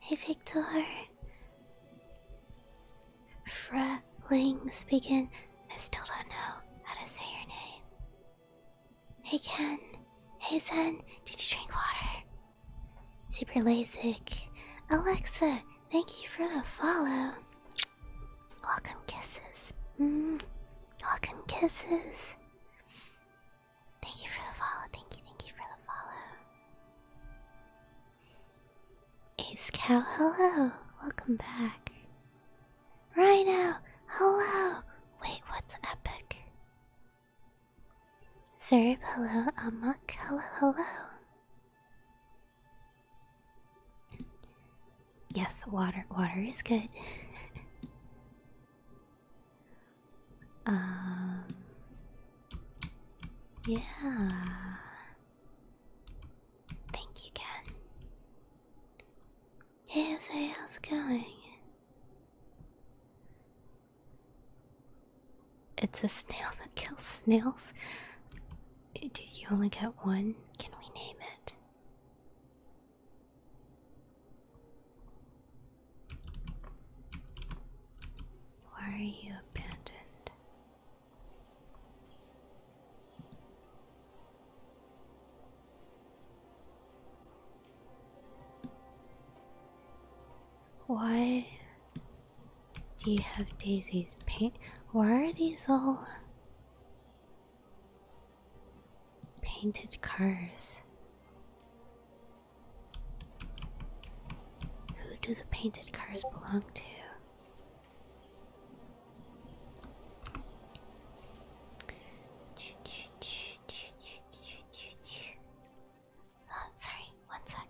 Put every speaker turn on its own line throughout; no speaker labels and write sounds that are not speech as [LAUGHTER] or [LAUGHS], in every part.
Hey Victor. Frelings begin. I still don't know how to say your name. Hey Ken. Hey Zen. Did you drink water? Super lazy. Alexa, thank you for the follow. Welcome kisses. Mm. Welcome kisses. Thank you for the follow. Thank you, thank you for the follow. Ace Cow, hello. Welcome back. Rhino, hello. Wait, what's epic? Sir hello. Amok, hello, hello. Yes, water water is good. [LAUGHS] Um, yeah. Thank you, Ken. how's it going? It's a snail that kills snails. Did you only get one? Can we name it? Why are you abandoned? Why do you have Daisy's paint? Why are these all painted cars? Who do the painted cars belong to? Oh, sorry, one second.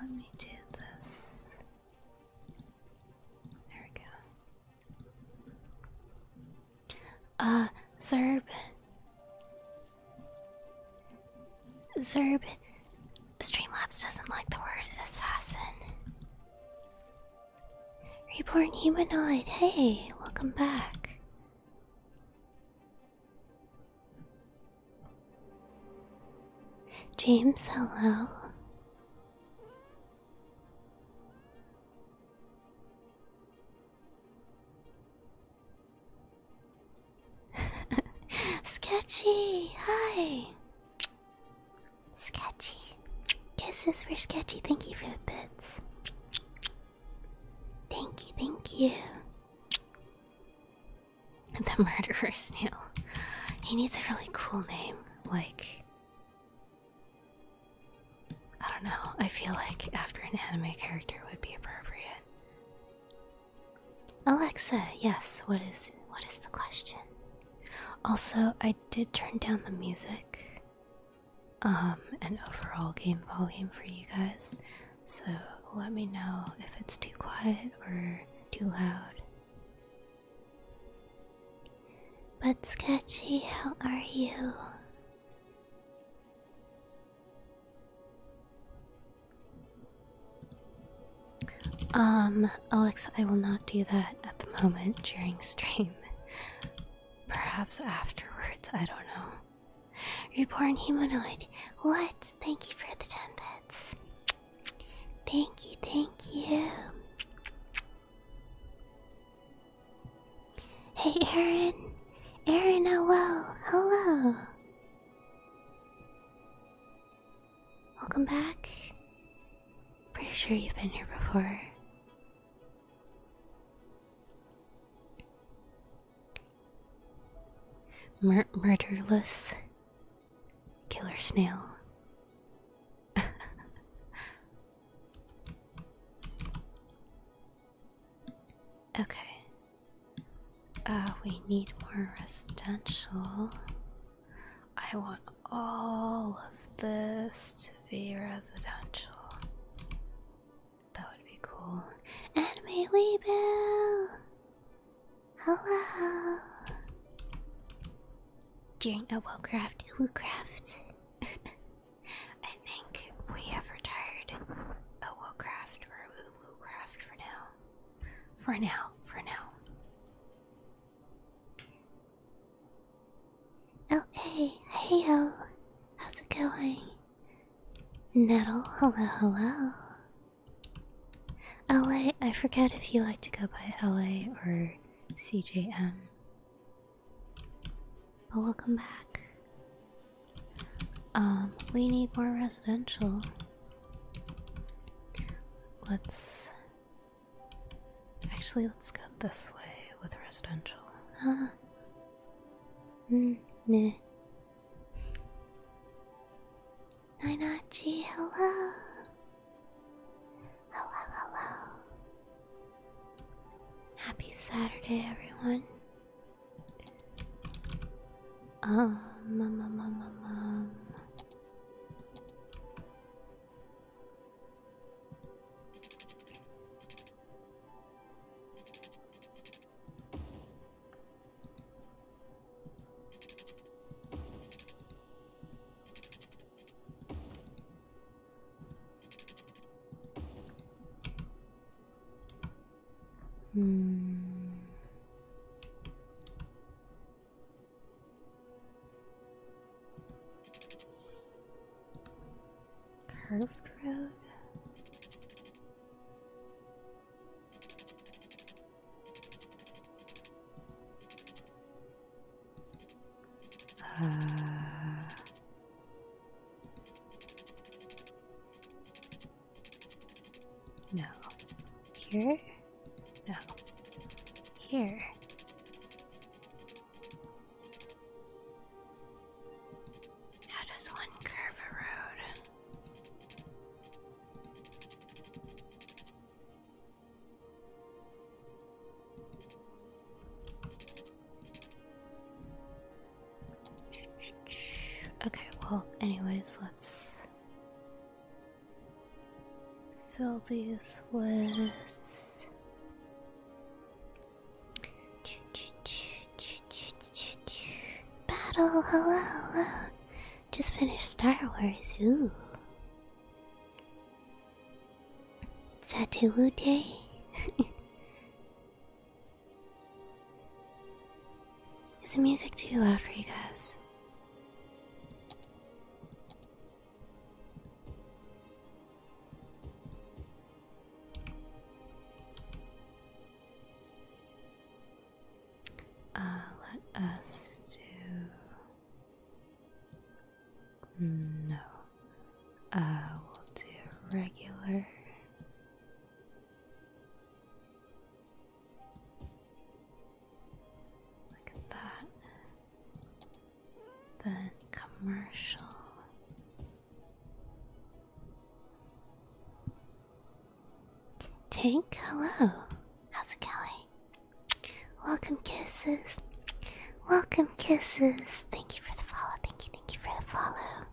Let me do this. There we go. Uh, Zerb. Zerb, Streamlabs doesn't like the word assassin. Reborn humanoid, hey, welcome back. James, hello. [LAUGHS] Sketchy, hi. Sketchy. Kisses for Sketchy. Thank you for the bits. Thank you, thank you. The murderer [LAUGHS] snail. He needs a really cool name, like I don't know. I feel like after an anime character would be appropriate. Alexa, yes. What is what is the question? Also, I did turn down the music um and overall game volume for you guys. So, let me know if it's too quiet or too loud. But, Sketchy, how are you? Um, Alexa, I will not do that at the moment during stream. Perhaps afterwards, I don't know. Reborn humanoid. What? Thank you for the 10 bits. Thank you, thank you. Hey Aaron! Aaron, hello! Hello! Welcome back. Pretty sure you've been here before. murderless killer snail. [LAUGHS] okay. Uh, we need more residential. I want all of this to be residential. That would be cool. And may we build? Hello. During a well-crafted [LAUGHS] I think we have retired a Woolcraft or a Woo Craft for now. For now, for now. Oh, hey, hey, yo. How's it going? Nettle, hello, hello. LA, I forget if you like to go by LA or CJM. But we'll come back. Um, we need more residential. Let's actually let's go this way with residential. Huh? Mm, nah. Ninachi, hello. Hello, hello. Happy Saturday, everyone. Um, um, um, um, um. um.
Hmm.
Curved road. Uh, no. Here? No. Here. How does one curve a road? Okay, well, anyways, let's fill these with battle. Hello, hello. Just finished Star Wars. Ooh. Satuwu Day? [LAUGHS] Is the music too loud for you guys? Uh, let us do no, I uh, will do regular. Like that. Then commercial. Tank, hello. How's it going? Welcome, kisses. Welcome, kisses. Thank you for the follow. Thank you, thank you for the follow.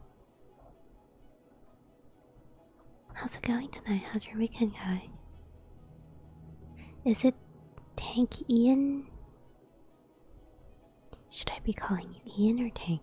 How's it going tonight? How's your weekend going? Is it Tank Ian? Should I be calling you Ian or Tank?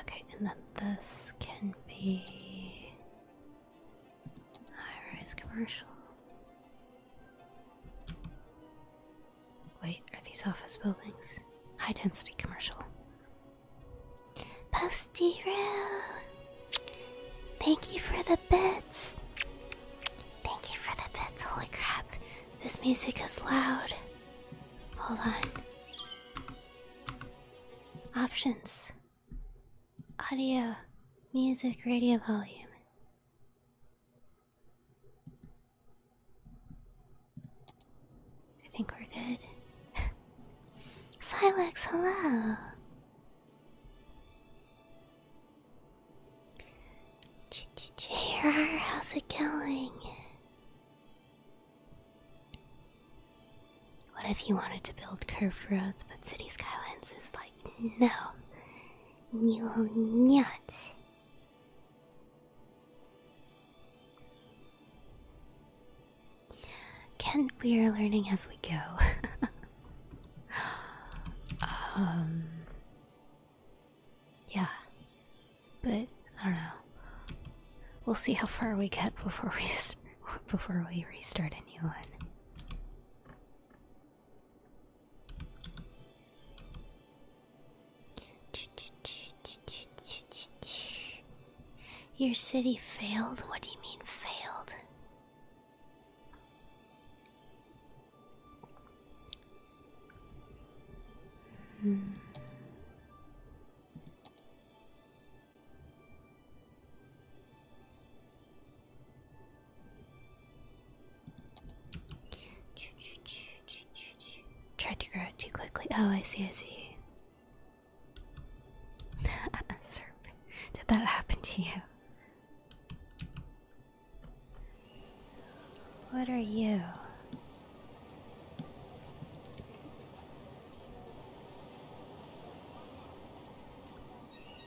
Okay, and then this can be high rise commercial. Wait, are these office buildings? High density commercial. Posty Roo! Thank you for the bits! Thank you for the bits, holy crap. This music is loud. Hold on. Options. Audio. Music radio volume. I think we're good. [LAUGHS] Silex, hello. Ch -ch -ch hey, going? What if you wanted to build curved roads, but City Skylines is like, no, you will not. Can we are learning as we go. [LAUGHS] um. Yeah. But I don't know. We'll see how far we get before we [LAUGHS] before we restart a new one. Your city failed? What do you mean failed? Hmm. Tried to grow out too quickly. Oh, I see, I see. Sir, [LAUGHS] did that happen to you? What are you?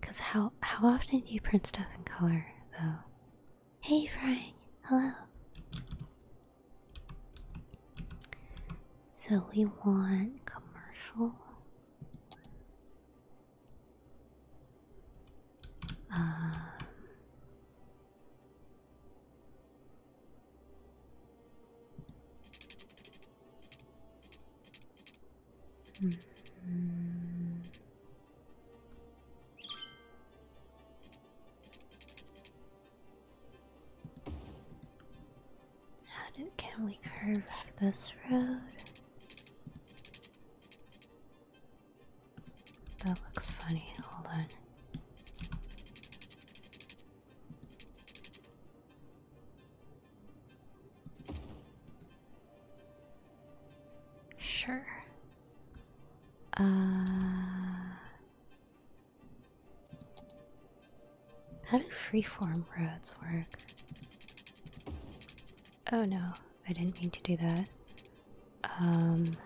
Cause how how often do you print stuff in color though? Hey Frank, hello. So we want commercial. Um, how do, can we curve this road? That looks funny, hold on. Sure. Uh, how do freeform roads work? Oh no, I didn't mean to do that. Um,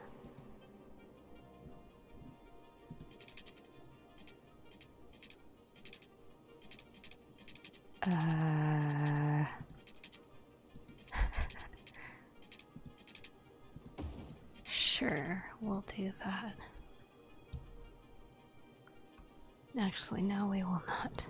uh... [LAUGHS] sure, we'll do that. Actually, no, we will not.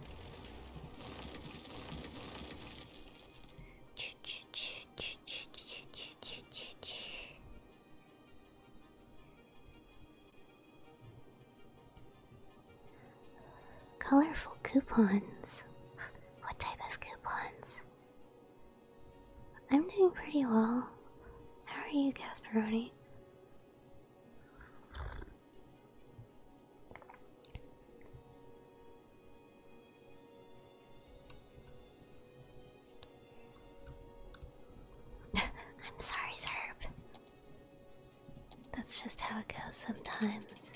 Colorful coupons. What type of coupons? I'm doing pretty well. How are you, Casparoni? [LAUGHS] I'm sorry, Zerb. That's just how it goes sometimes.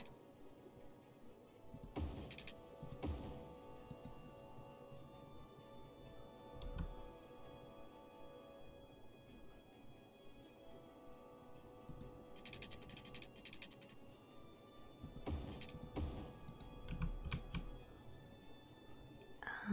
Uh,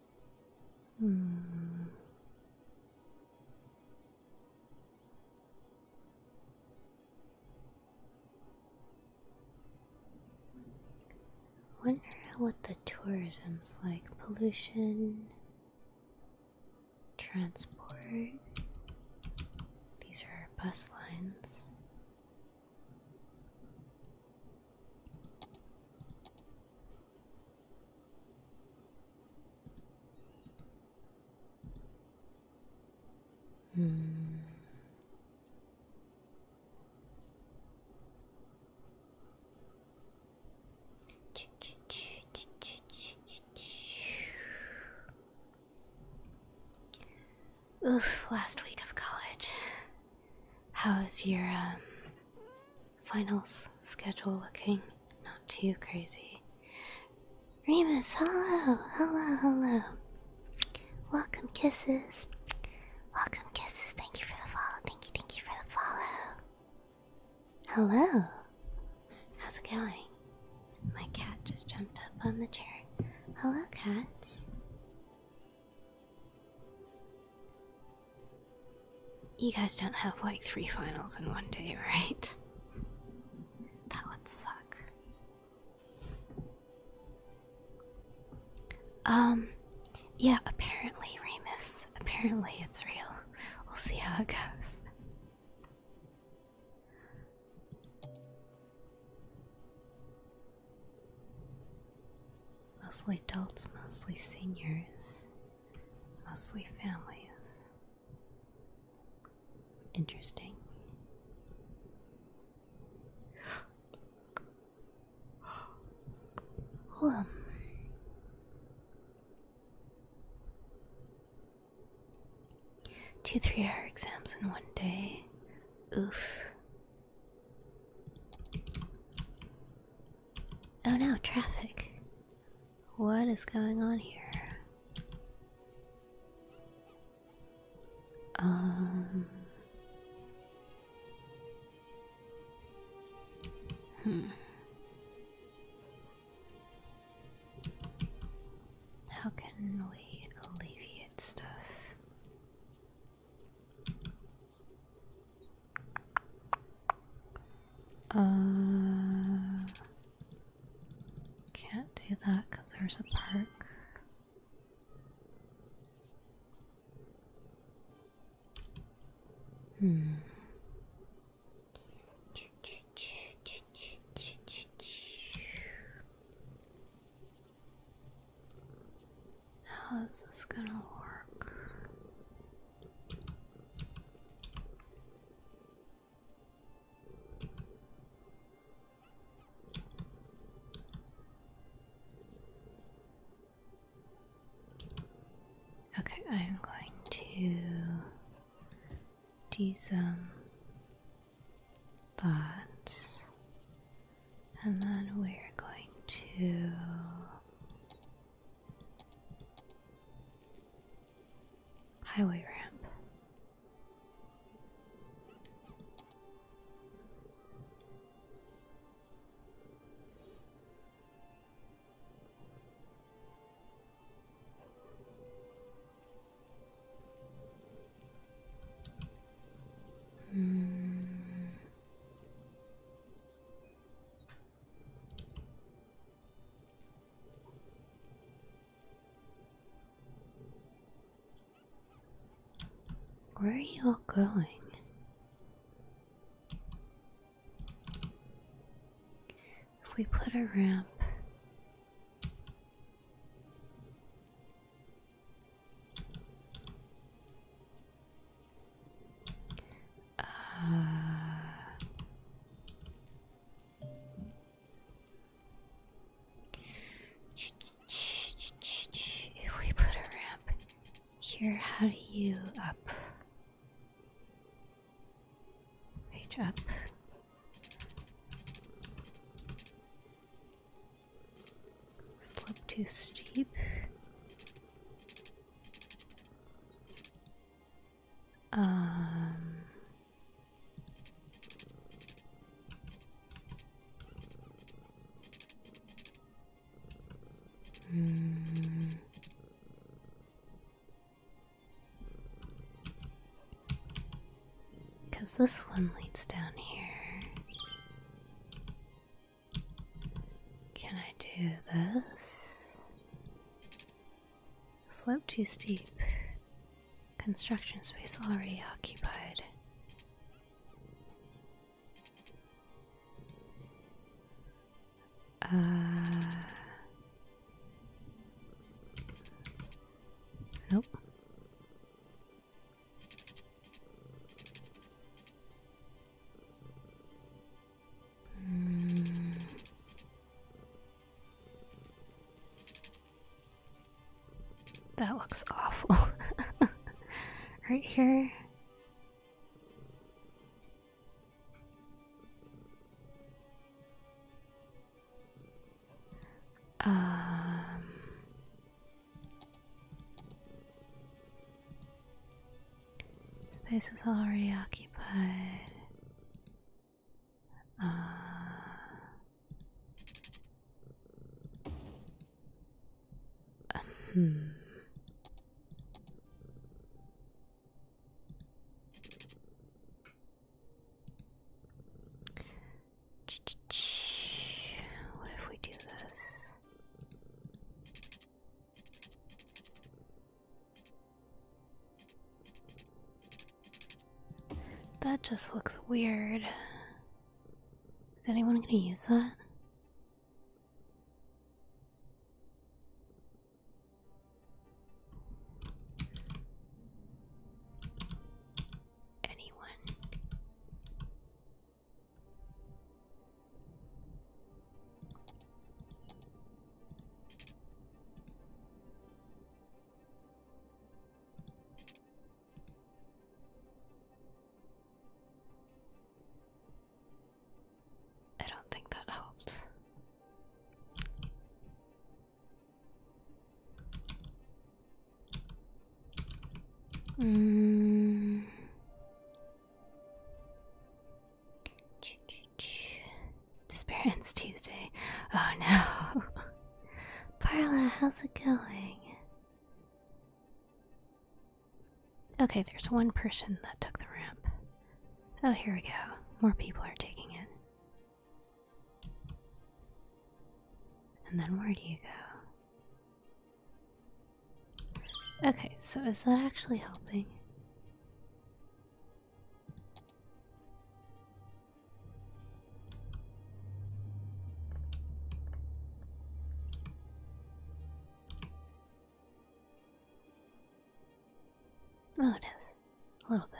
Hmm. Wonder what the tourism's like. Pollution, transport. These are bus lines.
Hmm.
Oof, last week of college. How was your um finals schedule looking? Not too crazy. Remus, hello, hello, hello. Welcome, kisses. Welcome, kisses. Thank you for the follow. Thank you, thank you for the follow. Hello. How's it going? My cat just jumped up on the chair. Hello, cat. You guys don't have like three finals in one day, right? That would suck. Um, yeah, apparently, Remus. Apparently, it's real. We'll see how it goes. Mostly adults, mostly seniors mostly families. Interesting. [GASPS] Well, two three hour exams in one day. Oof. Oh no, traffic. What is going on here? Um. Hmm. How can we alleviate stuff? Uh, can't do that because there's a park. Hmm. How's this gonna work? Okay, I'm going to do some thoughts, and then we're going to Highway ramp. Mm. Where are you all going? If we put a ramp
uh,
if we put a ramp here, how do you up? Page up. Slope too steep. Um,
hmm.
Cause this one leads down here. Can I do this? Slope too steep. Construction space already occupied.
Uh, nope. Hmm.
That looks awful. [LAUGHS] right here. Um Space is already occupied. Uh, hmm. What if we do this? That just looks weird. Is anyone going to use that? Anyone? I don't think that helped. Mm. [LAUGHS] Disparance Tuesday. Oh no. [LAUGHS] Parla, how's it going? Okay, there's one person that took the ramp. Oh, here we go. More people are taking it. And then where do you go? Okay, so is that actually helping? Oh, it is. A little bit.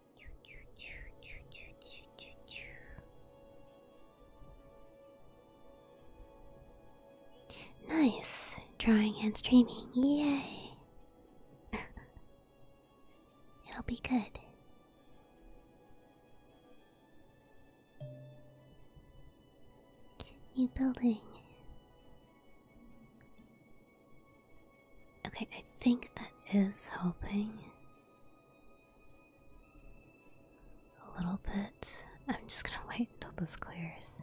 Nice! Drawing and streaming, yay! [LAUGHS] It'll be good. New building. Okay, I think that is helping a little bit. I'm just gonna wait until this clears.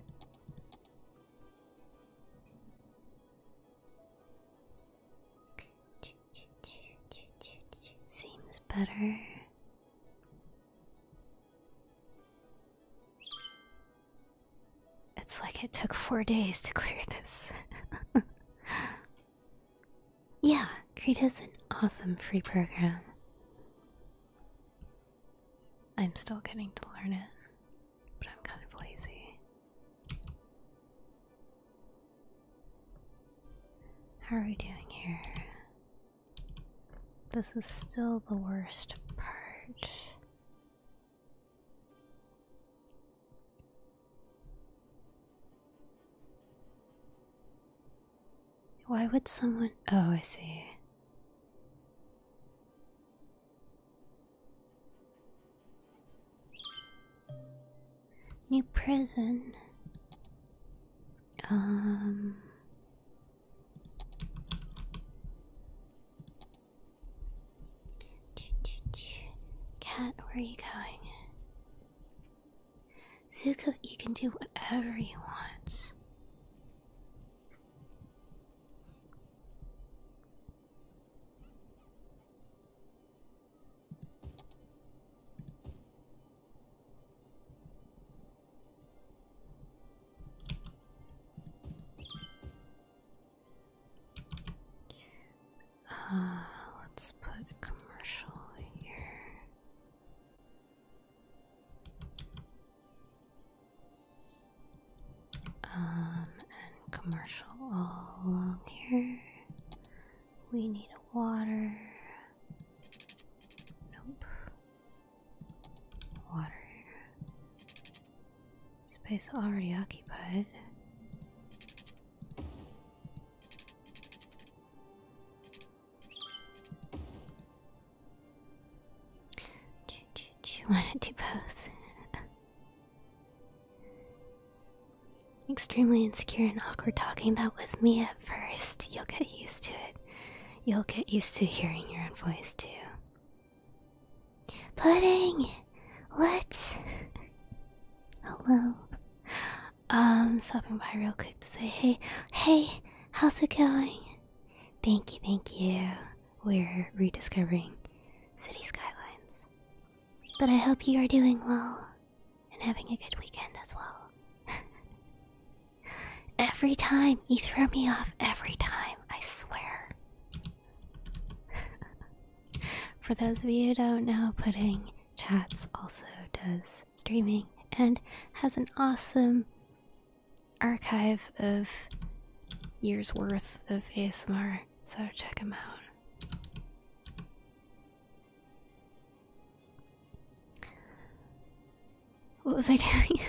Seems better. It's like it took four days to clear this. [LAUGHS] Yeah, Krita is an awesome free program. I'm still getting to learn it, but I'm kind of lazy. How are we doing here? This is still the worst part. Why would someone? Oh, I see. New prison. Um. Cat, where are you going? Zuko, you can do whatever you want. Uh, let's put commercial here. Um, and commercial all along here. We need a water. Nope. Water. Space already occupied. Do you want to do both? Extremely insecure and awkward talking. That was me at first. You'll get used to it. You'll get used to hearing your own voice too. Pudding! What? Hello. Um, stopping by real quick to say, hey, hey, how's it going? Thank you, thank you. We're rediscovering city skylines. But I hope you are doing well and having a good weekend as well. [LAUGHS] every time you throw me off, every time, I swear. [LAUGHS] For those of you who don't know, pudding chats, also does streaming, and has an awesome archive of years worth of ASMR. So check him out. What was I [LAUGHS] doing?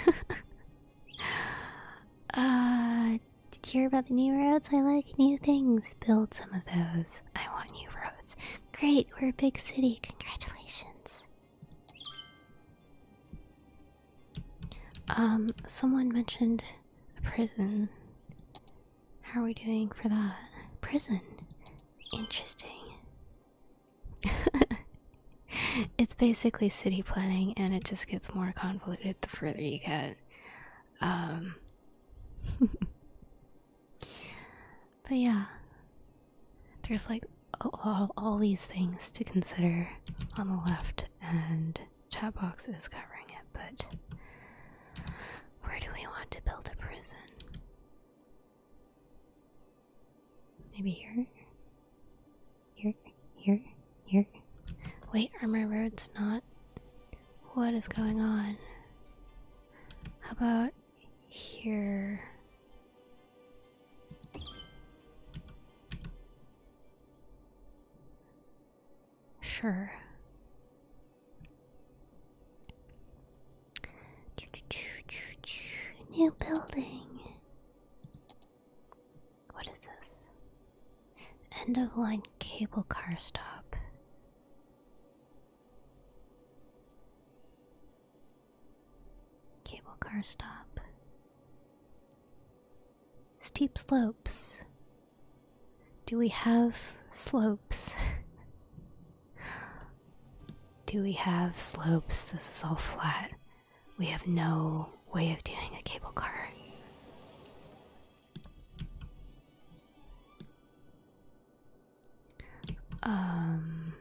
uh, did you hear about the new roads? I like new things. Build some of those. I want new roads. Great, we're a big city. Congratulations. Um, someone mentioned a prison. How are we doing for that? Prison. Interesting. [LAUGHS] it's basically city planning and it just gets more convoluted the further you get. Um [LAUGHS] But yeah, there's like all, all these things to consider on the left, and chat box is covering it. But where do we want to build a prison? Maybe here? Here? Here? Here? Wait, are my roads not? What is going on? How about here. Sure. New building. What is this? End of line cable car stop. Cable car stop. Steep slopes. Do we have slopes? [LAUGHS] Do we have slopes? This is all flat. We have no way of doing a cable car. Um.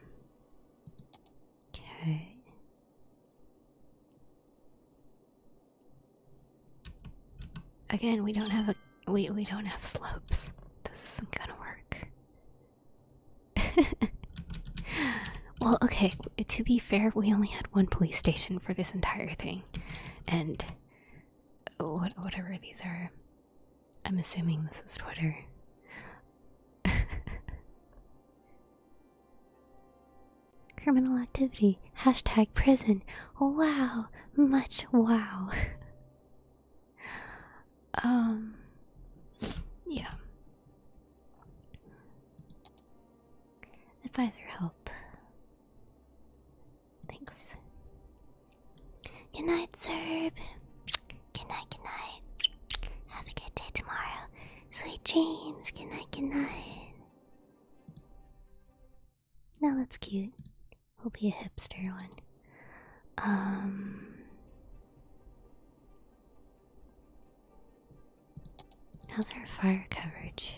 Okay. Again, we don't have a we we don't have slopes. This isn't gonna work. [LAUGHS] well, okay. To be fair, we only had one police station for this entire thing, and whatever these are, I'm assuming this is Twitter. [LAUGHS] Criminal activity. Hashtag prison. Wow. Much wow. [LAUGHS] um. Yeah. Advisor help. Thanks. Good night, Serb. Good night, good night. Have a good day tomorrow. Sweet dreams. Good night, good night. Now that's cute. We'll be a hipster one. Um. How's our fire coverage?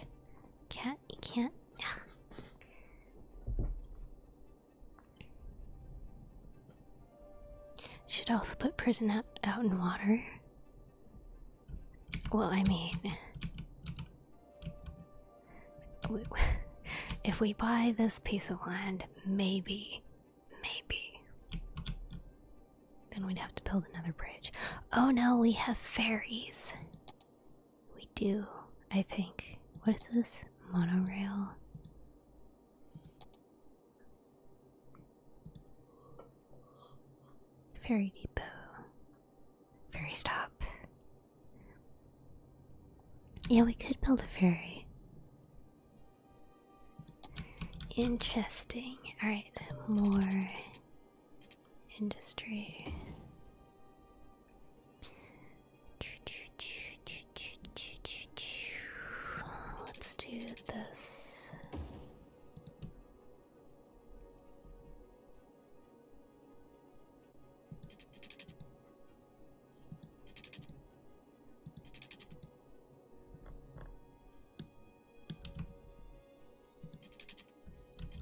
Can't you can't? [SIGHS] Yeah. Should I also put prison out, out in water. Well, I mean, [LAUGHS] if we buy this piece of land, maybe, maybe, then we'd have to build another bridge. Oh no, we have ferries. We do, I think. What is this? Monorail? Ferry Depot. Ferry stop. Yeah, we could build a ferry. Interesting. Alright, more industry.
Oh, let's do this.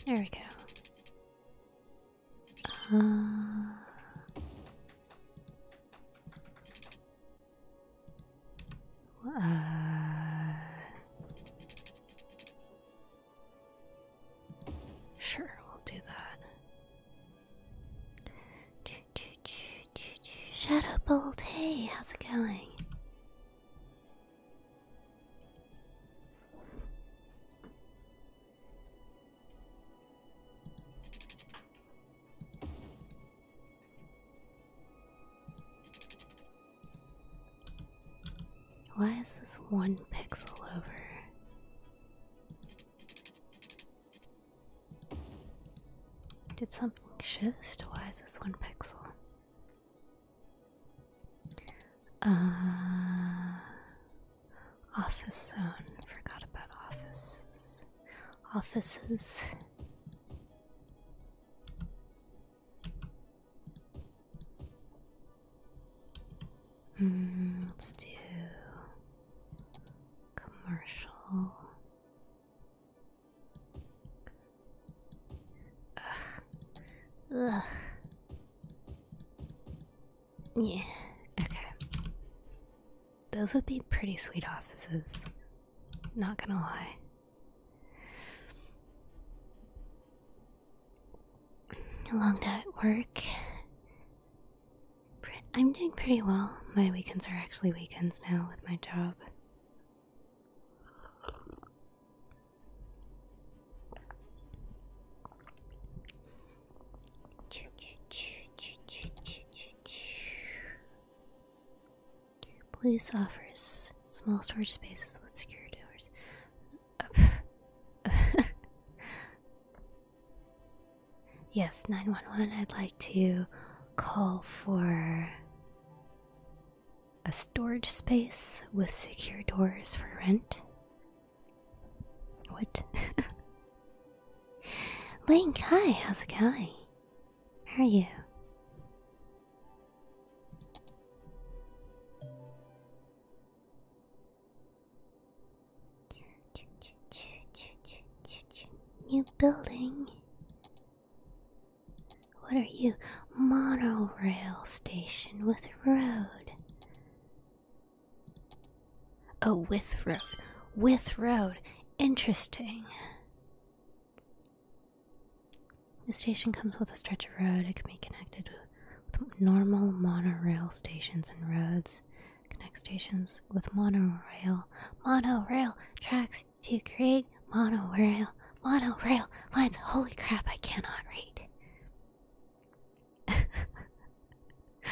There we go. Uh,
uh,
sure, we'll do that. Shadow hey, how's it going? Why is this one pixel over? Did something shift? Why is this one pixel? Uh, office zone. Forgot about offices offices.
Hmm, let's do commercial.
Ugh. Yeah, okay. Those would be pretty sweet offices. Not gonna lie. A long day at work. I'm doing pretty well. My weekends are actually weekends now with my job. Your place offers small storage spaces with secure doors. [LAUGHS] yes, 911, I'd like to call for a storage space with secure doors for rent. What? [LAUGHS] Link, hi, how's it going? Where are you? New building. What are you? Monorail station with road. Oh, with road. With road. Interesting. The station comes with a stretch of road. It can be connected with normal monorail stations and roads. Connect stations with monorail. Monorail tracks to create monorail. Monorail lines. Holy crap, I cannot read. [LAUGHS]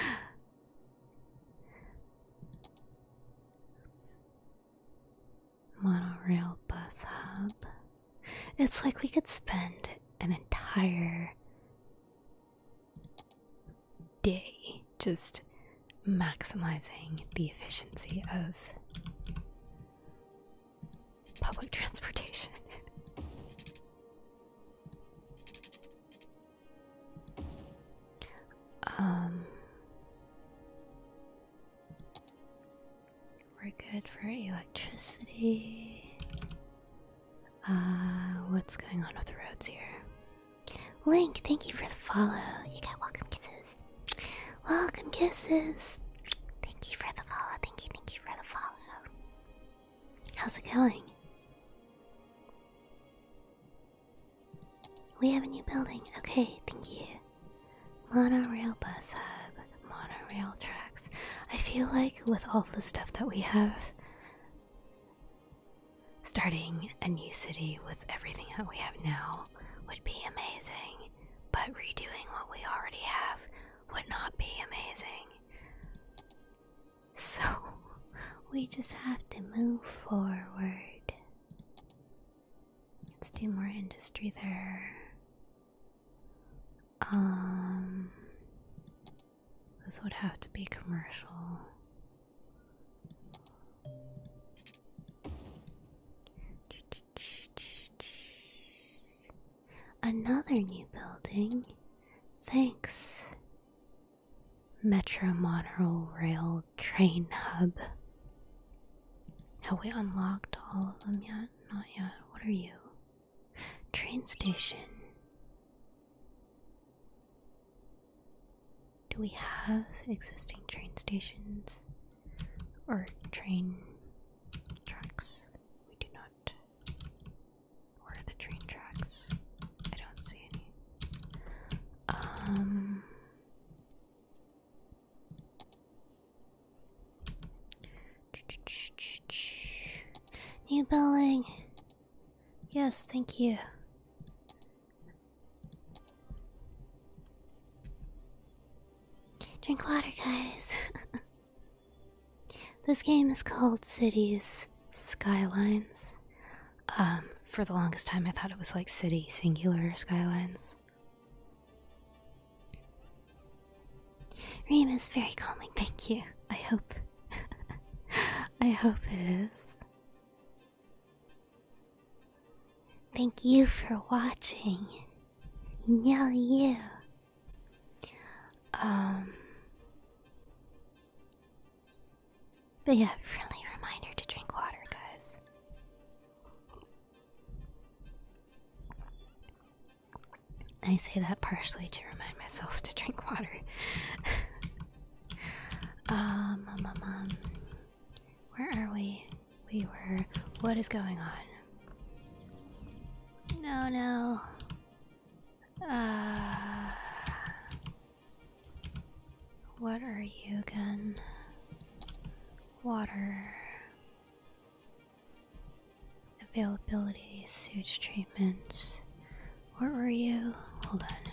Monorail bus hub. It's like we could spend an entire day just maximizing the efficiency of
public [LAUGHS] transportation.
Um we're good for electricity. Uh what's going on with the roads here? Link, thank you for the follow. You got welcome kisses. Welcome kisses. Thank you for the follow. Thank you, thank you for the follow. How's it going? We have a new building. Okay, thank you. Monorail bus hub, monorail tracks. I feel like with all the stuff that we have, starting a new city with everything that we have now would be amazing, but redoing what we already have would not be amazing. So, [LAUGHS] we just have to move forward. Let's do more industry there. Um this would have to be commercial. Another new building. Thanks. Metro Monorail Rail Train Hub. Have we unlocked all of them yet? Not yet. What are you? Train station. Do we have existing train stations or train tracks? We do not. Where are the train tracks? I don't see any. Um, New building. Yes, thank you. Drink water, guys. [LAUGHS] this game is called Cities Skylines. Um, for the longest time, I thought it was like city singular skylines. Reem is very calming, thank you. I hope. [LAUGHS] I hope it is. Thank you for watching. Yeah, Um but yeah, friendly reminder to drink water, guys. I say that partially to remind myself to drink water. [LAUGHS] Um, um, um, um, where are we? We were. What is going on? No, no. Uh, what are you again? Water. Availability, sewage treatment. What were you? Hold on.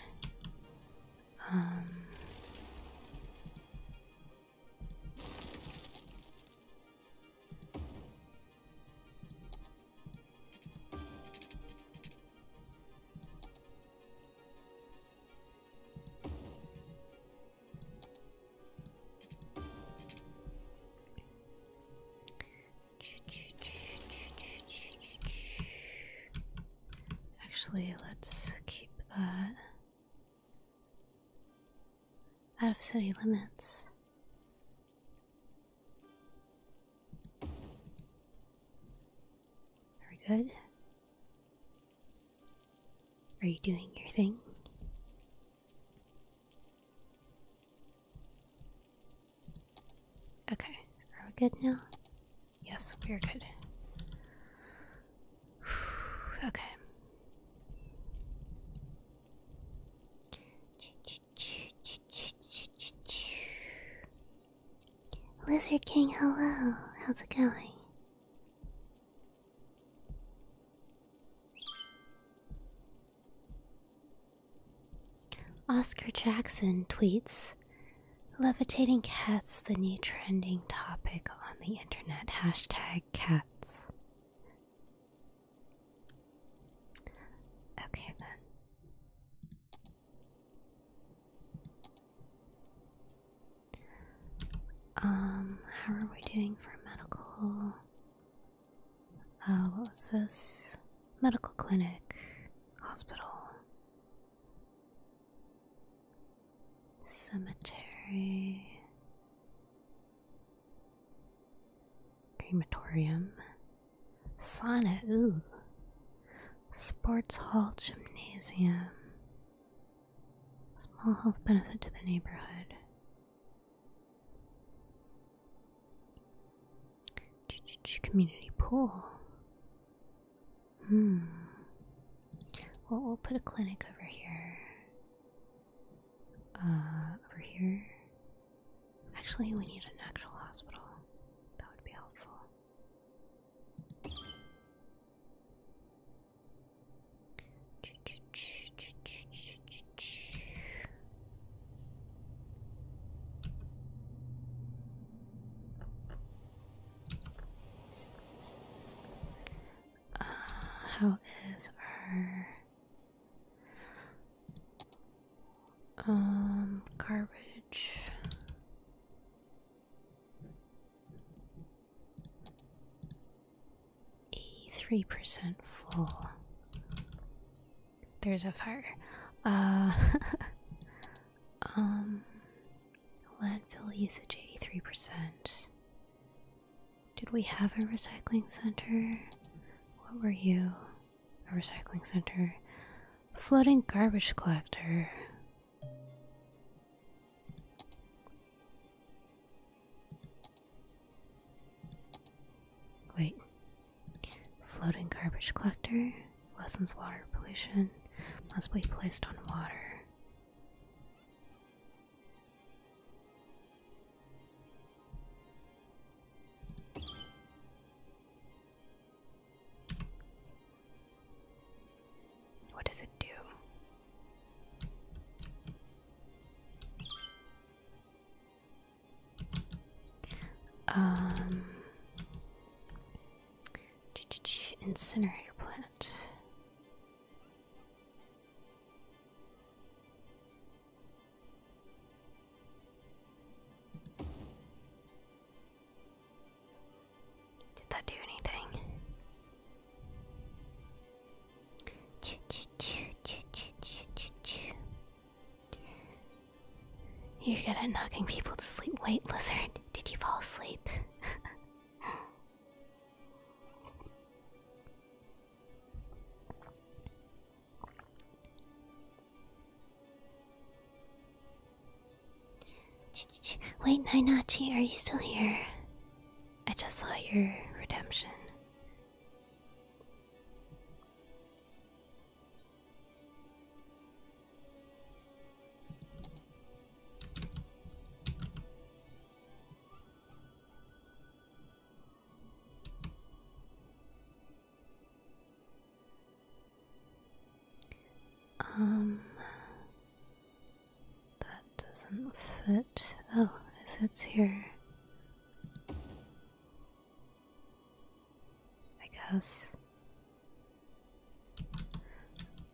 Um, Actually, let's keep that out of city limits. Very good. Are you doing your thing? Okay, are we good now? Yes, we're good. [SIGHS] okay. Lizard King, hello. How's it going? Oscar Jackson tweets Levitating cats, the new trending topic on the internet. Hashtag cats. Okay, then. Um, how are we doing for medical? Uh, what was this? Medical clinic, hospital, cemetery, crematorium, sauna, ooh, sports hall, gymnasium, Small health benefit to the neighborhood. Community pool. Hmm. Well, we'll put a clinic over here. Uh, over here. Actually, we need an actual hospital. That would be helpful. Uh, how is our um garbage? Eighty-three percent full. There's a fire. Uh, [LAUGHS] um, landfill usage eighty-three percent. Did we have a recycling center? What were you? A recycling center. Floating garbage collector. Wait. Floating garbage collector lessens water pollution, must be placed on water. What does it do? Um, incinerator plant. Did that do anything? You're good at knocking people to sleep. Wait, lizard, did you fall asleep? [LAUGHS] Wait, Ninachi, are you still here? I just saw your redemption. Um that doesn't fit. Oh, it fits here. I guess.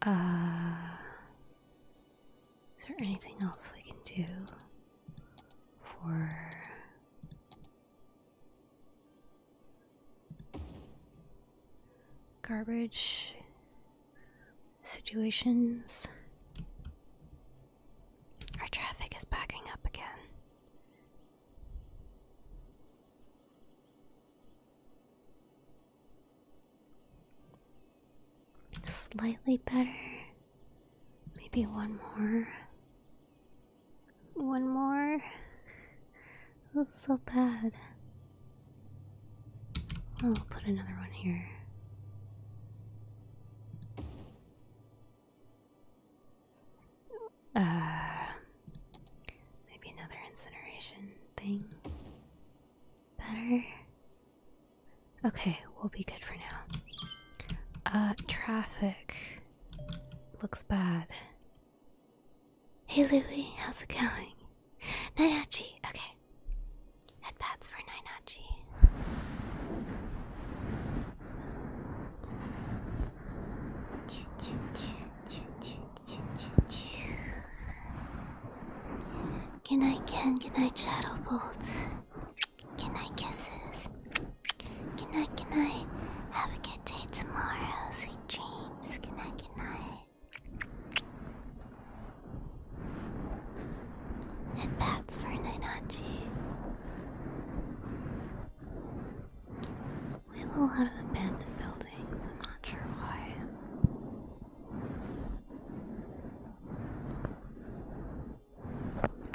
Uh, is there anything else we can do for garbage? situations. Our traffic is backing up again. Slightly better. Maybe one more. One more. That's so bad. I'll put another one here. Uh, maybe another incineration thing. Better? Okay, we'll be good for now. Uh, traffic looks bad. Hey Louie, how's it going? Nanachi, okay. Headpads for Nanachi. Can night, Ken. Good night, Shadow Bolts. Good night, kisses. Good night, good night.
Have a good day tomorrow. Sweet dreams. Good night, good night.
Head for Ninachi. We have a lot of abandoned buildings, I'm not sure why.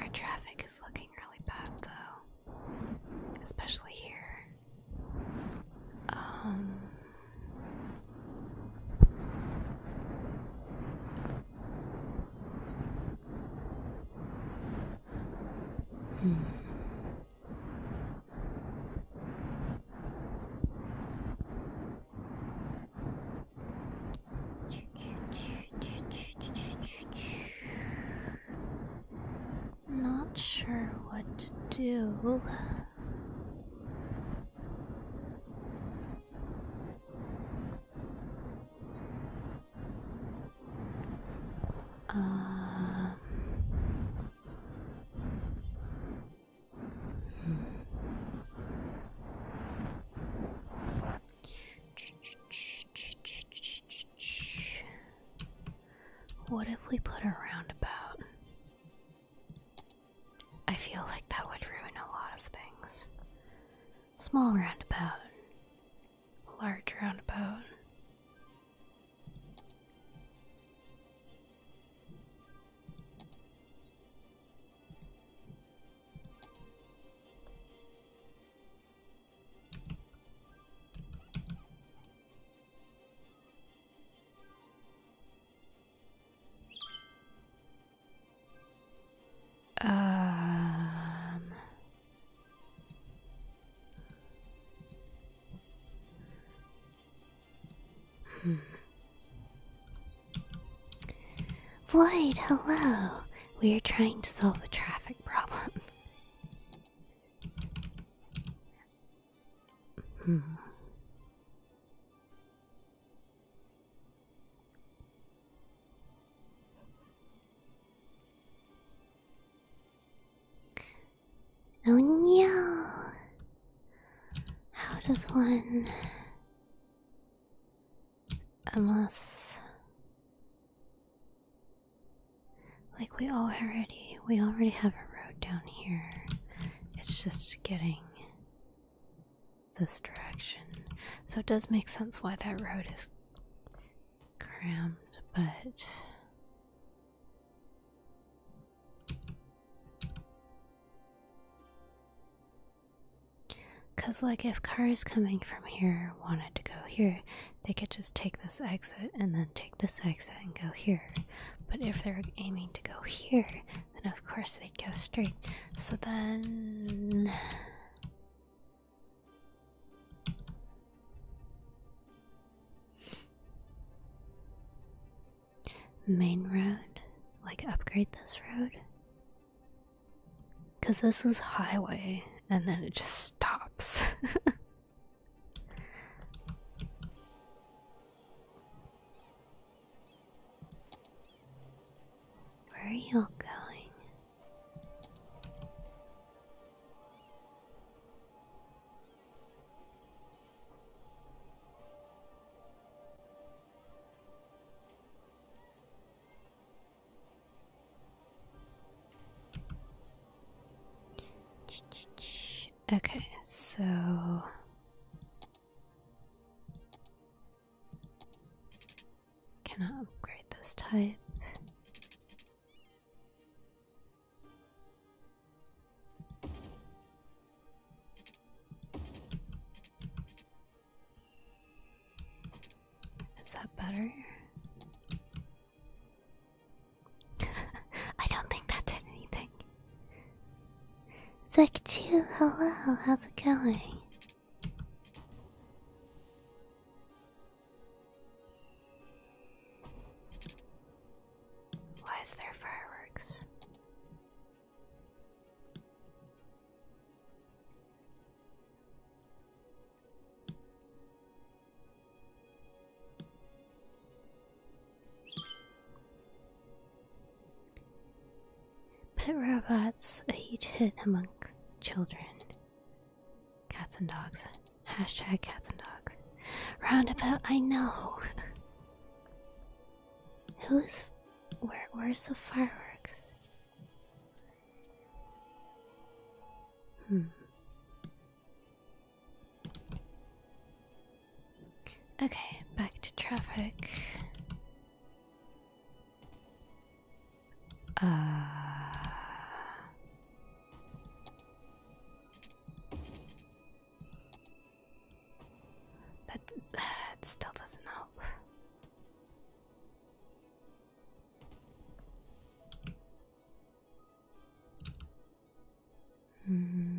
Our traffic is looking really bad though, especially here.
Um, Hmm.
Not sure what to do.
Um, hmm.
What if we put a roundabout I feel like that would ruin a lot of things. Small roundabout, large roundabout.
Um,
hmm. Void, hello. We are trying to solve a traffic problem.
hmm. Oh no! How does one.
Unless. Like we already. We already have a road down here. It's just getting this direction. So it does make sense why that road is crammed. but. Because, like, if cars coming from here wanted to go here, they could just take this exit and then take this exit and go here. But if they're aiming to go here, and of course they go straight. So then. Main road? Like upgrade this road? Because this is highway and then it just stops. [LAUGHS] Where are you going? Okay, so Cannot upgrade this type. Is that better? [LAUGHS] I don't think that did anything. It's like, Chew, hello, how's it going? Why is there fireworks? Pet robots, a huge hit amongst children. Cats and dogs. Hashtag cats and dogs. Roundabout, I know. Who's. Where, where's the fireworks? Hmm. Okay, back to traffic. Uh, that uh, still doesn't help.
Mm.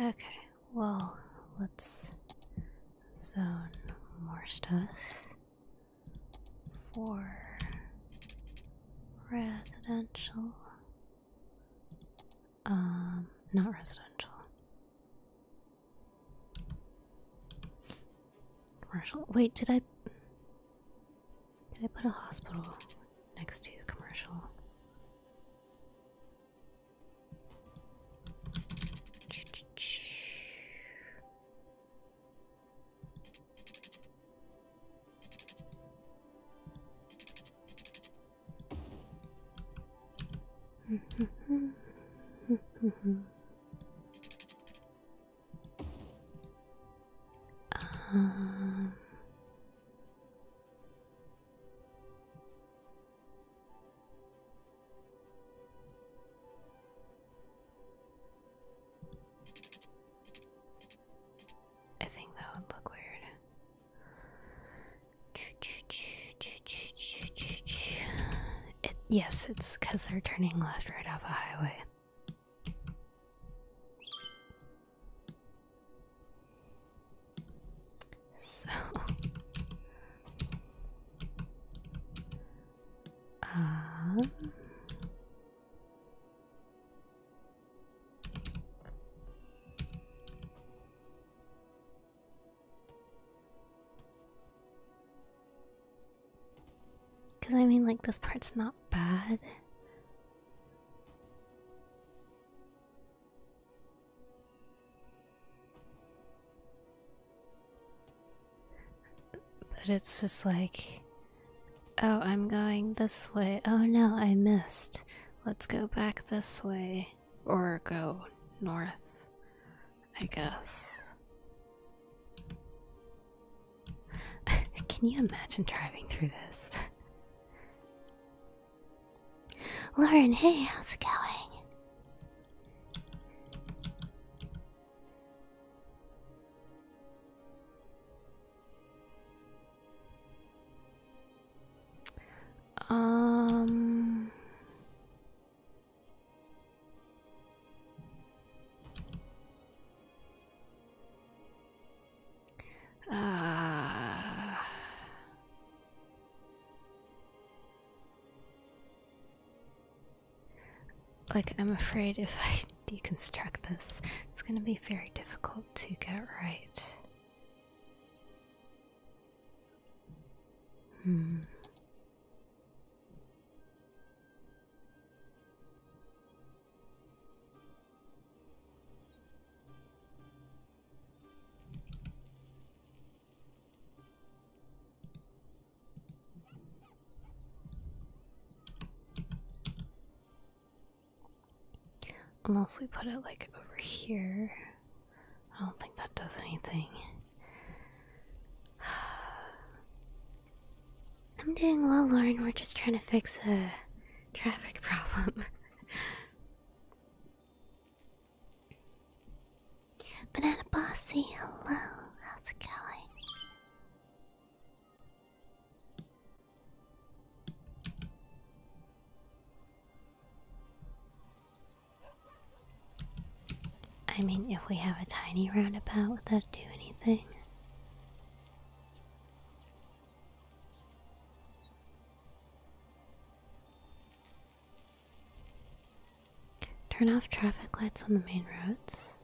Okay, well, let's zone more stuff for residential. Um, not residential. Commercial. Wait, did I. Did I put a hospital next to commercial?
[LAUGHS] Um,
I think that would look weird. yes, it's because they're turning left right off a highway.
So, um, [LAUGHS]
because uh, I mean, like, this part's not bad. But it's just like, oh, I'm going this way. Oh no, I missed. Let's go back this way. Or go north, I guess. [LAUGHS] Can you imagine driving through this? [LAUGHS] Lauren, hey, how's it going? Um
uh,
like, I'm afraid if I [LAUGHS] deconstruct this, it's going to be very difficult to get right. Hmm. Unless we put it like over here. I don't think that does anything. [SIGHS] I'm doing well, Lauren. We're just trying to fix a traffic problem. Banana Bossy, hello. How's it going? I mean, if we have a tiny roundabout, would that do anything? Turn off traffic lights on the main roads.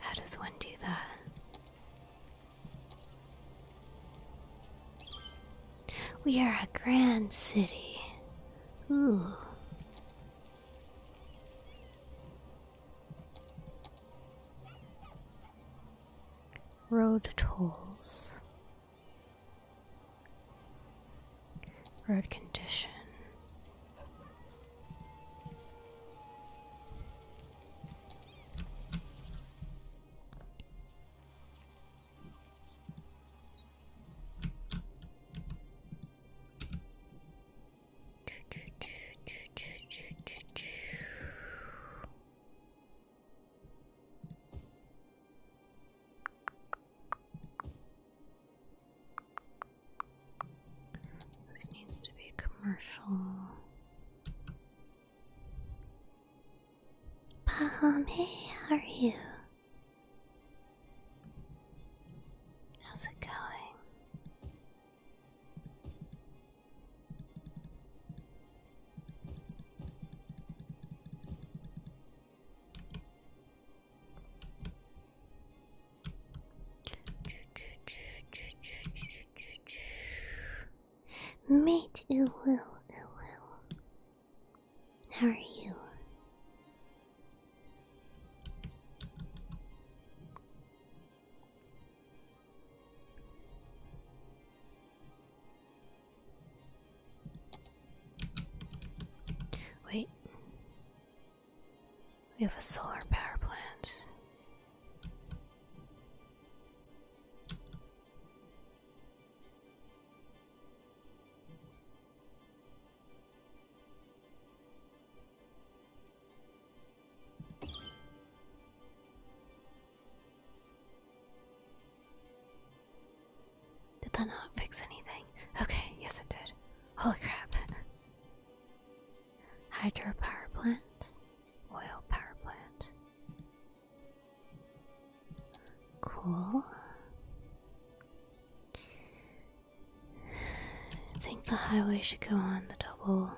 How does one do that? We are a grand city. Road tolls. Road condition. This needs to be commercial. Bahame, how are you? How's it going? Mate, it will, it will. How are you? Wait. We have a solar power plant. Did that not fix anything? Okay, yes, it did. Holy crap. Hydro power plant, oil power plant, Cool. I think the highway should go on the double.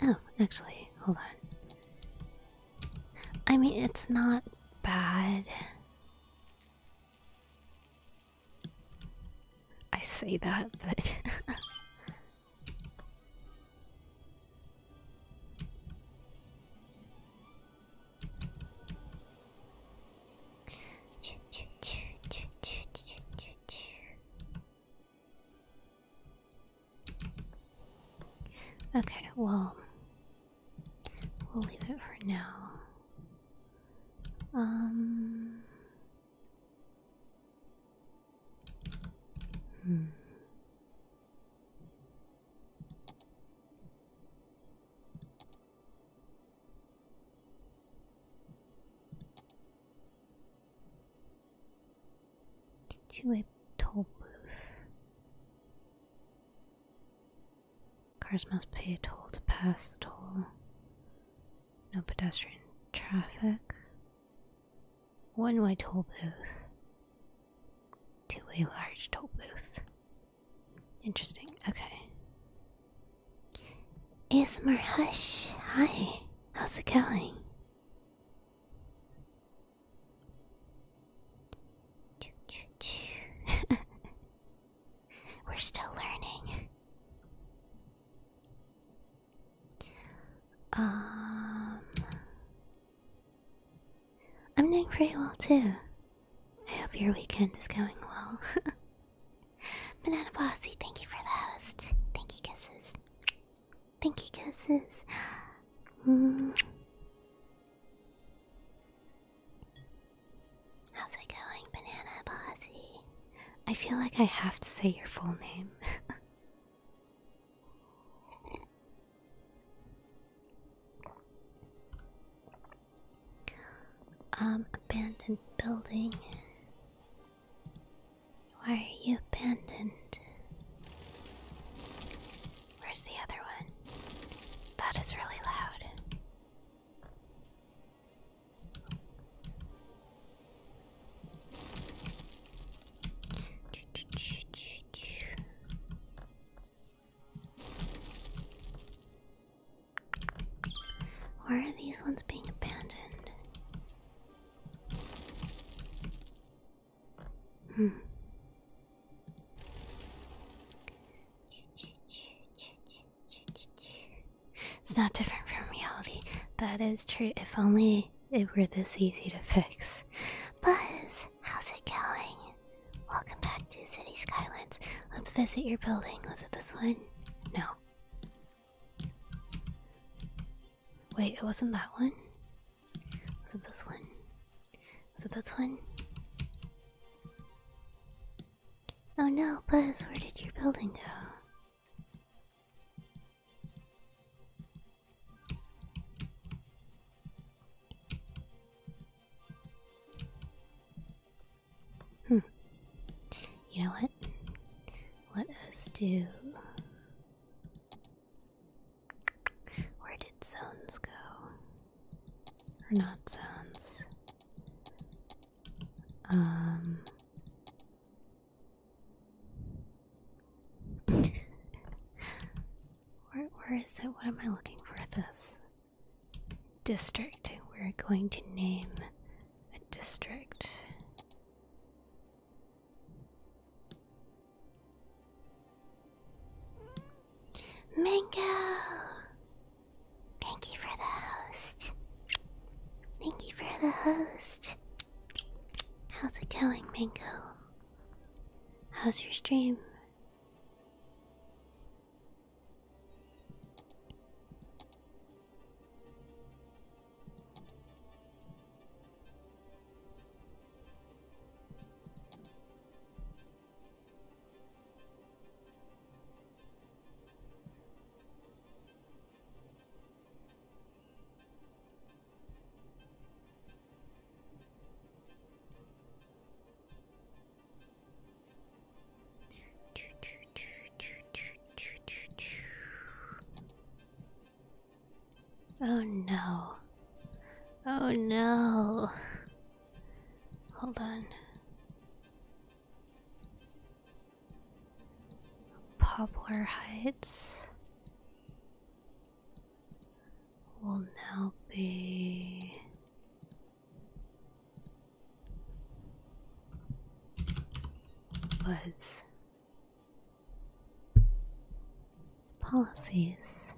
Oh, actually, hold on. I mean, it's not bad. I say that, but. [LAUGHS] Okay, well, we'll leave it for now. Um. Hmm. Two-way toll booth. Cars must pay a toll to pass the toll. No pedestrian traffic. One way toll booth Two-way large toll booth. Interesting. Okay. ASMR Hush. Hi. How's it going? [LAUGHS] We're still learning. Um, I'm doing pretty well too. I hope your weekend is going well. [LAUGHS] Banana Bossy, thank you for the host. Thank you, kisses. Thank you, kisses. Mm. How's it going, Banana Bossy? I feel like I have to say your full name. [LAUGHS] um, abandoned building. Why are you abandoned? Where's the other one? That is really loud. Where are these ones being abandoned? Hmm. It's not different from reality. That is true. If only it were this easy to fix. Buzz, how's it going? Welcome back to City Skylines. Let's visit your building. Was it this one? No. Wait, it wasn't that one? Is it this one? Is it this one? Oh no, Buzz, where did your building go? Hmm. You know what? Let us do where did zones go? Or not zones? Um. [LAUGHS] where, where is it? What am I looking for? This district. We're going to name a district. Mango! Thank you for the host. Thank you for the host. How's it going, Mango? How's your stream? Oh no. Oh no. Hold on. Poplar Heights will now be Woods. Policies.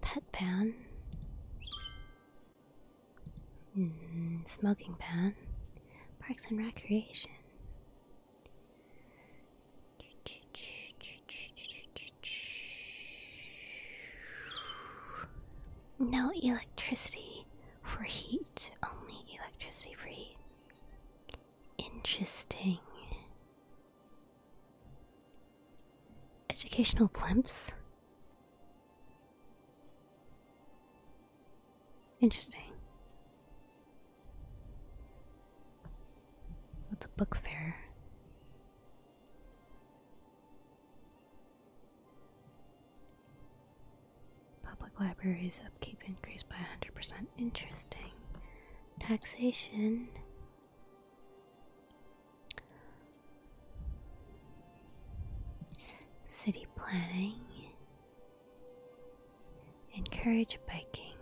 Pet ban. Hmm, smoking ban. Parks and recreation. No electricity for heat, only electricity free. Interesting. Educational blimps? Interesting. What's a book fair? Public libraries upkeep increased by 100%. Interesting. Taxation. City planning, encourage biking.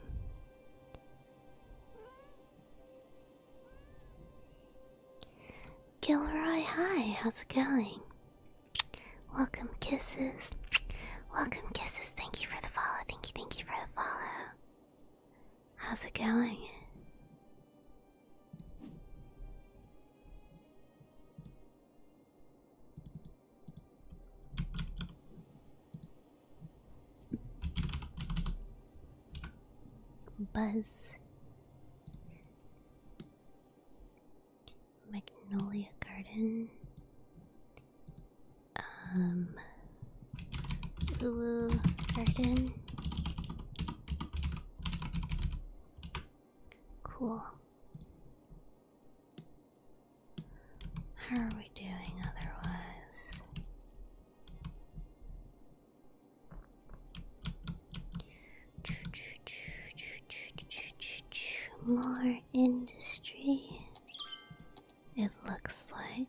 Gilroy, hi, how's it going? Welcome, kisses. Welcome, kisses. Thank you for the follow. Thank you, thank you for the follow. How's it going? Buzz Magnolia Garden. Um Ulu Garden. Cool. How are we doing otherwise? More industry, it looks like.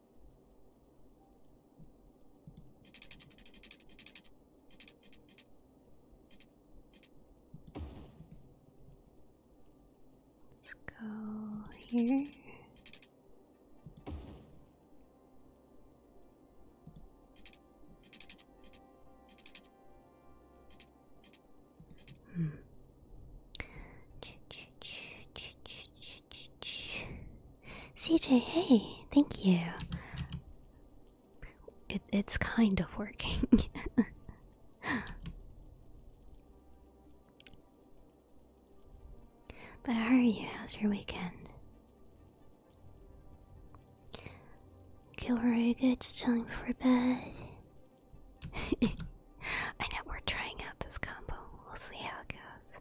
Let's go here.
Hmm. Ch -ch -ch -ch -ch -ch. CJ, hey, thank you. It, it's kind of working. [LAUGHS] but how are you? How's your weekend? Kilroy, good, just chilling before bed. [LAUGHS] I know we're trying out this combo. We'll see how it goes.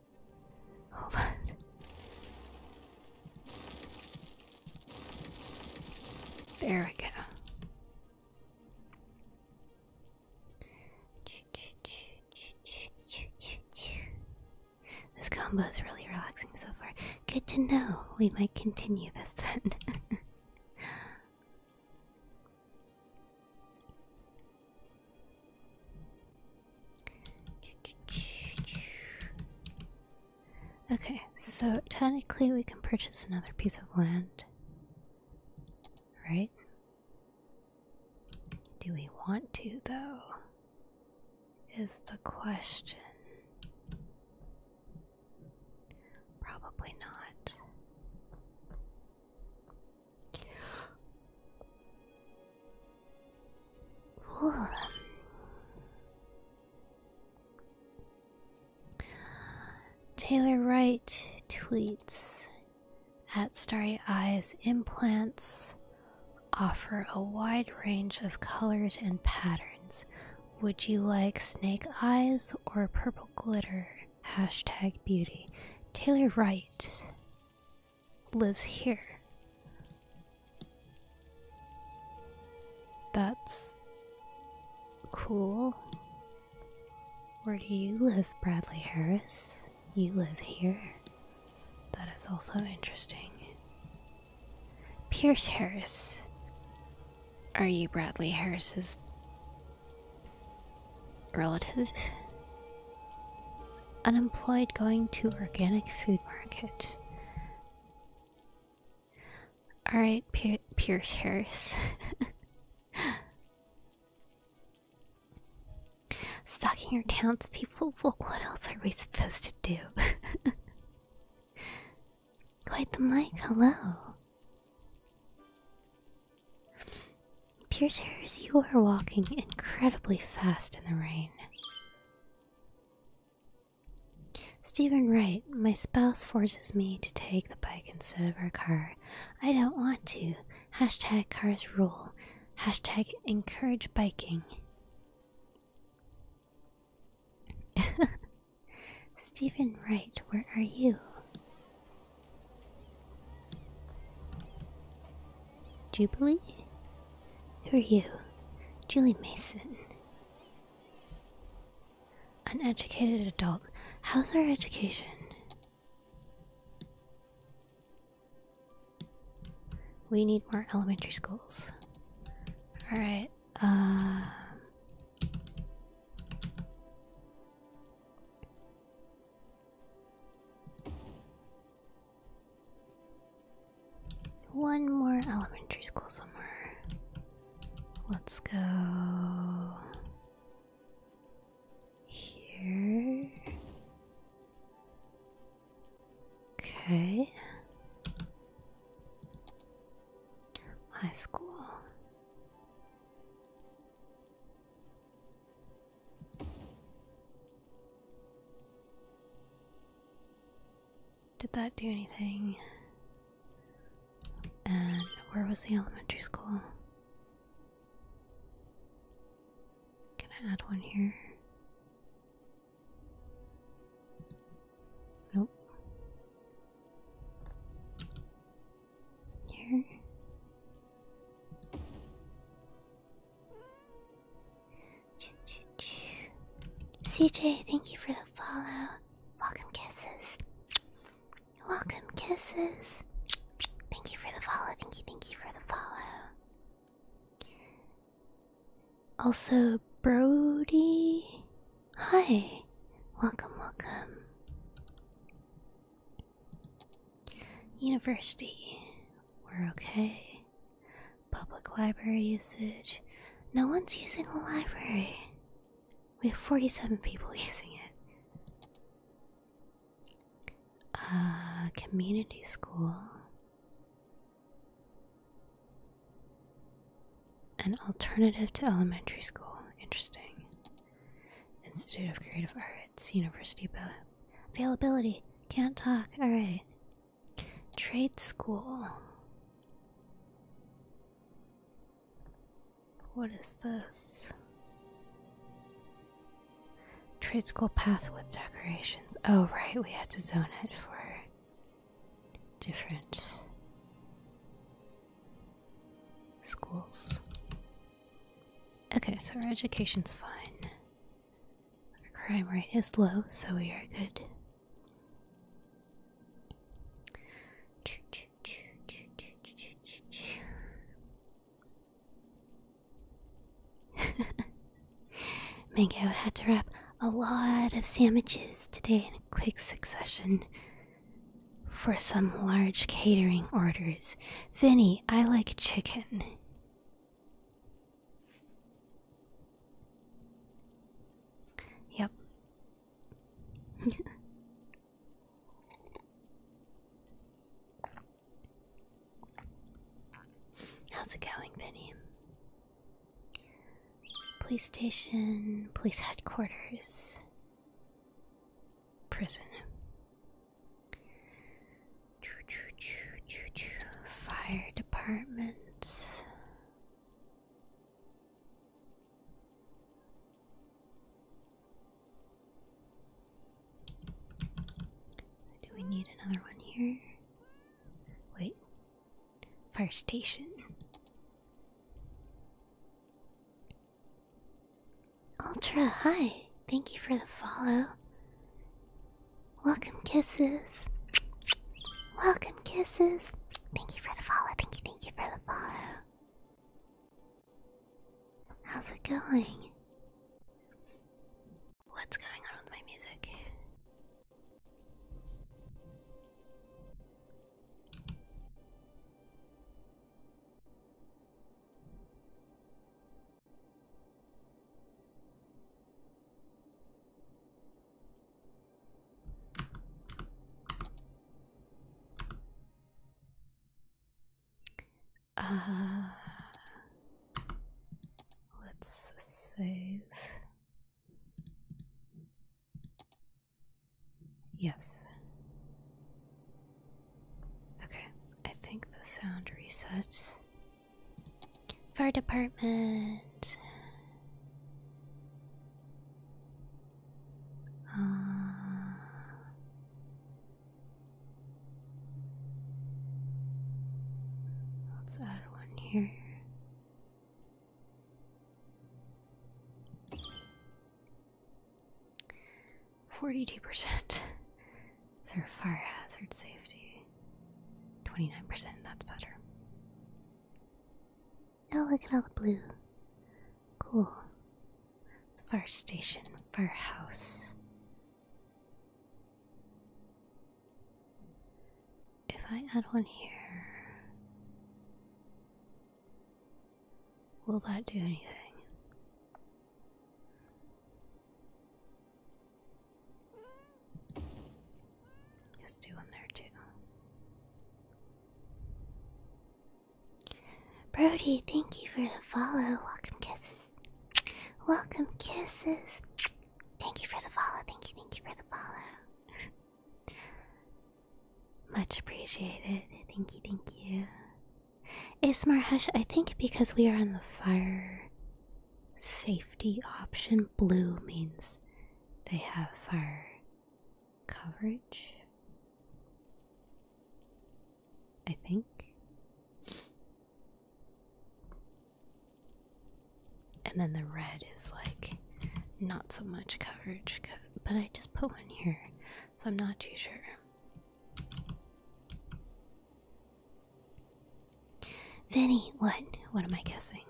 Hold on. There we go. This combo is really relaxing so far. Good to know. We might continue this [LAUGHS] Okay, so technically we can purchase another piece of land. Right? Do we want to, though? Is the question. Probably not. Taylor Wright tweets at Starry Eyes implants offer a wide range of colors and patterns. Would you like snake eyes or purple glitter? Hashtag beauty. Taylor Wright lives here. That's cool. Where do you live, Bradley Harris? You live here. That is also interesting. Pierce Harris. Are you Bradley Harris's relative? Unemployed going to organic food market. Alright, Pierce Harris. [LAUGHS] Stalking your townspeople? Well, what else are we supposed to do? [LAUGHS] Quite the mic, hello. Pierce Harris, you are walking incredibly fast in the rain. Stephen Wright, my spouse forces me to take the bike instead of our car. I don't want to. Hashtag cars rule. Hashtag encourage biking. [LAUGHS] Stephen Wright, where are you? Jubilee? Who are you? Julie Mason. An educated adult. How's our education? We need more elementary schools. Alright, uh, one more elementary school somewhere. Let's go here. Okay. High school. Did that do anything? And where was the elementary school? Can I add one here? Nope. Here? CJ, thank you for the follow. Welcome
kisses.
Welcome kisses. Thank you for the follow. Thank you, thank you for the follow. Also, Brody. Hi. Welcome, welcome. University. We're okay. Public library usage. No one's using a library. We have 47 people [LAUGHS] using it. Uh, community school. An alternative to elementary school. Interesting. Institute of Creative Arts, University Availability. Can't talk. Alright. Trade school. What is this? Trade school path with decorations. Oh, right, we had to zone it for different schools. Okay, so our education's fine. Our crime rate is low, so we are good. [LAUGHS] Mango had to wrap a lot of sandwiches today in quick succession for some large catering orders. Vinny, I like chicken. Yep. How's it going, Vinny? Police station, police headquarters, prison. Fire department. Do we need another one here? Wait. Fire station. Ultra, hi. Thank you for the follow. Welcome kisses. Welcome kisses. Thank you for the follow. Thank you, thank you for the follow. How's it going? What's going on with my music?
Uh, let's save.
Yes. Okay, I think the sound reset Fire department. Uh, let's add one here. Forty-two percent. [LAUGHS] Is there a fire hazard safety? 29%, that's better. Oh, look at all the blue. Cool. It's a fire station, firehouse. If I add one here, will that do anything? Just do one there too. Brody, thank you for the follow. Welcome kisses. Welcome kisses. Thank you for the follow. Thank you, thank you for the follow. Much appreciated. Thank you, thank you. more Hush, I think because we are on the fire Safety option blue means they have fire coverage. I think. And then the red is like not so much coverage, but I just put one here, so I'm not too sure. Vinnie, what? What am I guessing?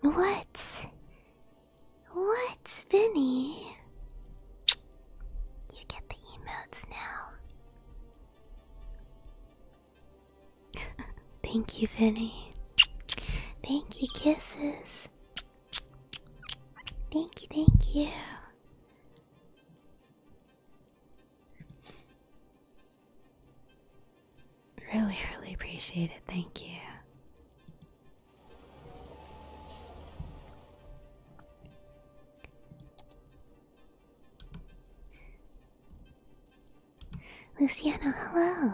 What? What, Vinnie? You get the emotes now. [LAUGHS] Thank you, Vinnie. Thank you, kisses. Thank you, thank you. Really, really appreciate it. Thank you. Luciano, hello.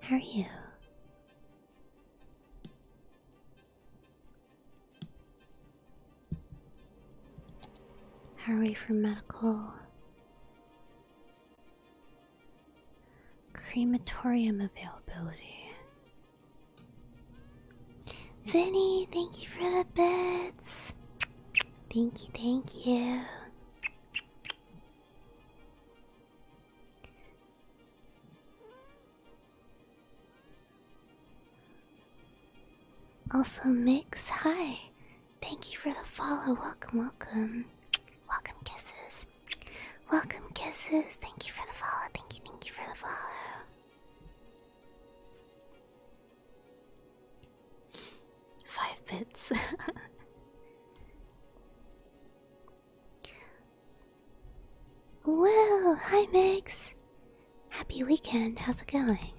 How are you? How are we for medical? Crematorium availability. Vinny, thank you for the beds. Thank you, thank you. Also, Mix, hi. Thank you for the follow. Welcome, welcome. Welcome, kisses. Welcome, kisses.
Thank you for the follow. Thank you, thank you for the follow.
Five bits. [LAUGHS] Whoa! Hi, Mix. Happy weekend, how's it going?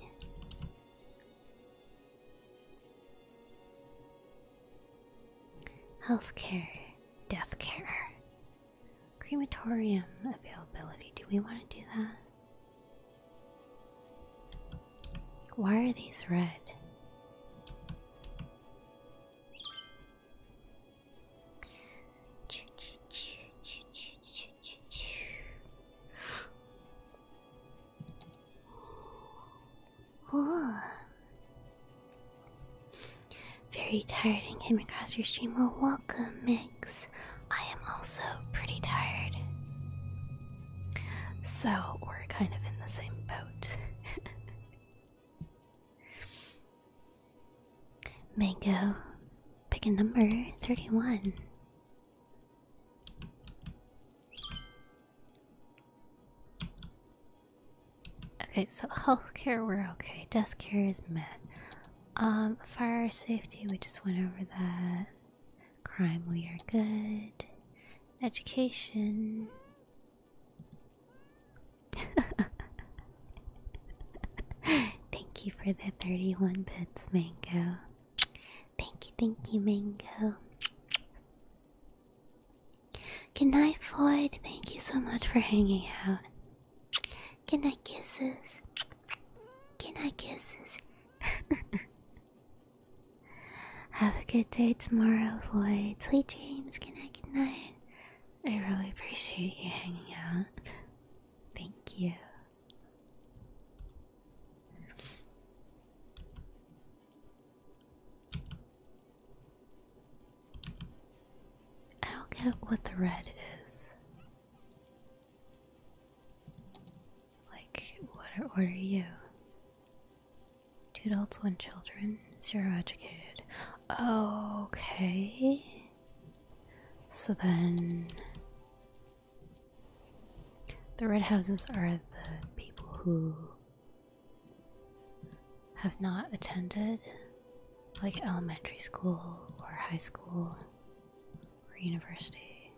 Healthcare, death care, crematorium availability. Do we want to do that? Why are these red? Oh. Very tired and came across your stream. Well, welcome, Mix. I am also pretty tired. So, we're kind of in the same boat. [LAUGHS] Mango, pick a number 31. Okay, so [LAUGHS] healthcare, we're okay. Death care is met. Um, fire safety, we just went over that. Crime, we are good. Education. [LAUGHS] Thank you for the 31 bits, Mango. Thank you, thank you, Mango. Good night, Floyd. Thank you so much for hanging out. Good night, kisses.
Good night, kisses.
[LAUGHS] Have a good day tomorrow, Floyd. Sweet
dreams. Good night,
good night. I really appreciate you hanging out. Thank you. I don't get what the red is. Like, what order are you? Two adults, one children, zero educated. Okay. So then the red houses are the people who have not attended like elementary school or high school or university.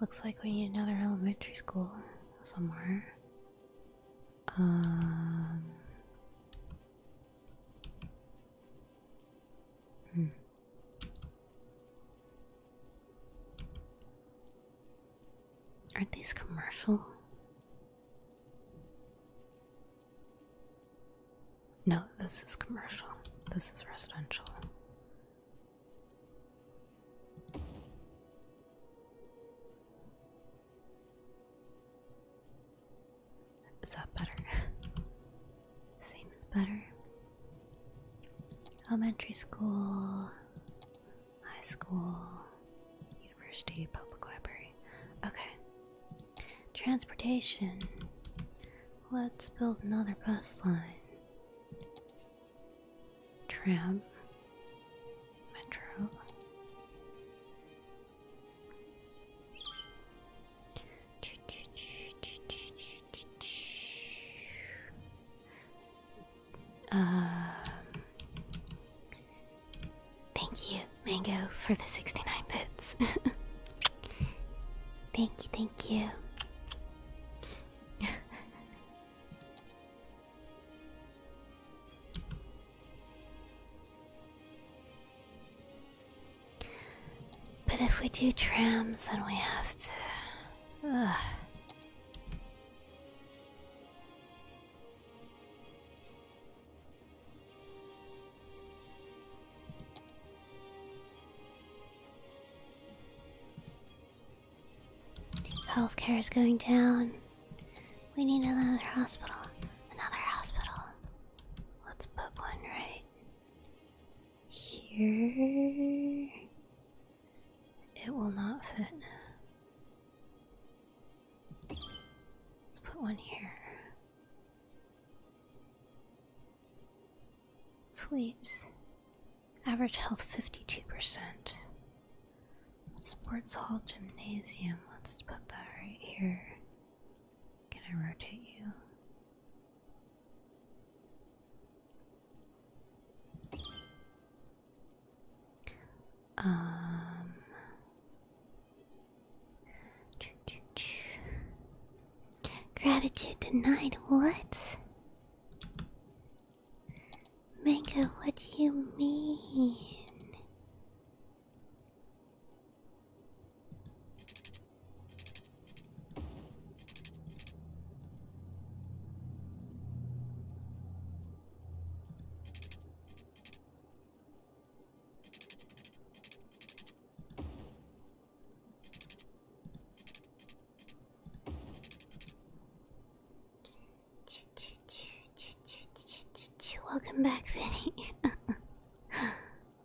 Looks like we need another elementary school somewhere. Um, Hmm. Are these commercial? No, this is commercial. This is residential. Is that better? Seems better. Elementary school, high school, university, public library. Okay. Transportation. Let's build another bus line. Tram. Metro. Um, thank you, Mango, for the 69 bits. [LAUGHS] thank you, thank you. But if we do trams, then we have to. Ugh. Healthcare is going down. We need another hospital. Another hospital. Let's put one right here it will not fit. Let's put one here. Sweet. Average health 52%. Sports Hall Gymnasium. Let's put that right here. Can I rotate you? Um Gratitude denied what? Mango, what do you mean?
Welcome back,
Vinnie. [LAUGHS]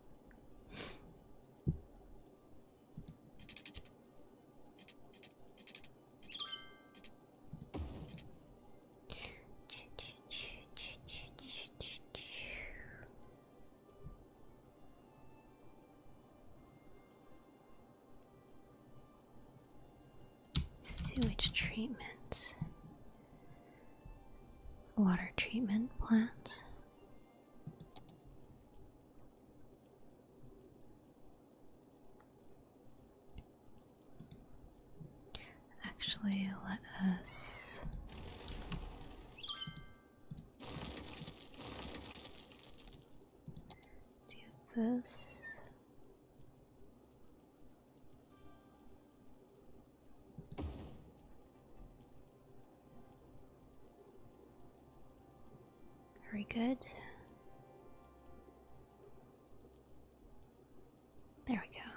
Sewage treatment, water treatment plants, Actually, let us do this. Very good. There we go.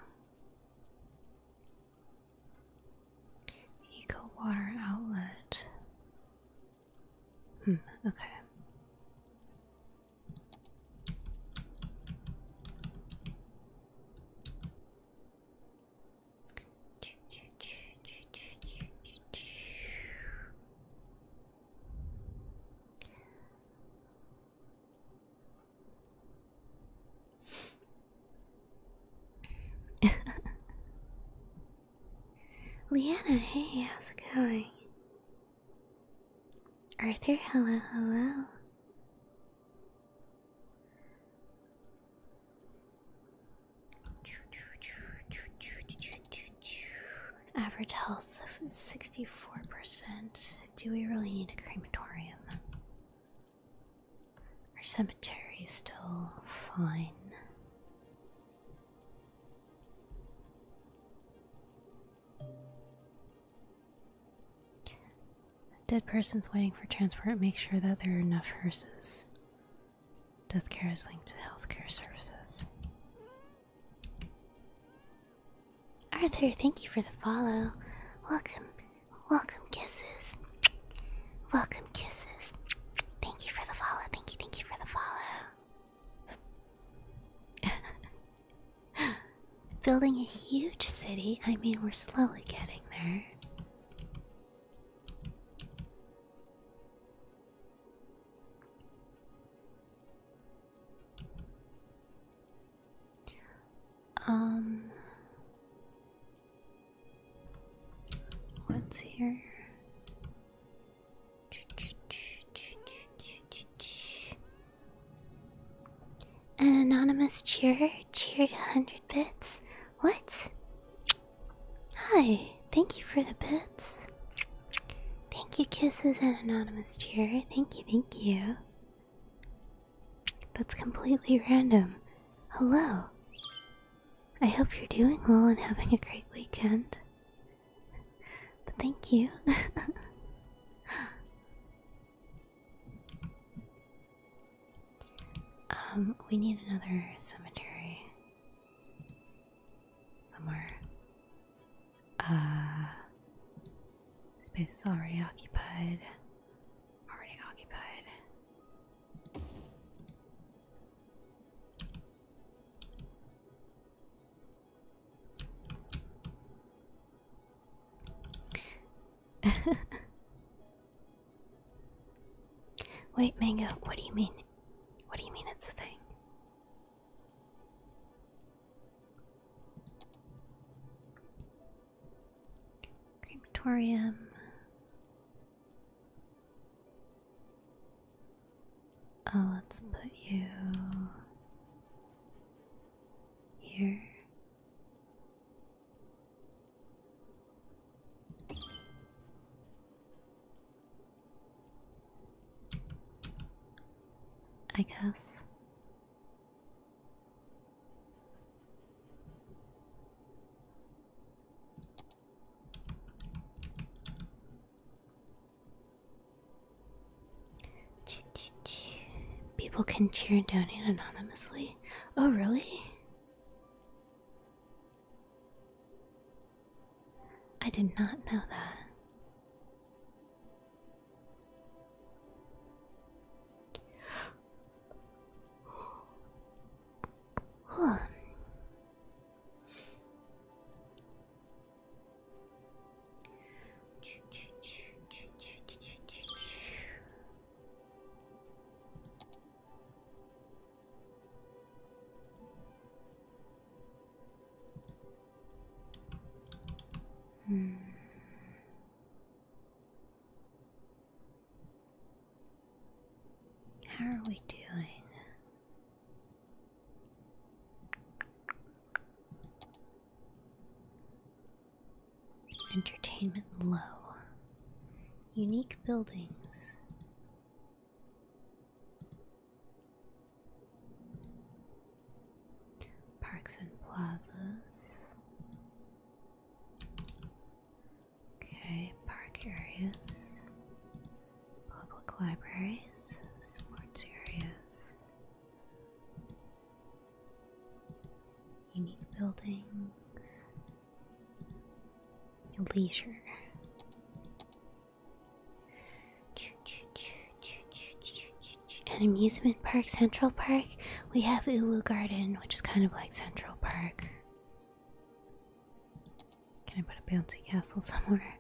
Eco water outlet. Hmm, okay. [LAUGHS] Leanna, hey, how's it going? Arthur, hello, hello. Average health of 64%. Do we really need a crematorium? Our cemetery is still fine. Dead persons waiting for transport, make sure that there are enough hearses. Death care is linked to healthcare services. Arthur, thank you for the follow. Welcome, welcome kisses. Welcome kisses.
Thank you for the follow. Thank you, thank you for
the follow. [LAUGHS] Building a huge city. I mean, we're slowly getting there. Um, what's here? An anonymous cheer cheered a hundred bits. What? Hi, thank you for the bits. Thank you, Kisses and Anonymous Cheer. Thank you, thank you. That's completely random. Hello. I hope you're doing well and having a great weekend. But thank you. [LAUGHS] um, we need another cemetery somewhere. Uh, space is already occupied. Already occupied. [LAUGHS] Wait, Mango, what do you mean? What do you mean it's a thing? Crematorium. Oh, let's put you here. I guess. People can cheer and donate anonymously. Oh, really? I did not know that. Hmm. How are we doing? Entertainment low. Unique buildings. Parks and plazas. Okay, park areas, public libraries, sports areas, unique buildings, leisure. At amusement park, Central Park, we have Uwu Garden, which is kind of like Central Park. Can I put a bouncy castle [LAUGHS] somewhere?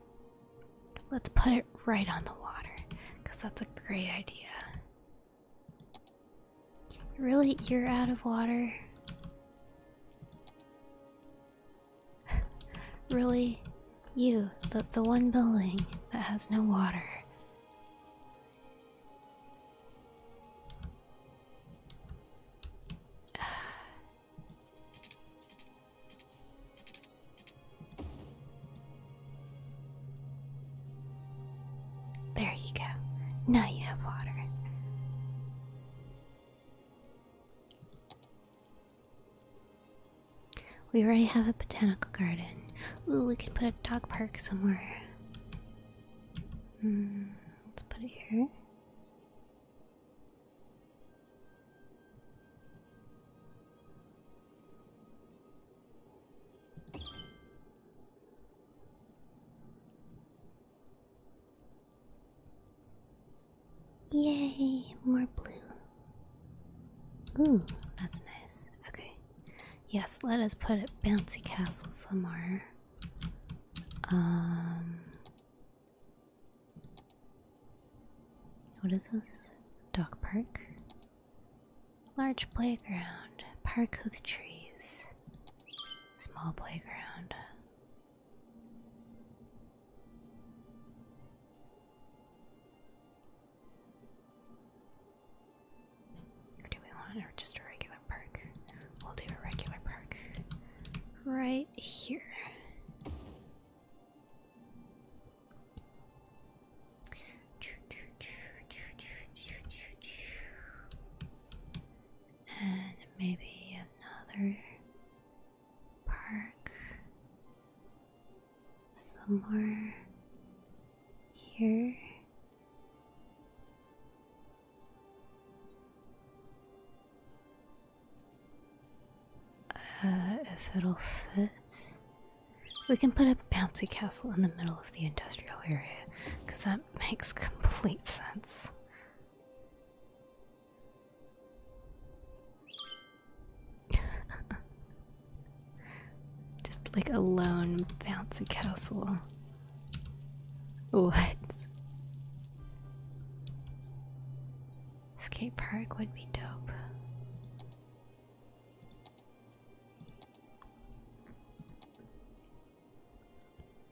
Let's put it right on the water, because that's a great idea. Really? You're out of water? [LAUGHS] really? You, the, the one building that has no water. [SIGHS] There you go. Now you have water. We already have a botanical garden. Ooh, we can put a dog park somewhere. Hmm, let's put it here. Yay, more blue. Ooh, that's nice. Okay. Yes, let us put a bouncy castle somewhere. Um What is this? Dock park. Large playground. Park with trees. Small playground do we want or just a regular park? We'll do a regular park right here. And maybe another park somewhere here. Uh, if it'll fit, we can put a bouncy castle in the middle of the industrial area because that makes [LAUGHS] complete sense. [LAUGHS] Just like a lone bouncy castle. What? Skate park would be dope.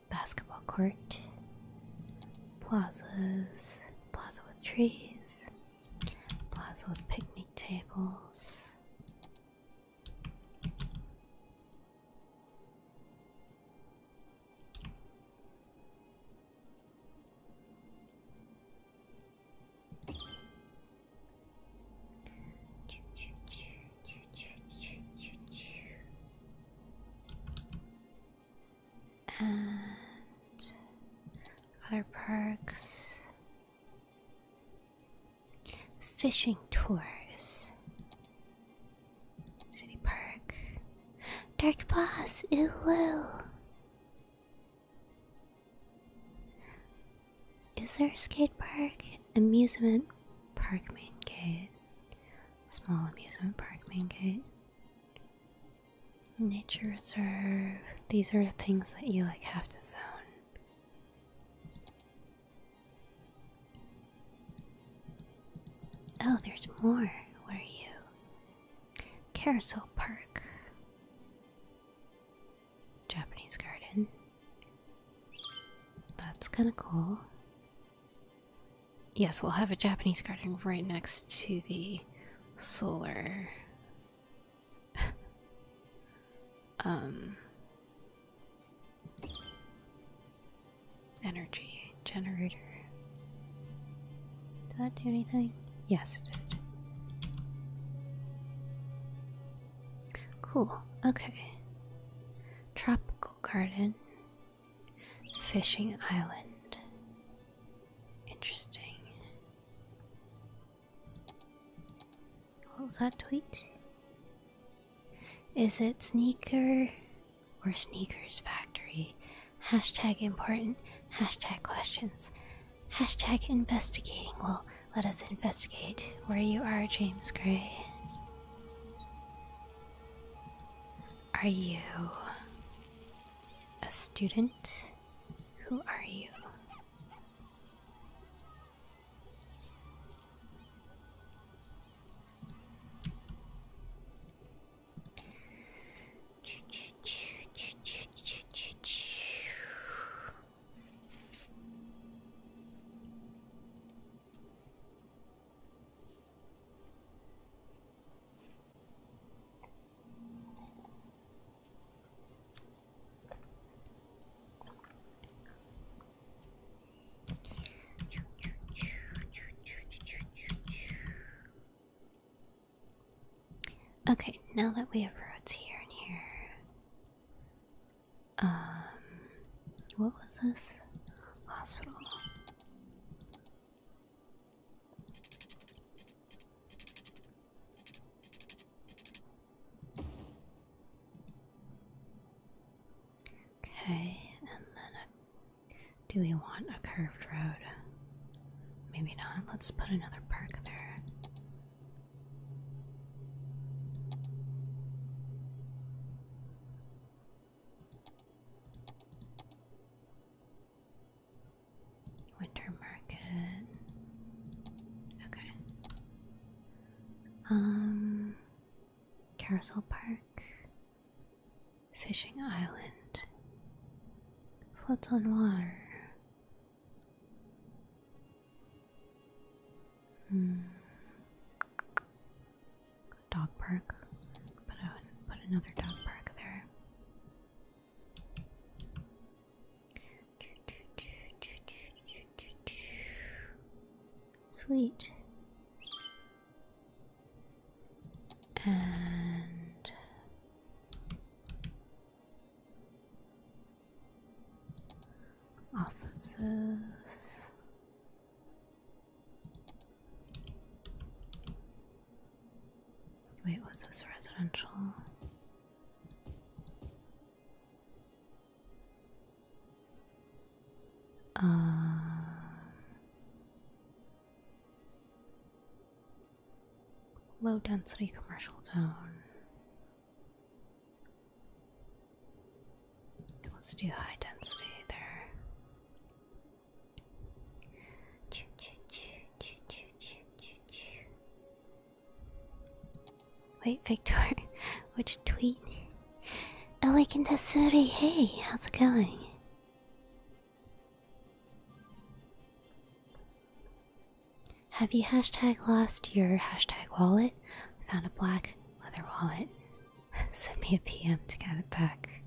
Basketball court, plazas, plaza with trees, plaza with picnic tables and other parks, Fishing tours. City Park. Dark Boss, ooh woo. Is there a skate park? Amusement park main gate. Small amusement park main gate. Nature reserve. These are things that you like have to zone. Oh, there's more. Where are you? Carousel Park. Japanese garden. That's kind of cool. Yes, we'll have a Japanese garden right next to the solar. [LAUGHS] Um, energy generator. Did that do anything? Yes, it did. Cool. Okay. Tropical garden. Fishing Island. Interesting. What was that tweet? Is it sneaker or sneakers factory? Hashtag important. Hashtag questions. Hashtag investigating. Well, let us investigate where you are, James Gray. Are you a student? Who are you? Okay, now that we have roads here and here. Um, what was this? Hospital. Okay, and then do we want a curved road? Maybe not. Let's put another park there. Winter market. Okay. Um Carousel Park. Fishing Island. Floats on water. Hmm. Dog park. put another dog park there. Sweet.
And
officers.
Wait, was this residential? Um, low density commercial zone. Let's do high density there.
Choo choo choo choo choo choo choo choo.
Wait, Victor, [LAUGHS] which tweet? Awaken oh, Tasuri, hey, how's it going? Have you hashtag lost your hashtag wallet? I found a black leather wallet. [LAUGHS] Send me a PM to get it back.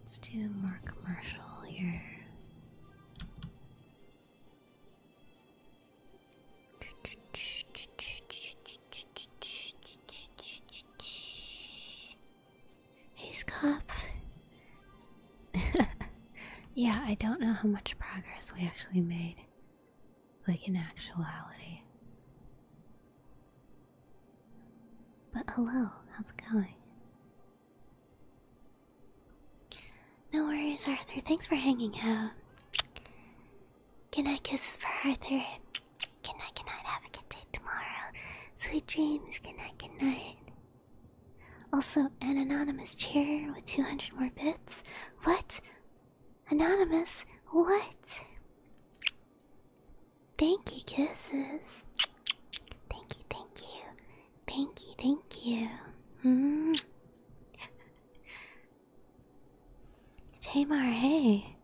Let's do more commercial here. Hey, Scop. [LAUGHS] yeah, I don't know how much progress we actually made. Like in actuality. But hello, how's it going? No worries, Arthur. Thanks for hanging out. Good night, kisses for Arthur. Good night, good night. Have a good day tomorrow. Sweet dreams. Good night, good night. Also, an anonymous chair with 200 more bits. What? Anonymous? What? Thank you, kisses. Thank you, thank you. Thank you, thank you. Mm. Tamar, hey.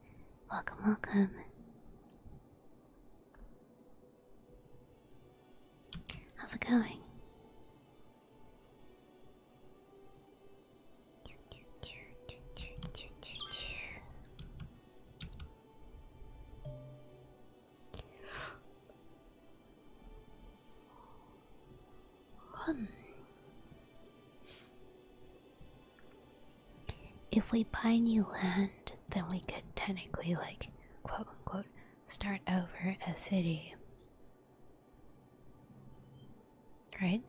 Welcome, welcome. How's it going? If we buy new land, then we could technically, like, quote unquote start over a city. Right?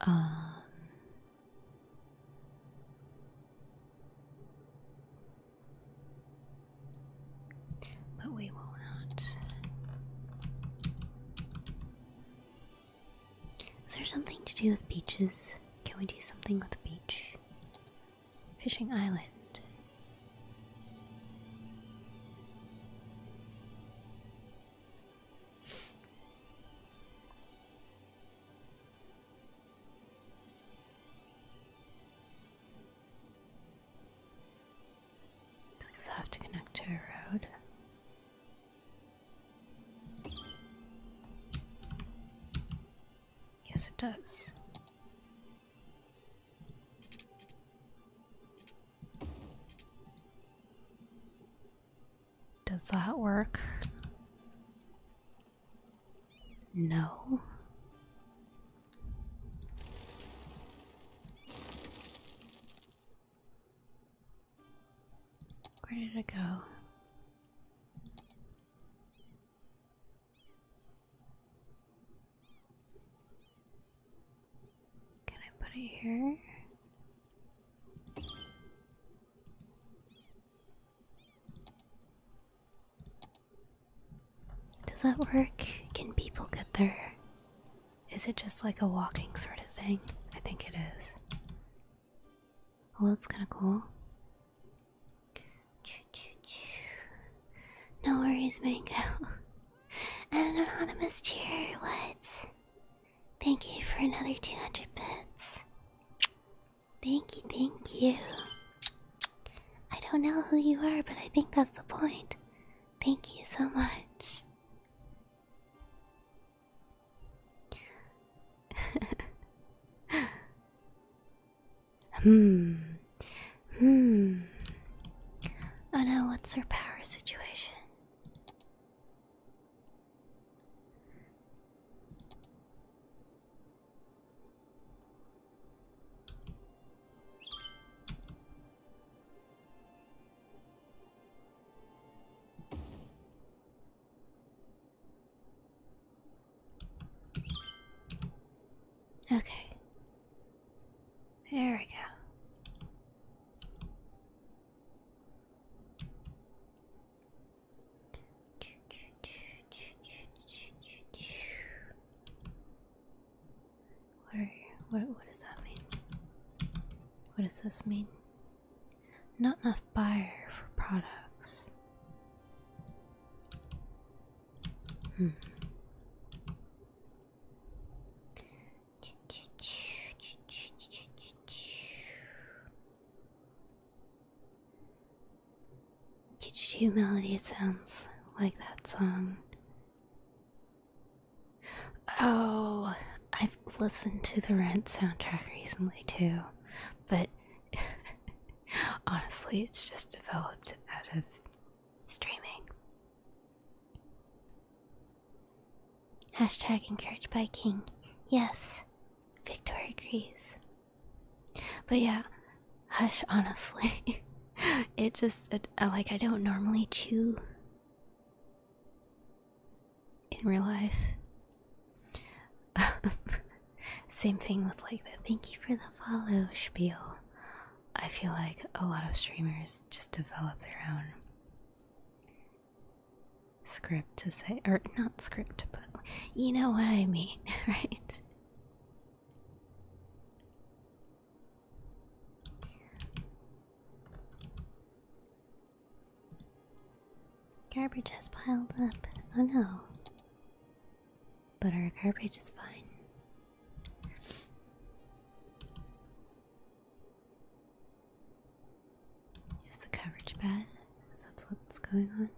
Um, but we will not is there something to do with beaches? Can we do something with the beach? Fishing island. Does have to connect to a road? Yes, it does. Does that work? No. Where did it go? Can I put it here? Does that work? Can people get there? Is it just like a walking sort of thing? I think it is. Well, that's kind of cool. No worries, Mango. And [LAUGHS] an anonymous cheer, what? Thank you for another 200 bits. Thank you, thank you. I don't know who you are, but I think that's the point. Thank you so much hmm. Hmm. Oh no, what's her power situation? Okay. There we go. What what what does that mean? What does this mean? Not enough buyer for products. Hmm. Humility sounds like that song. Oh, I've listened to the Rent soundtrack recently too, but [LAUGHS] honestly, it's just developed out of streaming. Hashtag encouraged by King. Yes, Victor agrees. But yeah, hush, honestly. [LAUGHS] it just, like, I don't normally chew in real life. [LAUGHS] Same thing with like the thank you for the follow spiel. I feel like a lot of streamers just develop their own script to say, or not script, but you know what I mean, [LAUGHS] right? Garbage has piled up. Oh no. But our garbage is fine. Is the coverage bad? that's what's going on.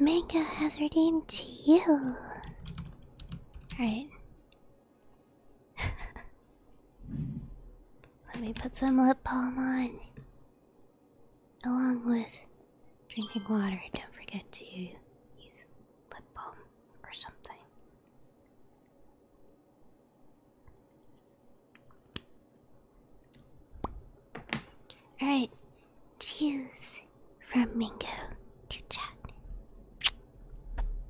Mega hazarding to you. Alright. [LAUGHS] Let me put some lip balm on. Along with drinking water, don't forget to use lip balm or something. Alright, choose from Mingo to chat.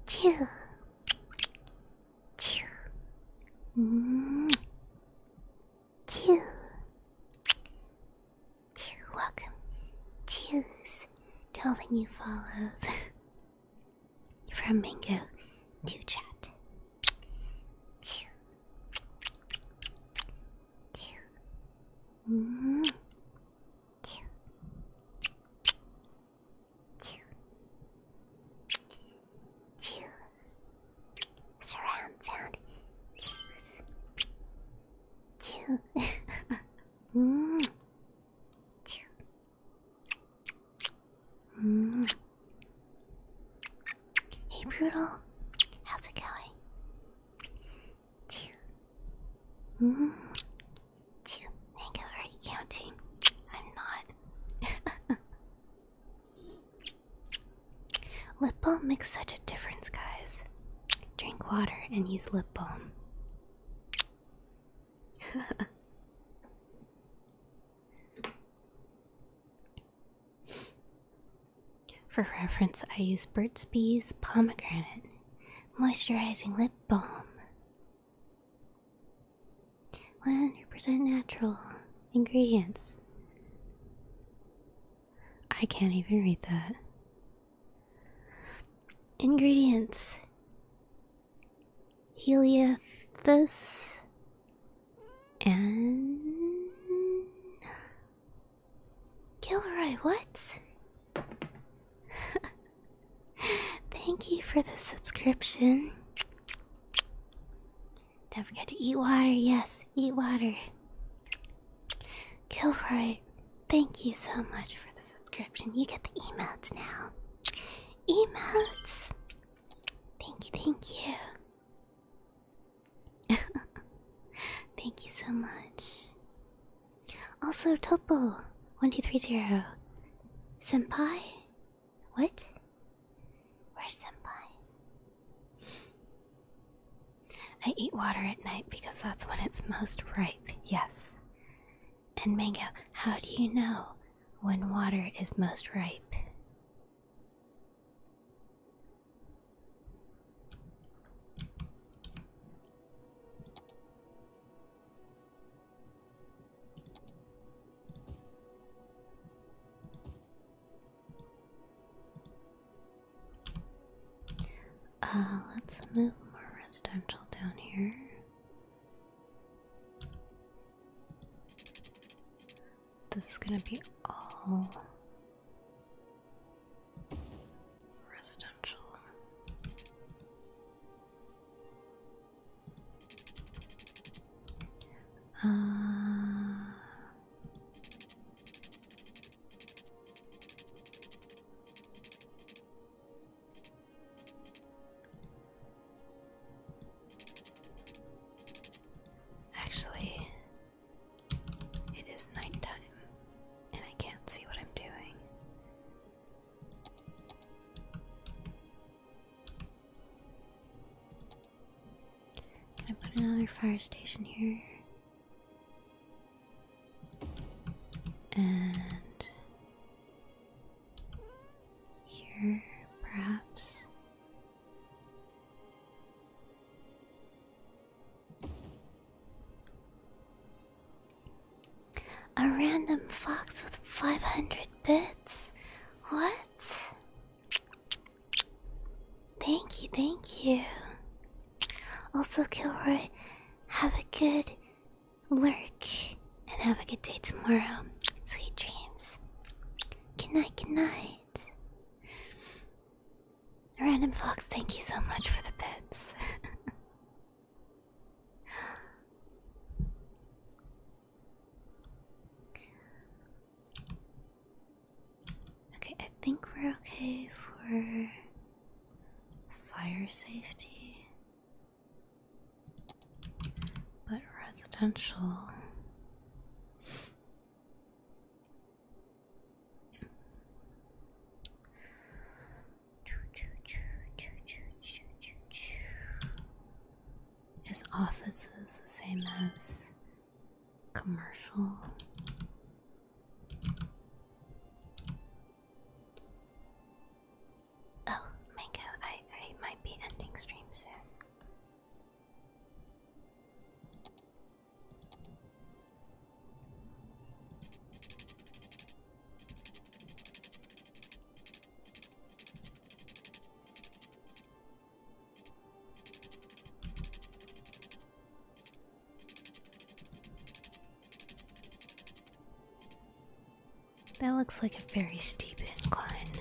Chew. Chew. Mm. Chew. Chew. Welcome. Cheers to all the new follows [LAUGHS] from Mingo to chat. Chew.
Mm -hmm.
Surround sound. Choose.
Chew. mm. Chew.
Mm. Hey, Brutal. How's it going? Two. Mm -hmm. Two. are you counting? I'm not. [LAUGHS] lip balm makes such a difference, guys. Drink water and use lip balm. [LAUGHS] For reference, I use Burt's Bees Pomegranate Moisturizing Lip Balm. 100% natural ingredients. I can't even read that. Ingredients Helianthus and Gilroy Woods? [LAUGHS] Thank you for the subscription. Don't forget to eat water. Yes, eat water. Gilroy, thank you so much for the subscription. You get the emotes now. Emotes! Thank you, thank you. [LAUGHS] Thank you so much. Also, Topo, one two three zero, senpai. What? Where senpai? I eat water at night because that's when it's most ripe. Yes. And mango, how do you know when water is most ripe? Uh, let's move more residential down here. This is gonna be all residential.
Uh,
Actually, it is nighttime, and I can't see what I'm doing. I put another fire station here? And here, perhaps. A random fox with 500 bits? What? Thank you, thank you. Also, Kilroy, have a good lurk and have a good day tomorrow. Sweet dreams. Good night, good night. Random Fox, thank you so much for the bits. [LAUGHS] okay, I think we're okay for fire safety, but residential. Is offices the same as commercial? Oh, Mango, I, I might be ending stream soon. That looks like a very steep incline.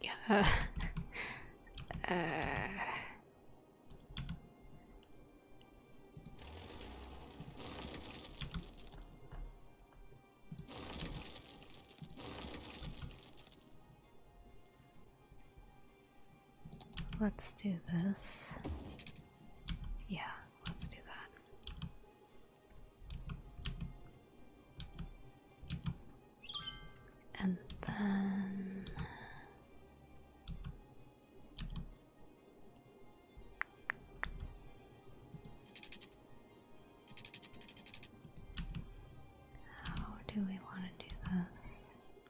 yeah. [LAUGHS] uh.
Let's do this. Yeah, let's do that. And
then
how do we want to do this?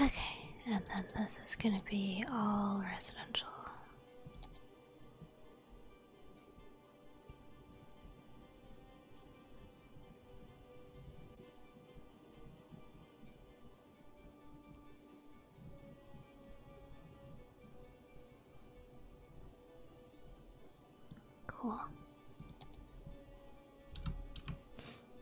Okay, and then this is going to be all residential. Cool.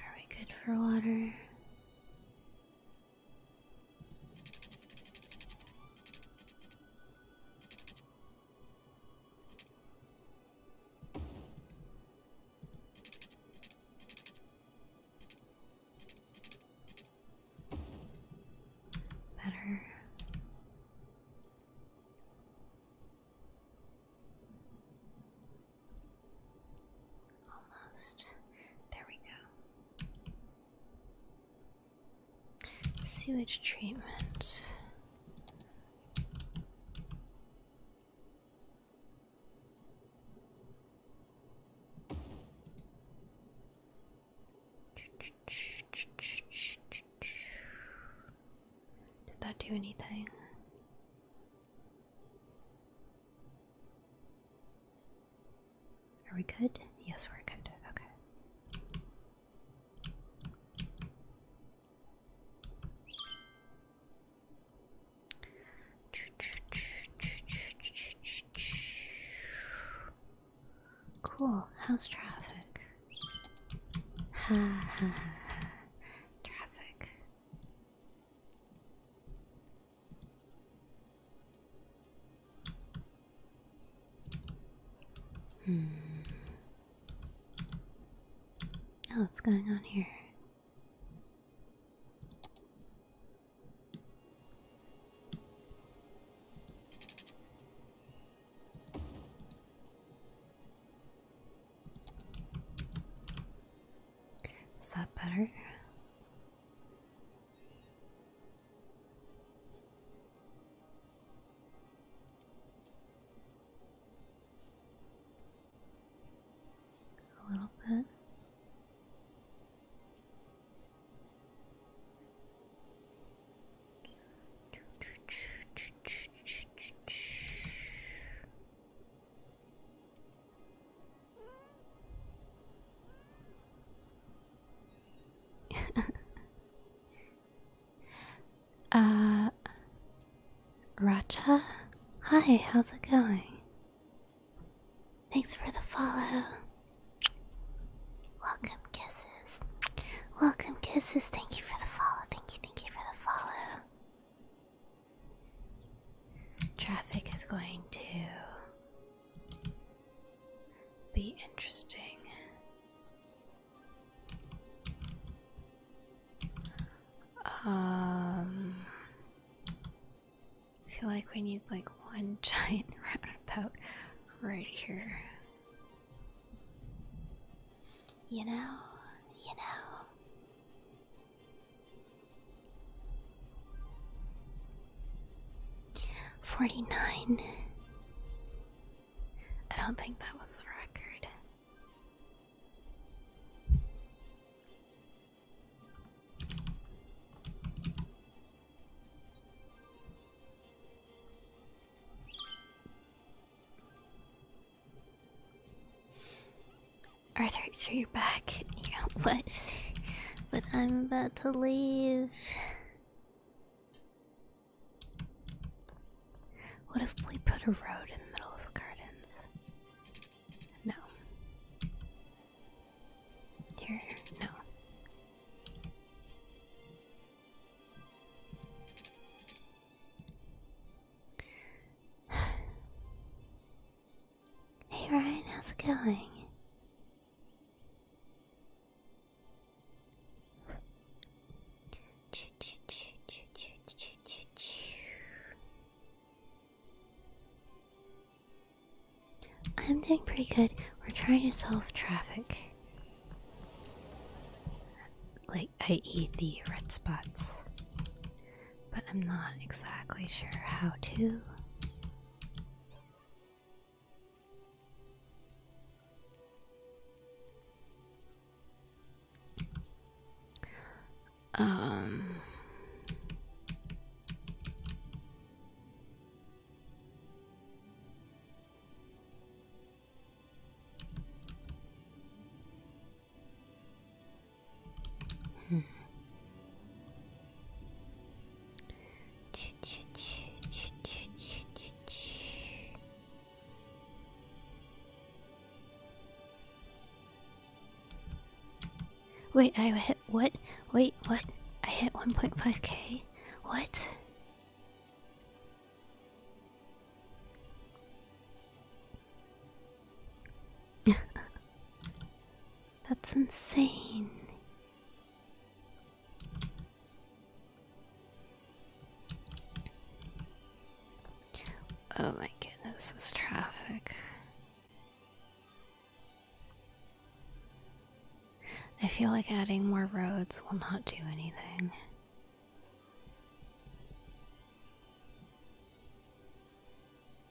Are we good for water? Better. Almost. There we go. Sewage treatment. Did that do anything? Are we good? Yes, we're good. Okay. Cool. How's traffic? Ha ha ha. Traffic. Hmm. Oh, what's going on here? Is that better? A little bit. [LAUGHS] uh, Racha? Hi, how's it going? Thanks for the follow. Welcome, kisses. Welcome, kisses. Thank you for the follow. Thank you, thank you for the follow. Traffic is going to be interesting. Um, I feel like we need like one [LAUGHS] giant roundabout right here. You know, you know. Forty nine. I don't think that was the record. Arthur, so you're back. You know what? But I'm about to leave. What if we put a road in the middle of the gardens? No. Here, no. [SIGHS] hey Ryan, how's it going? I'm doing pretty good. We're trying to solve traffic. Like, i.e., the red spots but I'm not exactly sure how to.
Um
Wait, I hit what? Wait, what? I hit 1.5k? What? [LAUGHS] That's insane. Oh my goodness, this traffic. I feel like adding more roads will not do anything.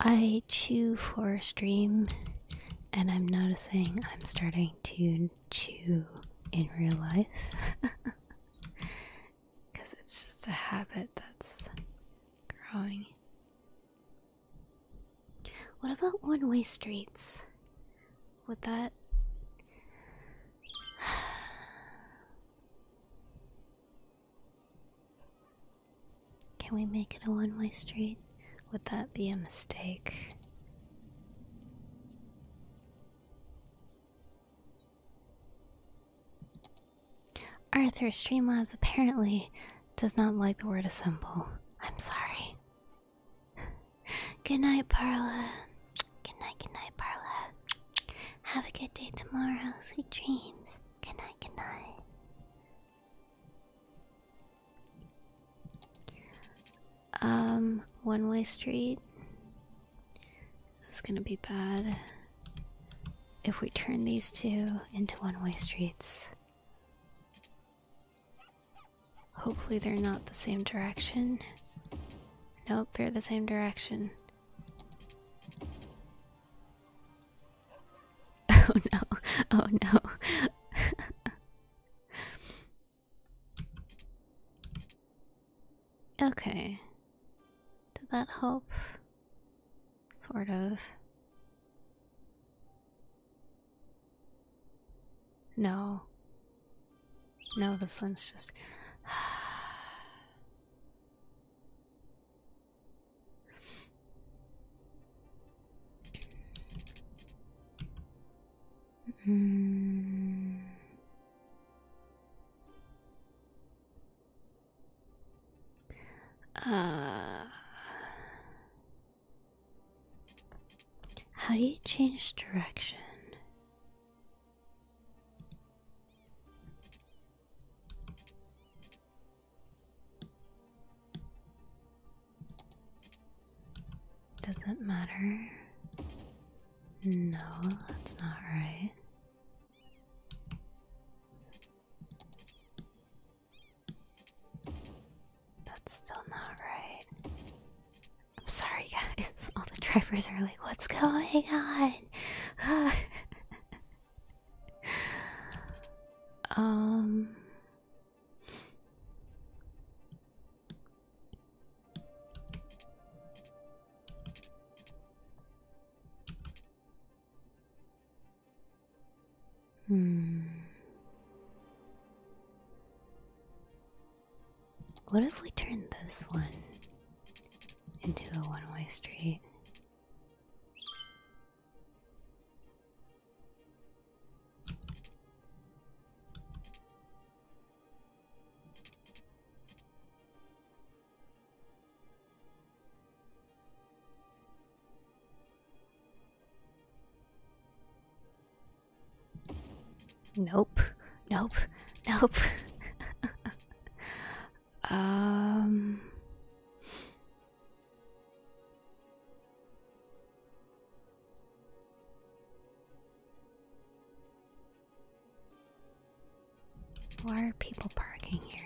I chew for a stream, and I'm noticing I'm starting to chew in real life. Because [LAUGHS] it's just a habit that's growing. What about one way streets? Would that. Can we make it a one way street? Would that be a mistake? Arthur Streamlabs apparently does not like the word assemble. I'm sorry. good night, Parla. Good night, good night, Parla. Have a good day tomorrow. Sweet dreams. Good night, good night. Um, one way street. This is gonna be bad if we turn these two into one way streets. Hopefully, they're not the same direction. Nope, they're the same direction. Oh no, oh no. okay. Did that help? Sort of. No. No, this one's just.
Mm.
Uh, how do you change direction? does it matter. No, that's not right. That's still not right. I'm sorry, guys. [LAUGHS] All the drivers are like, what's going on? [LAUGHS] um. Hmm. What if we turn this one into a one way street? Nope. Nope. Nope. [LAUGHS] um why are people parking here?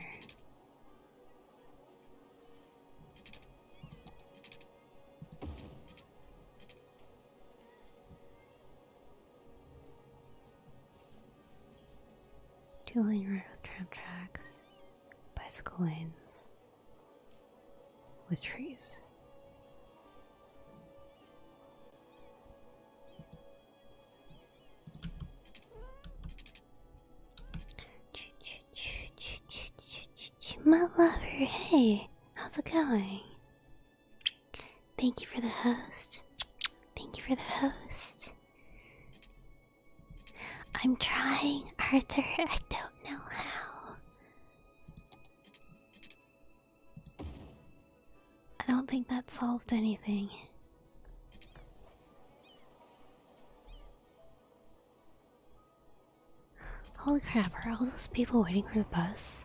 Two lane road with tram tracks, bicycle lanes, with trees. My lover, hey, how's it going? Thank you for the host. Thank you for the host. I'm trying, Arthur. I don't know how. I don't think that solved anything. Holy crap, are all those people waiting for the bus?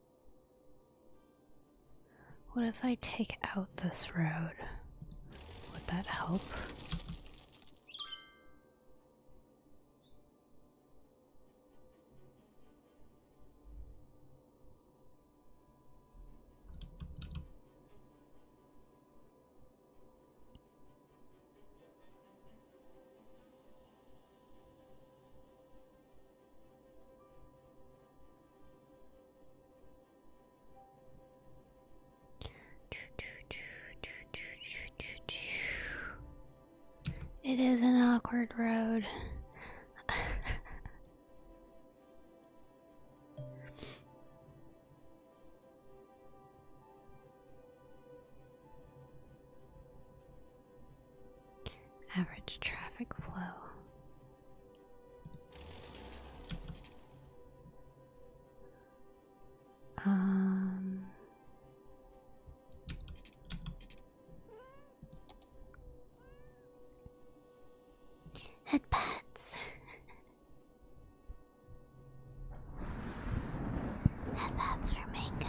What if I take out this road? Would that help? It is an awkward road. [LAUGHS] Average traffic flow.
Um Head pets. Head for mango.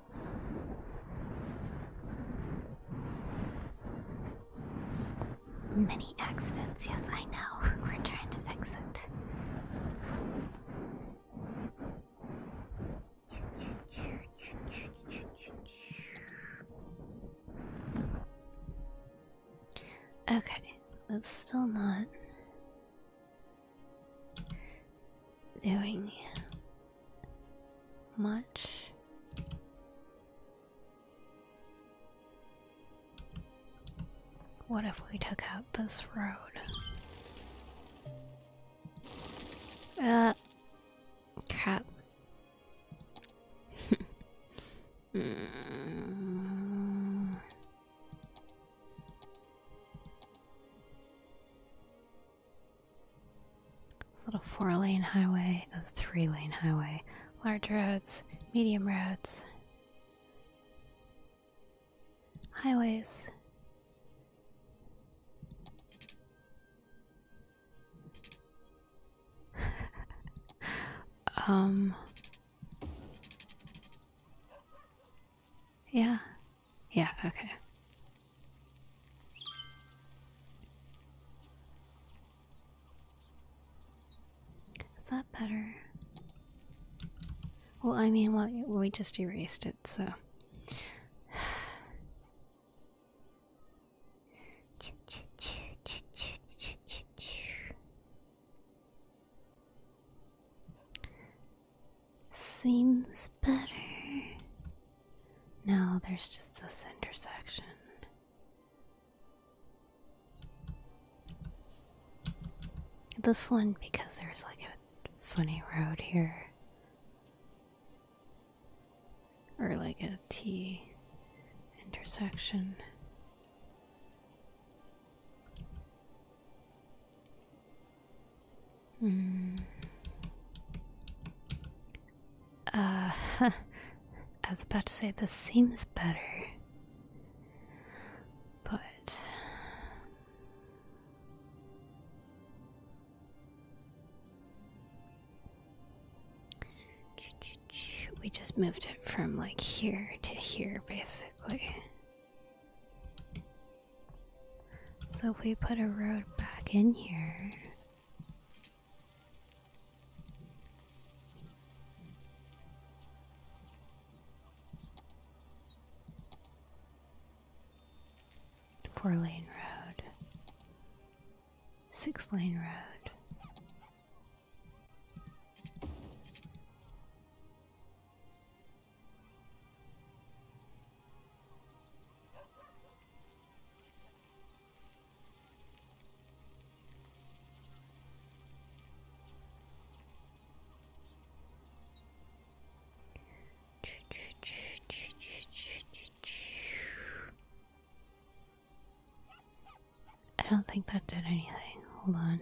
Many accidents, yes, I know. [LAUGHS] We're trying to fix it. Okay, it's still not doing much what if we took out this road uh crap [LAUGHS] hmm. This little four lane highway, This three lane highway, large roads, medium roads, highways. [LAUGHS] um yeah. Yeah, okay. Is that better? Well, I mean, well, we just erased it, so. Seems better. now. there's just this intersection. This one, because there's like a funny road here. Or like a T intersection. Hmm. Uh, [LAUGHS] I was about to say this seems better, but we just moved it from like here to here basically. So if we put a road back in here. Four lane road, six lane road. I don't think that did anything. Hold on.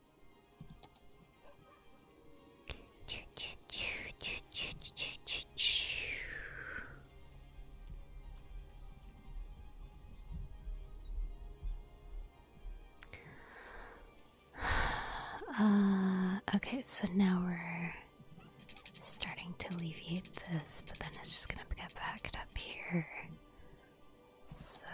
[SIGHS]
Uh, okay, so now we're starting to alleviate this, but then it's just gonna get back up here so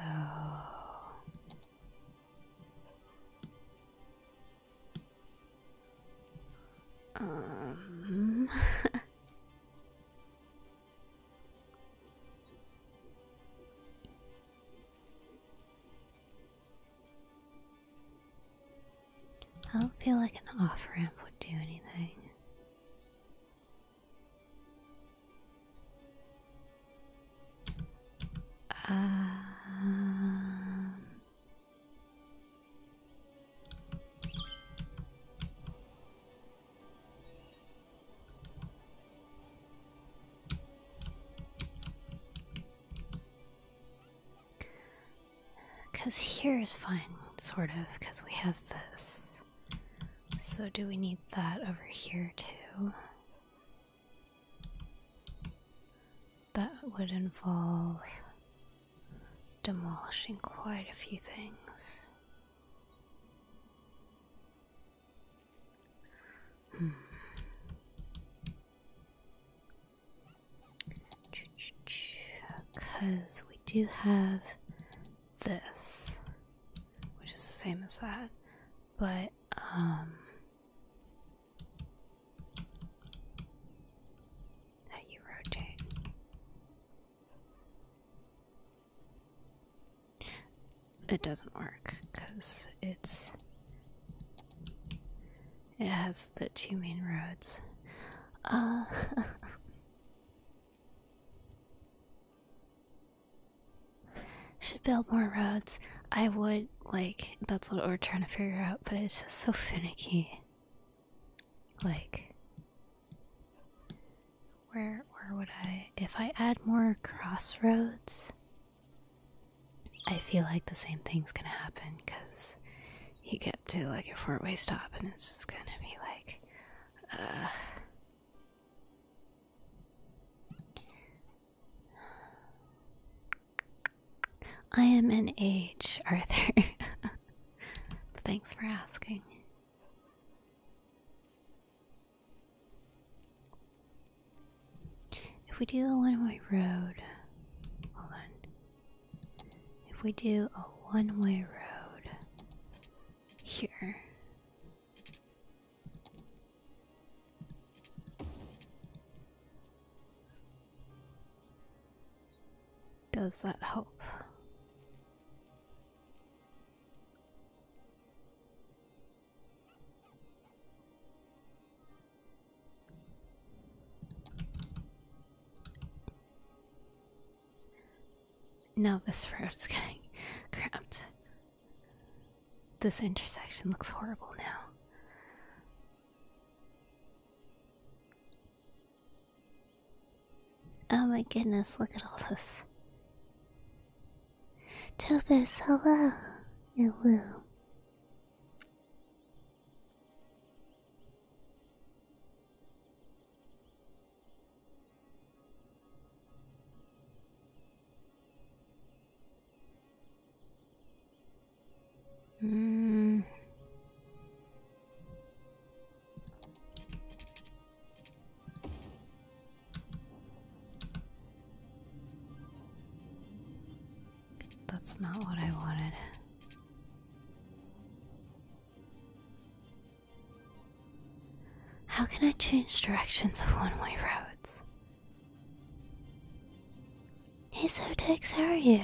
um [LAUGHS]
I don't feel like an off ramp would do anything.
Um,
Cause here is fine, sort of, because we have this. So do we need that over here too? That would involve demolishing quite a few things. Hmm. Because we do have this, which is the same as that, but, um. How you rotate? It doesn't work because it's. It has the two main roads. Uh. [LAUGHS] Should build more roads. I would like that's what we're trying to figure out, but it's just so finicky. Like where where would I if I add more crossroads I feel like the same thing's gonna happen because you get to like a four way stop and it's just gonna be like uh I am an age, Arthur. [LAUGHS] Thanks for asking. If we do a one way road, hold on. If we do a one way road here, does that help? Now this road is getting [LAUGHS] cramped. This intersection looks horrible now. Oh my goodness, look at all this. Topus, hello, Ilu.
Hmm.
That's not what I wanted. How can I change directions of one way roads? Desotex, how are you?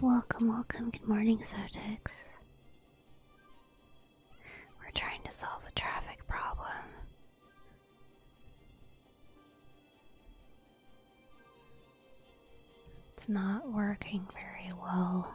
Welcome, welcome. Good morning, Sotex. We're trying to solve a traffic problem. It's not working very well.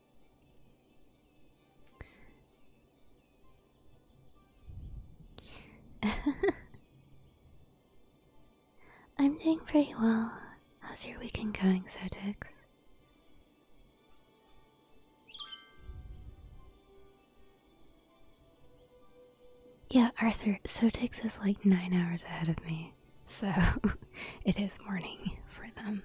[LAUGHS] I'm doing pretty well. How's your weekend going, Sodix? Yeah, Arthur, Sotix is like nine hours ahead of me, so [LAUGHS] it is morning for them.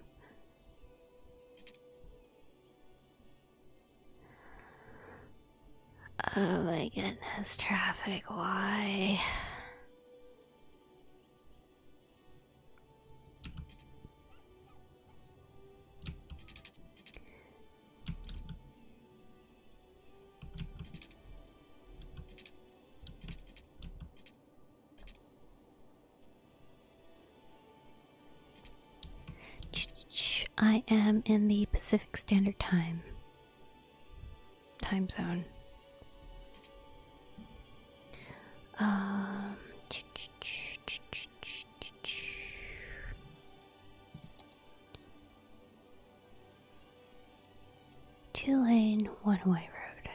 Oh my goodness, traffic, why? I am in the Pacific Standard Time time zone. Um, two lane one way road.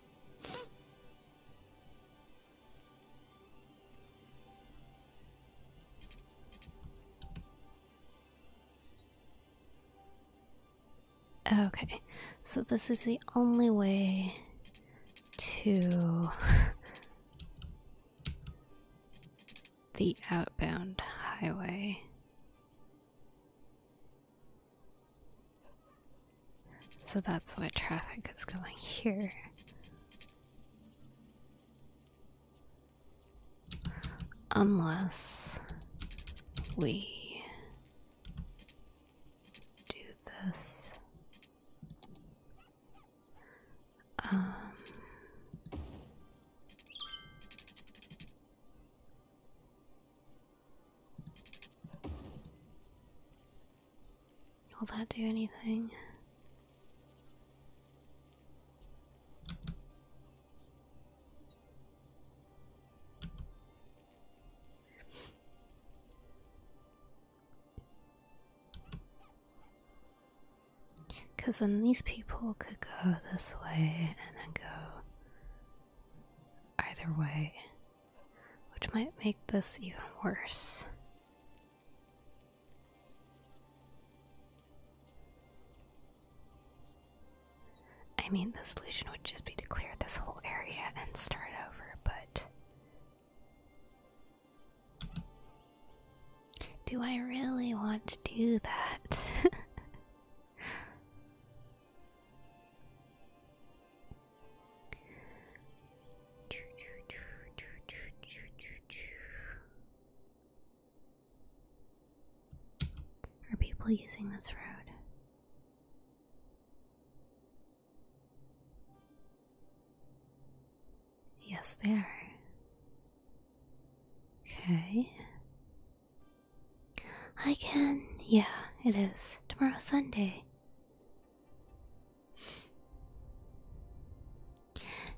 Okay, so this is the only way to [LAUGHS] the outbound highway. So that's why traffic is going here. Unless we do this. Um, Will that do anything? Because then these people could go this way and then go either way which might make this even worse. I mean, the solution would just be to clear this whole area and start over, but. Do I really want to do that? [LAUGHS] Are people using this road? Yes, they are. Okay. I can. Yeah, it is. Tomorrow Sunday.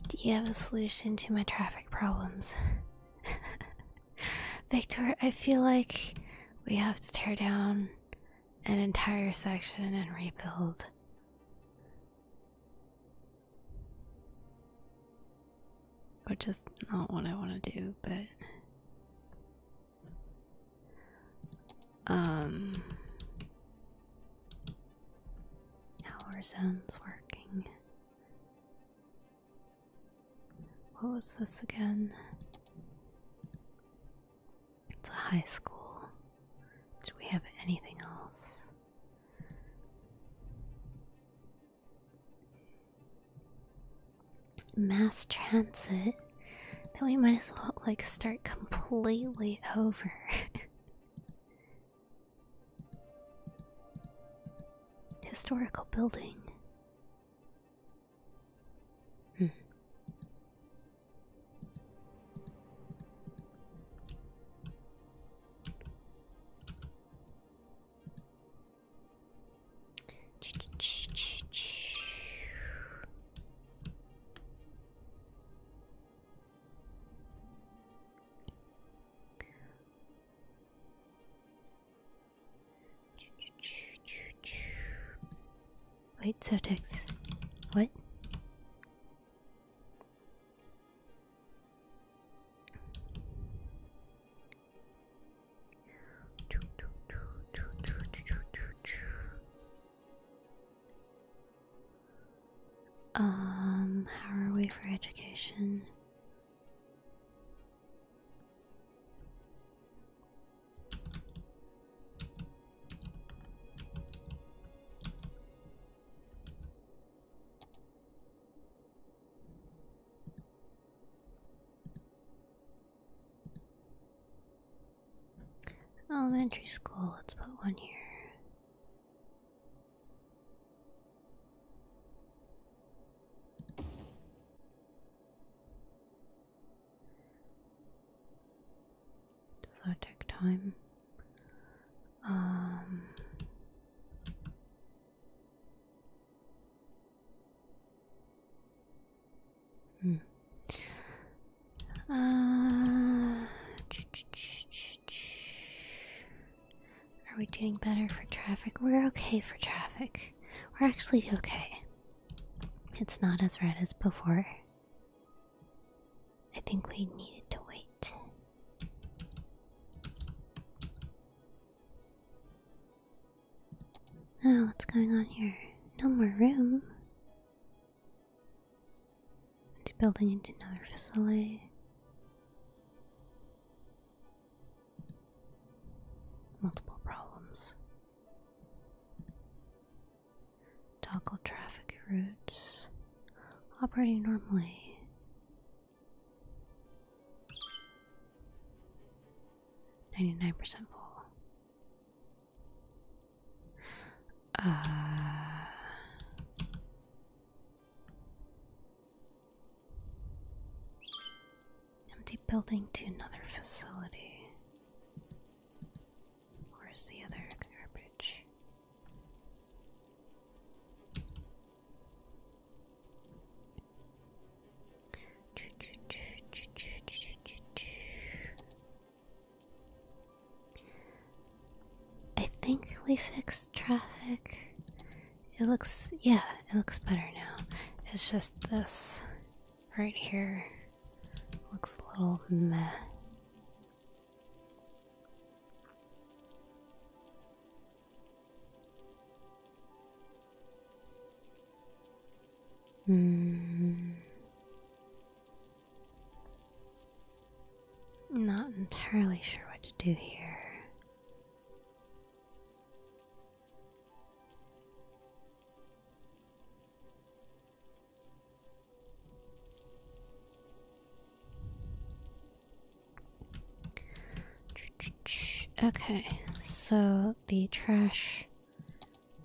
Do you have a solution to my traffic problems? [LAUGHS] Victor, I feel like we have to tear down an entire section and rebuild. Which is not what I want to do, but um hour zones working. What was this again? It's a high school. Do we have anything else? mass transit Then we might as well like start completely over. [LAUGHS] Historical building. Hmm. Wait, Certex. What? Um, how are we for education? Elementary school, let's put one here.
Does that take time? Um, Hmm.
Uh, are we doing better for traffic? We're okay for traffic. We're actually okay. It's not as red as before. I think we needed to wait. Oh, what's going on here? No more room. Into building into another facility. Multiple problems. Toggle traffic routes operating normally. Ninety nine percent full. Uh, empty building to another facility. Where's the other garbage? I think we fixed traffic. It looks, yeah, it looks better now. It's just this right here looks a little meh. Mm. Not entirely sure what to do here. Okay, so the trash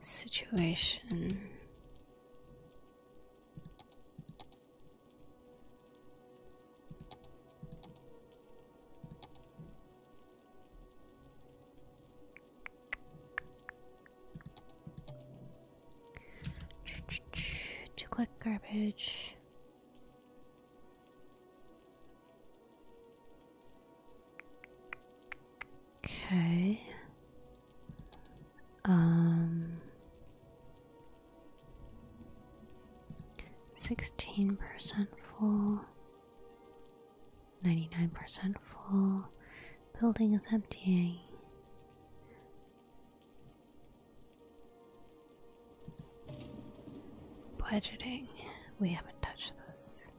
situation. To click garbage. Okay. Um sixteen percent full, ninety-nine percent full, building is emptying. Budgeting. We haven't touched this.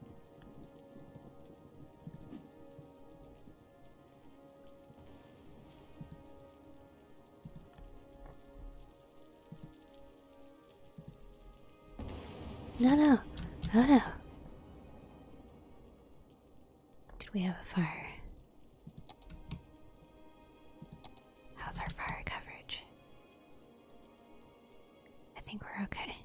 No, no, no, no. Did we have a fire? How's our fire coverage? I think we're okay.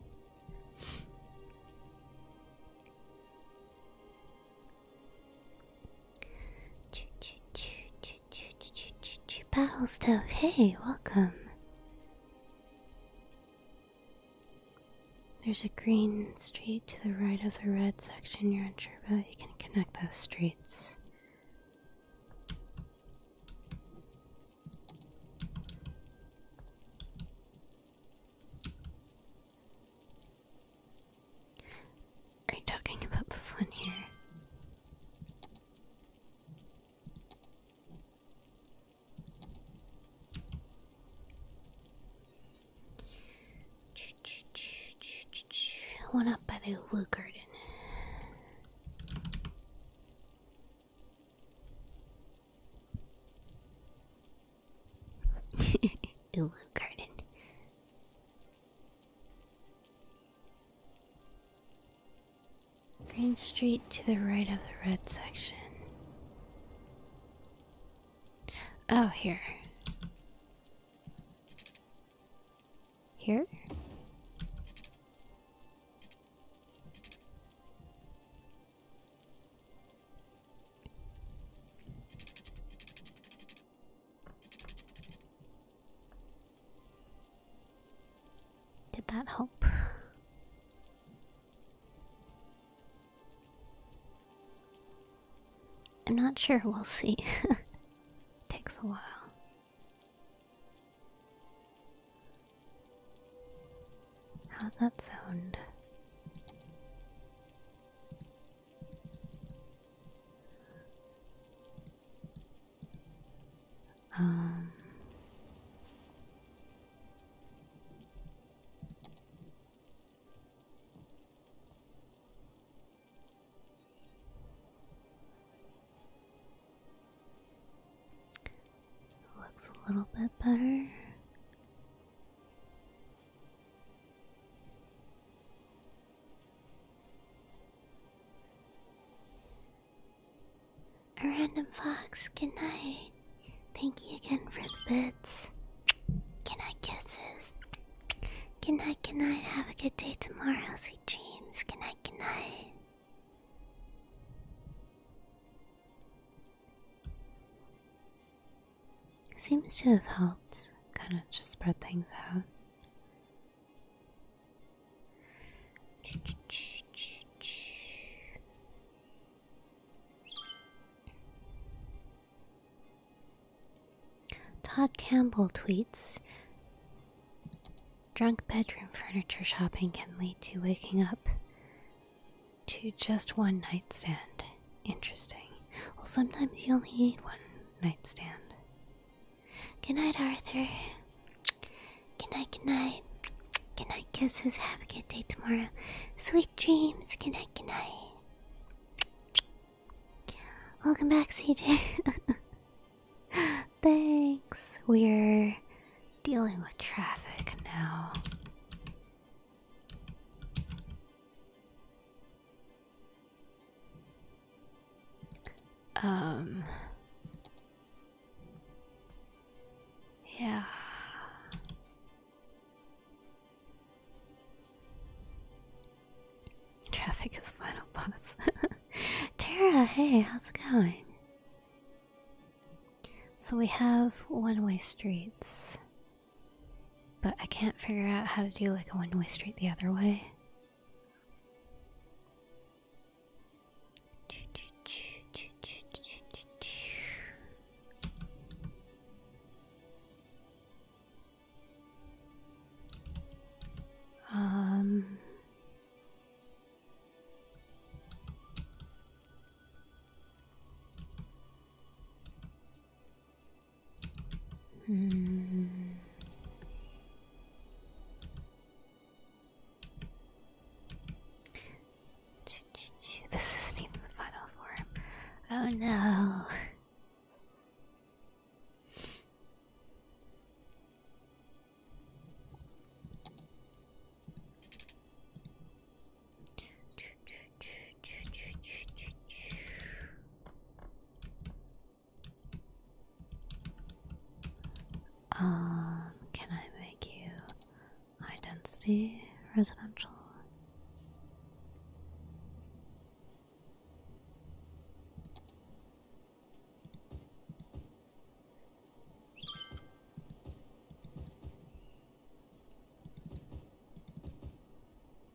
Battle stove, hey, welcome. There's a green street to the right of the red section you're unsure about. You can connect those streets. Are you talking about this one here? One up by the wood Garden. [LAUGHS] Ooh, garden. Green Street to the right of the red section. Oh, here. Here? Did that help? I'm not sure, we'll see. [LAUGHS] Takes a while. How's that sound? Um Looks a little bit better. A random fox, good night. Thank you again for the bits. Good night, kisses. Good night, good night. Have a good day tomorrow, sweet dreams. Good night, good night. Seems to have helped kind of just spread things out. Todd Campbell tweets Drunk bedroom furniture shopping can lead to waking up to just one nightstand. Interesting. Well, sometimes you only need one nightstand. Good night, Arthur. Good night, good night. Good night, kisses. Have a good day tomorrow. Sweet dreams. Good night, good night. Welcome back, CJ. [LAUGHS] Thanks. We're dealing with traffic now. Um Yeah. Traffic is final boss. [LAUGHS] Tara, hey, how's it going? So we have one way streets. But I can't figure out how to do like a one way street the other way. Um
Hmm.
This isn't even the final form. Oh no. Um, can I make you high density residential?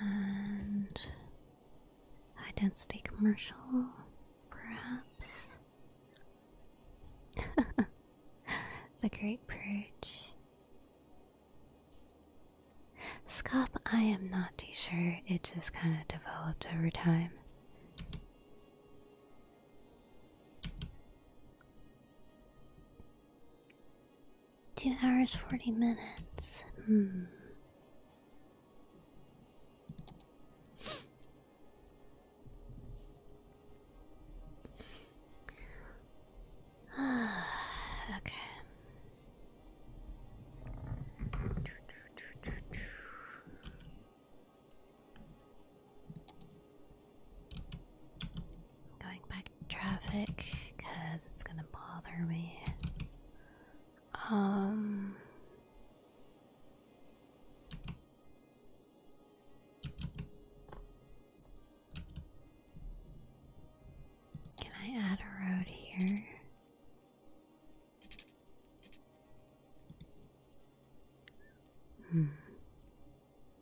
and high density commercial, perhaps. [LAUGHS] the Great Purge. Scop, I am not too sure. It just kind of developed over time. Two hours, forty minutes. Hmm. [SIGHS] okay. Going back to traffic because it's gonna bother me. Um, can I add a road here? Hmm.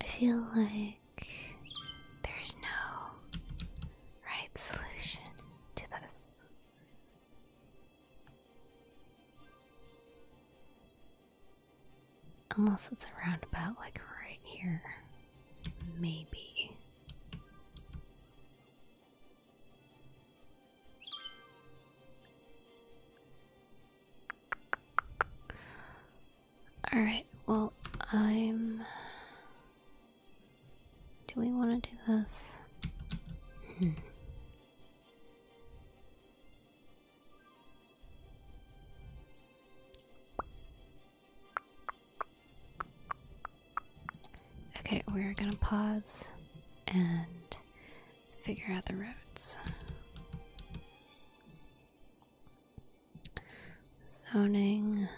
I feel like there's no right solution to this. Unless it's a roundabout like right here. Maybe. Alright, well, I'm. Do we want to do this? Hmm. Okay, we're gonna pause and figure out the roads zoning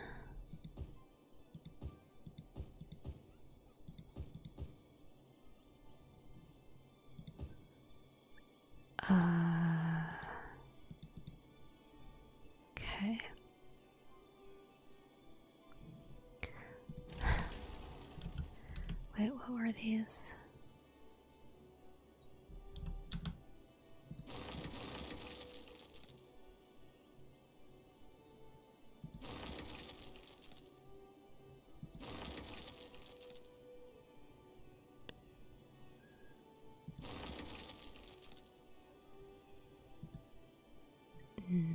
uh,
okay [SIGHS] wait what were these no.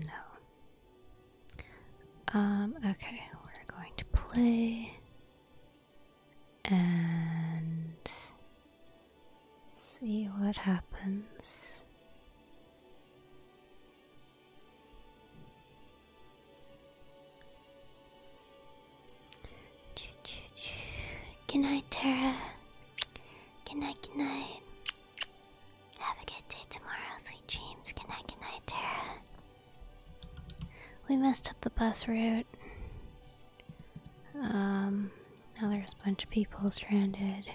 Um, okay, we're going to play and see what happens. Good night, Tara. Good night, good night. Have a good day tomorrow, sweet dreams. Good night, good night, Tara. We messed up the bus route. Um, now there's a bunch of people stranded.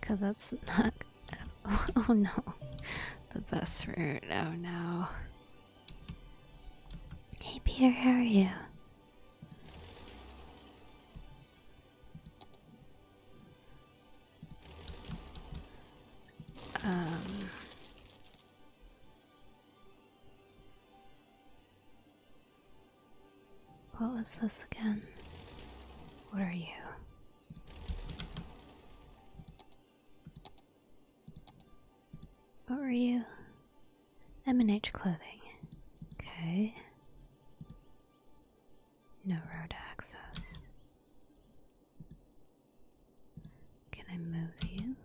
Because that's [LAUGHS] not. [LAUGHS] oh no. The bus route. Oh no. Hey Peter, how are you? Um, what was this again? What are you? What were you? M&H clothing. Okay. No road access. Can I move you?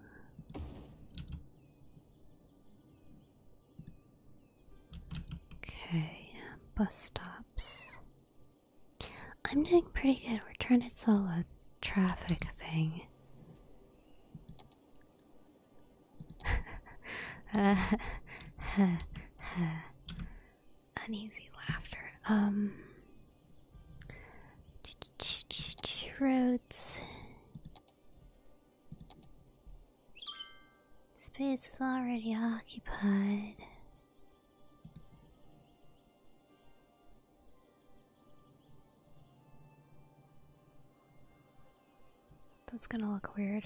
Okay, bus stops. I'm doing pretty good. We're trying to solve a traffic thing. [LAUGHS] uneasy laughter. Um, ch ch ch ch roads. Space is already occupied. That's gonna look weird.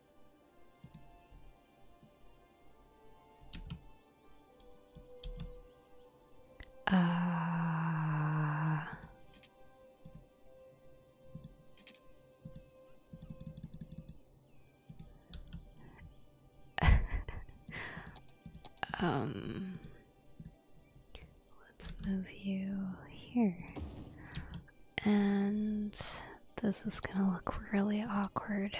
uh, [LAUGHS] um, let's move you here and this is gonna look really awkward.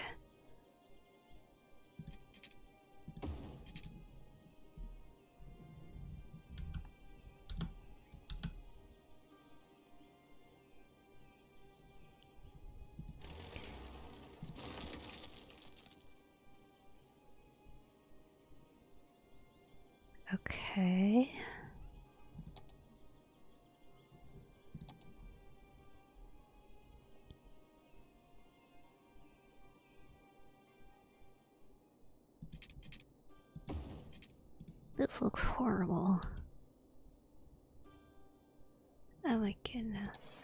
Okay. This looks horrible. Oh my goodness.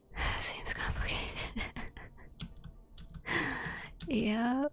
[SIGHS] Seems complicated. [LAUGHS] yep.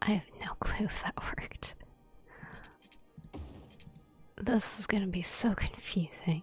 I have no clue if that [LAUGHS] worked. This is going to be so confusing.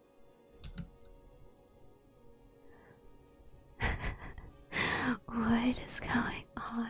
[LAUGHS] what is going on?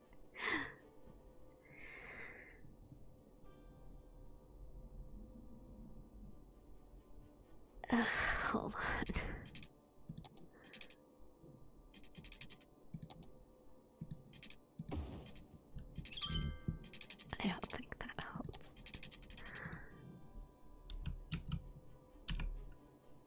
hold on. I don't think
that helps.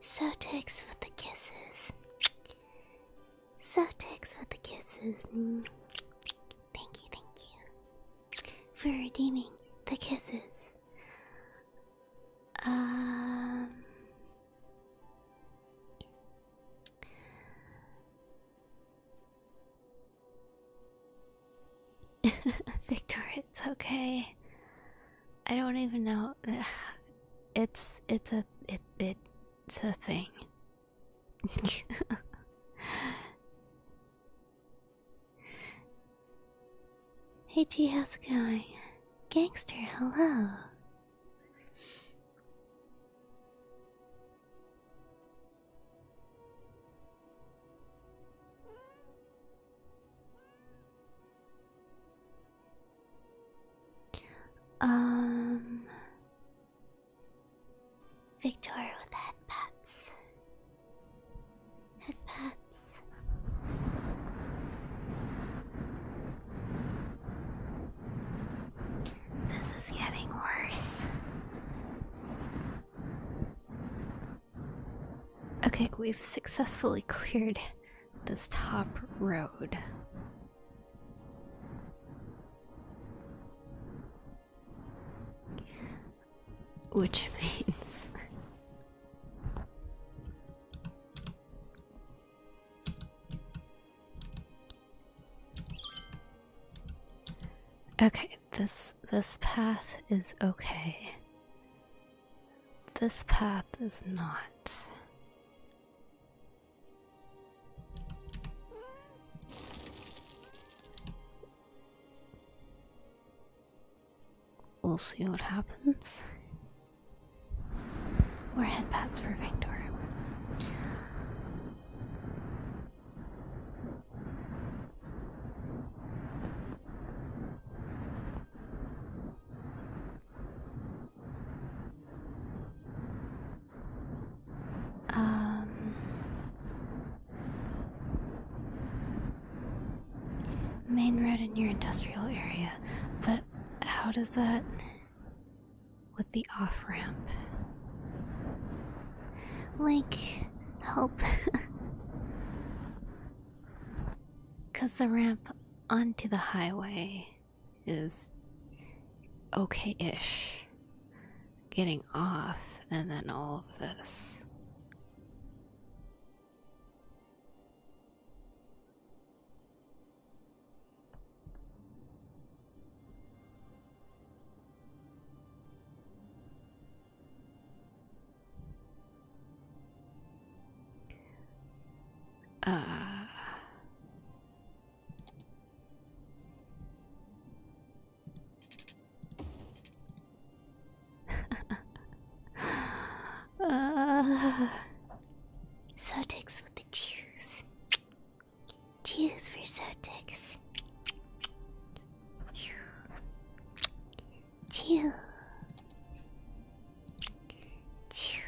So ticks with the kisses. So ticks with the kisses. Thank you, thank you. For redeeming the kisses. Um [LAUGHS] Victor, it's okay. I don't even know. [SIGHS] It's it's a it it's a thing. [LAUGHS] hey G, how's it going? Gangster, hello. Um Victoria with headpads. Headpads. This is getting worse. Okay, we've successfully cleared this top road. Which [LAUGHS] means Okay, this this path is okay. This path is not. We'll see what happens. We're headpads for Victor. Um, main road in your industrial area, but how does that with the off ramp? Like, help. Because [LAUGHS] the ramp onto the highway is okay ish. Getting off, and then all of this.
Ah.
uh, [LAUGHS] Sotex with the juice.
Juice for Sotex. Chew.
Chew.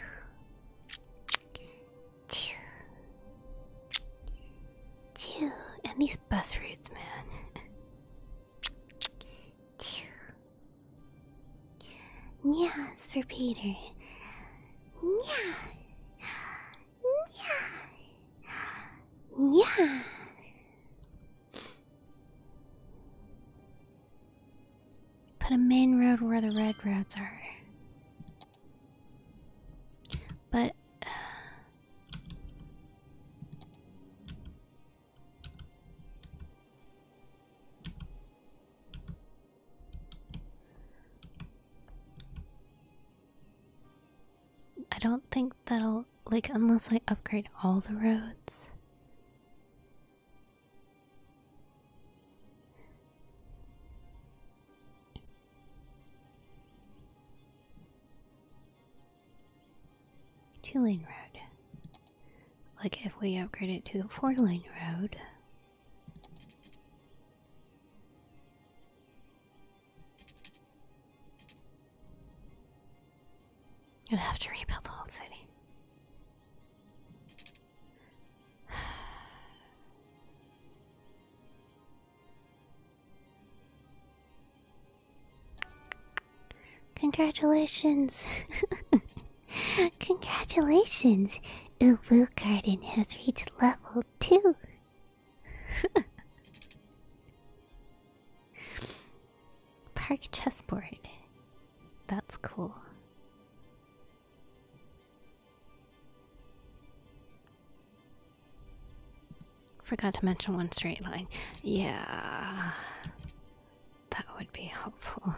Chew. Chew. And these bus routes, man. Chew. it's for Peter. Nyah. Nyah. Nyah. Put a main road where the red roads are. But. Uh, I don't think that'll, like, unless I upgrade all the roads. Two lane road. Like if we upgrade it to a four lane road. I'd have to rebuild the whole city. Congratulations! [LAUGHS] Congratulations! Ubu Garden has reached level 2! [LAUGHS] Park chessboard. That's cool. Forgot to mention one straight line. Yeah, that would be helpful.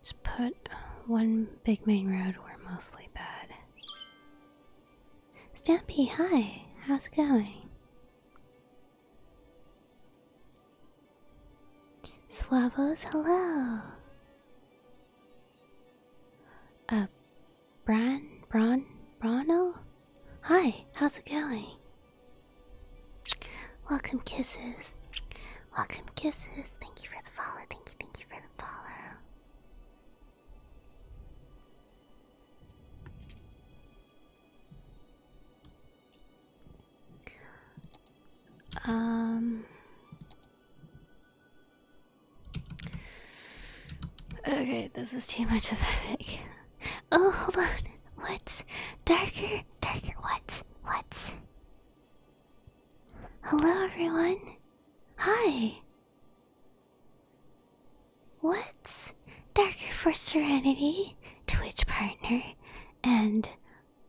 Just put one big main road where mostly bad. Stampy, hi! How's it going? Swabos, hello! Uh, Bran? Bron? Brono? Hi, how's it going? Welcome kisses. Welcome kisses. Thank you for the follow. Thank you, thank you for the follow. Um Okay, this is too much of a headache. Oh hold on. What's darker darker. what's, what's? Hello, everyone. Hi. What's darker for serenity, Twitch partner, and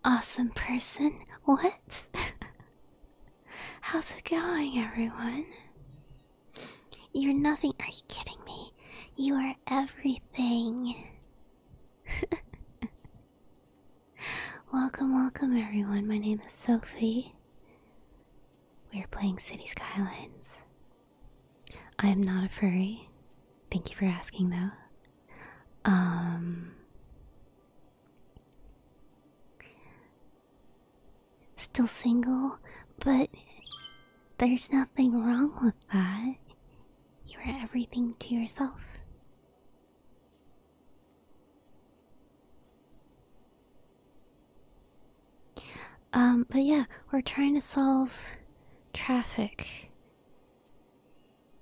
awesome person? What's? [LAUGHS] How's it going, everyone? You're nothing. Are you kidding me? You are everything. [LAUGHS] Welcome, welcome everyone. My name is Sophie. We are playing City Skylines. I am not a furry. Thank you for asking though. Um Still single, but there's nothing wrong with that. You are everything to yourself. Um, but yeah, we're trying to solve traffic.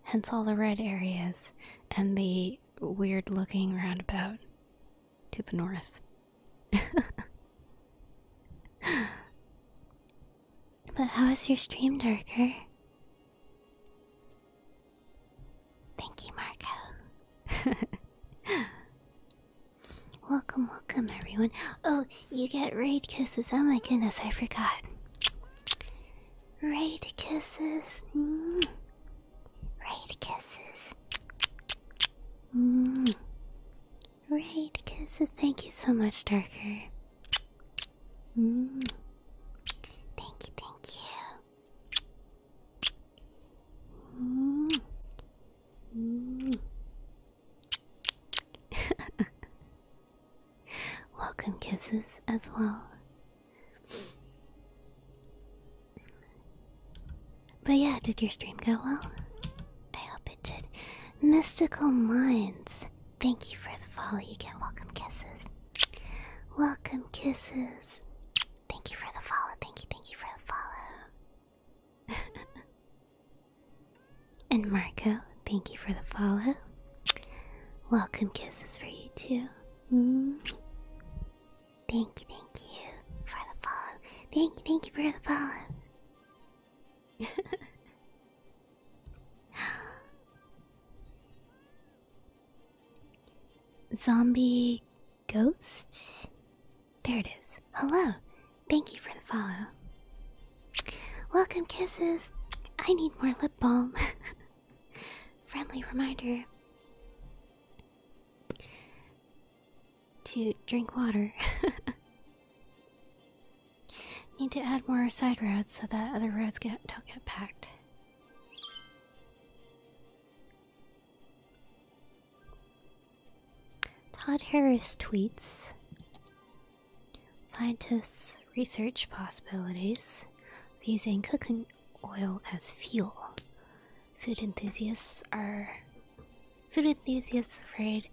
Hence all the red areas and the weird looking roundabout to the north. [LAUGHS] but how is your stream, Darker? Thank you, Marco. [LAUGHS] welcome, welcome, everyone. Oh, you get raid kisses. Oh my goodness, I forgot. Raid kisses. Mm. Raid kisses. Mm. Raid kisses. Thank you so much, Darker. Thank you, thank you. Welcome kisses as well. But yeah, did your stream go well? I hope it did. Mystical Minds. Thank you for the follow. You get welcome kisses. Welcome kisses. Thank you for the follow. Thank you, thank you for the follow. [LAUGHS] and Marco, thank you for the follow. Welcome kisses for you too. Mm. Thank you, thank you for the follow. Thank you, thank you for the follow. [LAUGHS] Zombie Ghost? There it is. Hello. Thank you for the follow. Welcome, kisses. I need more lip balm. [LAUGHS] Friendly reminder to drink water. [LAUGHS] need to add more side roads so that other roads get, don't get packed. Todd Harris tweets Scientists research possibilities of using cooking oil as fuel. Food enthusiasts are food enthusiasts afraid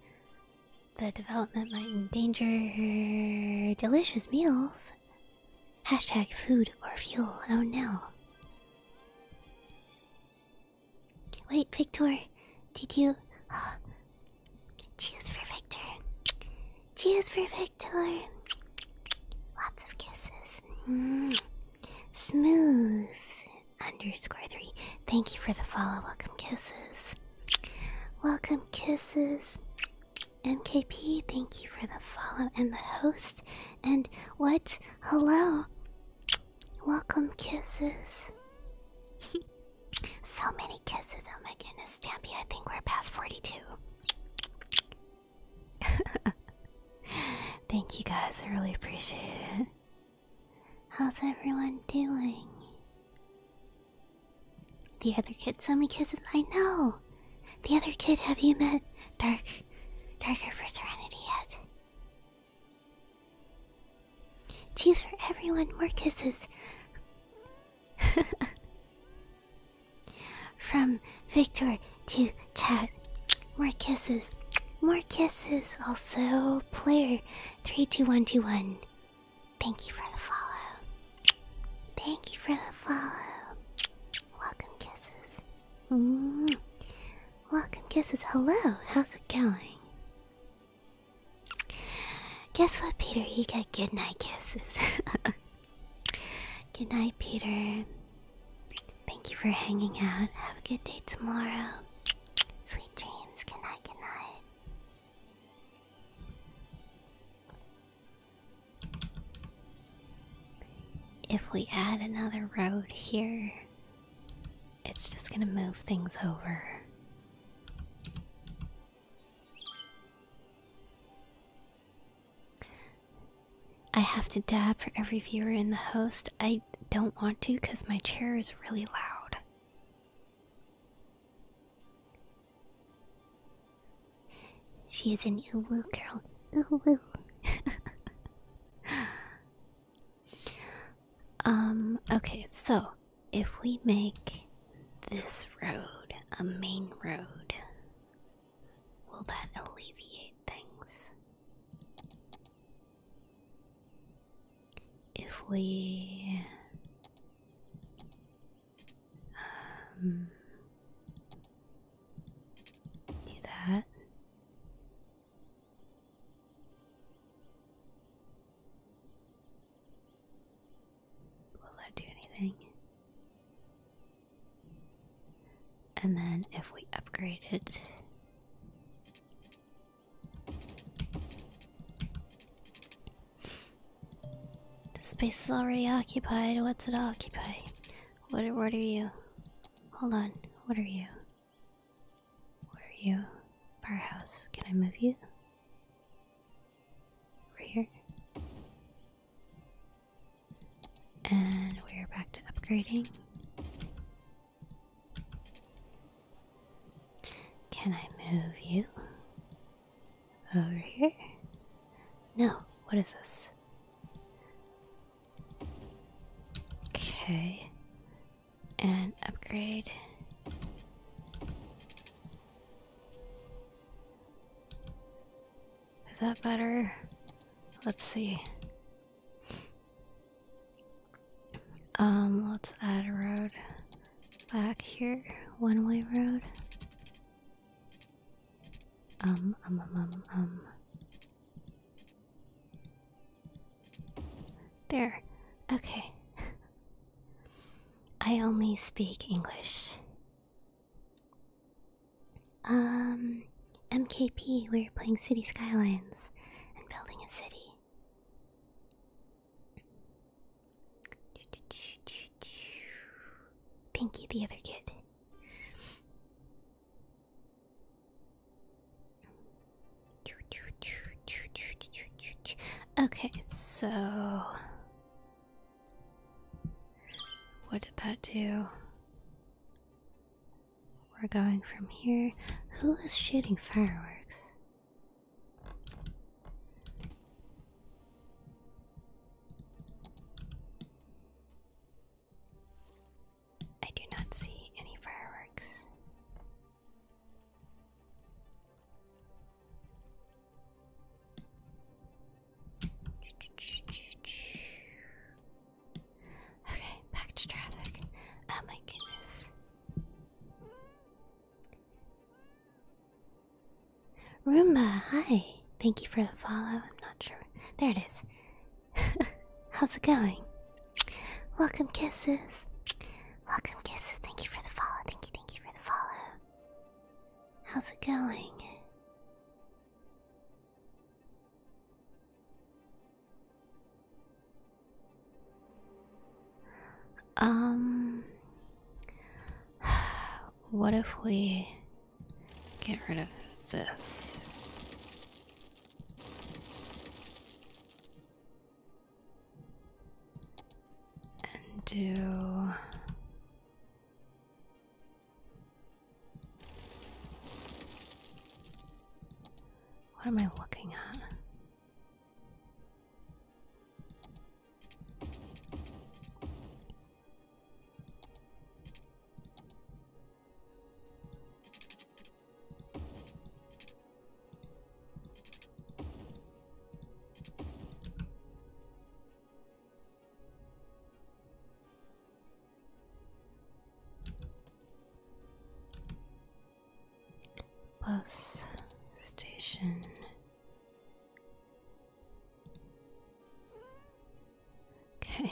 the development might endanger delicious meals Hashtag food or fuel, oh no. Wait, Victor, did you. Oh. Cheers for Victor. Cheers for Victor. Lots of kisses. Mm. Smooth underscore three. Thank you for the follow. Welcome kisses. Welcome kisses. MKP, thank you for the follow and the host. And what? Hello. Welcome, kisses. [LAUGHS] so many kisses. Oh my goodness, Stampy, I think we're past 42. [LAUGHS] Thank you guys, I really appreciate it. How's everyone doing? The other kid, so many kisses. I know. The other kid, have you met Dark, Darker for Serenity yet? Cheese for everyone, more kisses. [LAUGHS] From Victor to chat, more kisses, more kisses. Also, player three two one two one. Thank you for the follow. Thank you for the follow. Welcome kisses. Mm. Welcome kisses. Hello, how's it going? Guess what, Peter? You get good night kisses. [LAUGHS] good night, Peter. Thank you for hanging out. Have a good day tomorrow. Sweet dreams. Good night, good night. If we add another road here, it's just going to move things over. I have to dab for every viewer in the host. I don't want to because my chair is really loud. She is an ooh woo girl. Ooh [LAUGHS] um, okay, so if we make this road a main road, will that alleviate things? If we um, do that. Will that do anything? And then if we upgrade it. The space is already occupied. What's it occupy? What are, what are you? Hold on. What are you? What are you? Firehouse. Can I move you? Over here. And we're back to upgrading. Can I move you? Over here? No, what is this? Okay. And upgrade. Is that better? Let's see. Um, let's add a road back here. One way road. Um, um, um, um, um. There. Okay. I only speak English. Um, MKP, we we're playing City Skylines and building a city. Thank you, the other kid. Okay, so what did that do? We're going from here. Who is shooting fireworks? I do not see any fireworks. Okay, back to traffic. Oh my goodness. Roomba, hi. Thank you for the follow. I'm not sure. There it is. [LAUGHS] How's it going? Welcome, kisses. Welcome, kisses. Thank you for the follow. Thank you, thank you for the follow. How's it going? Um, [SIGHS] what if we get rid of this. And do what am I looking at?
Bus station
Okay.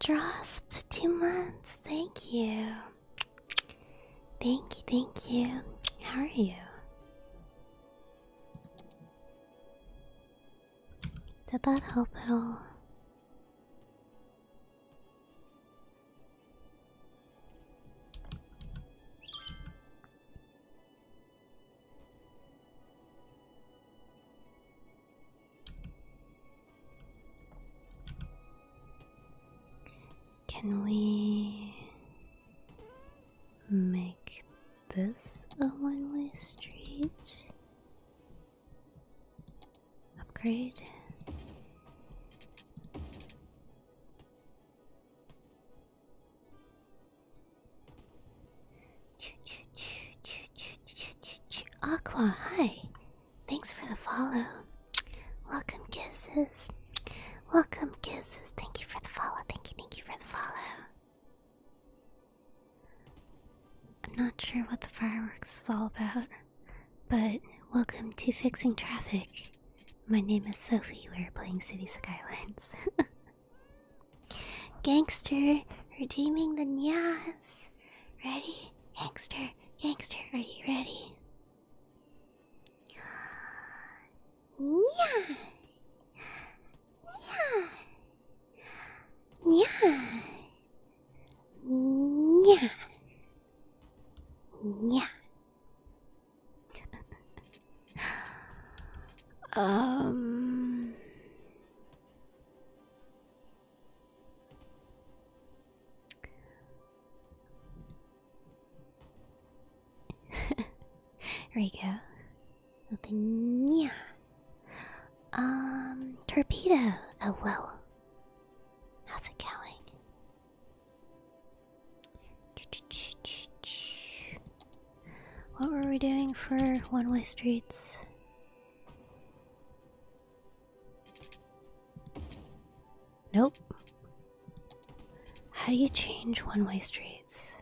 Dross for two months. Thank you. Thank you, thank you. How are you? Did that help at all? Can we make this a one way street? Upgrade. Aqua, hi. Thanks for the follow. Welcome kisses. Welcome kisses. Thank you for the follow. Thank you, thank you for the follow. I'm not sure what the fireworks is all about, but welcome to Fixing Traffic. My name is Sophie. We're playing City Skylines. [LAUGHS] Gangster redeeming the nias. Ready? Gangster, gangster, are you ready? Nya! Nya! Nya!
Nya! Nya! [LAUGHS] um
Rico. Yeah. Um, torpedo. Oh, whoa. How's it going? What were we doing for one way streets? Nope. How do you change one way streets?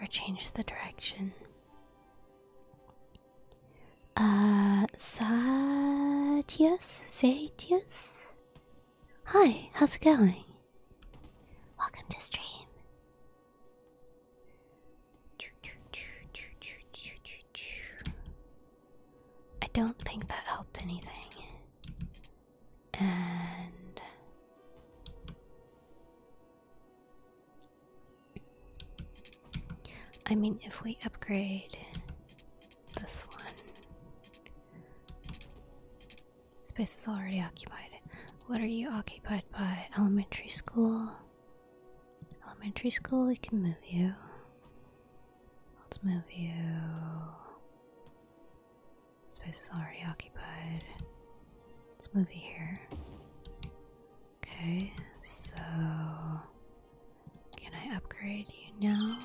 Or change the direction? Uh, Satius? Satius? Hi, how's it going? Welcome to stream. I don't think that helped anything. And I mean, if we upgrade this one, space is already occupied. What are you occupied by? Elementary school? Elementary school, we can move you. Let's move you. Space is already occupied. Let's move you here. Okay, so can I upgrade you now?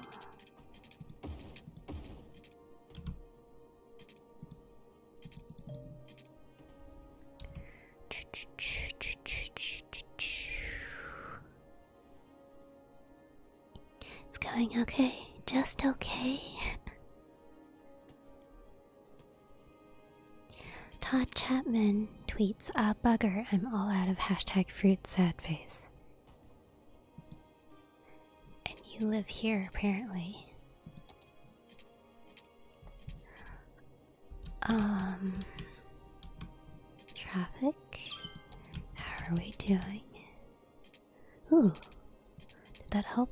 It's going okay, just okay. Todd Chapman tweets, "A bugger, I'm all out of hashtag fruit sad face. And you live here apparently. Um, traffic. How are we doing? Ooh, did that help?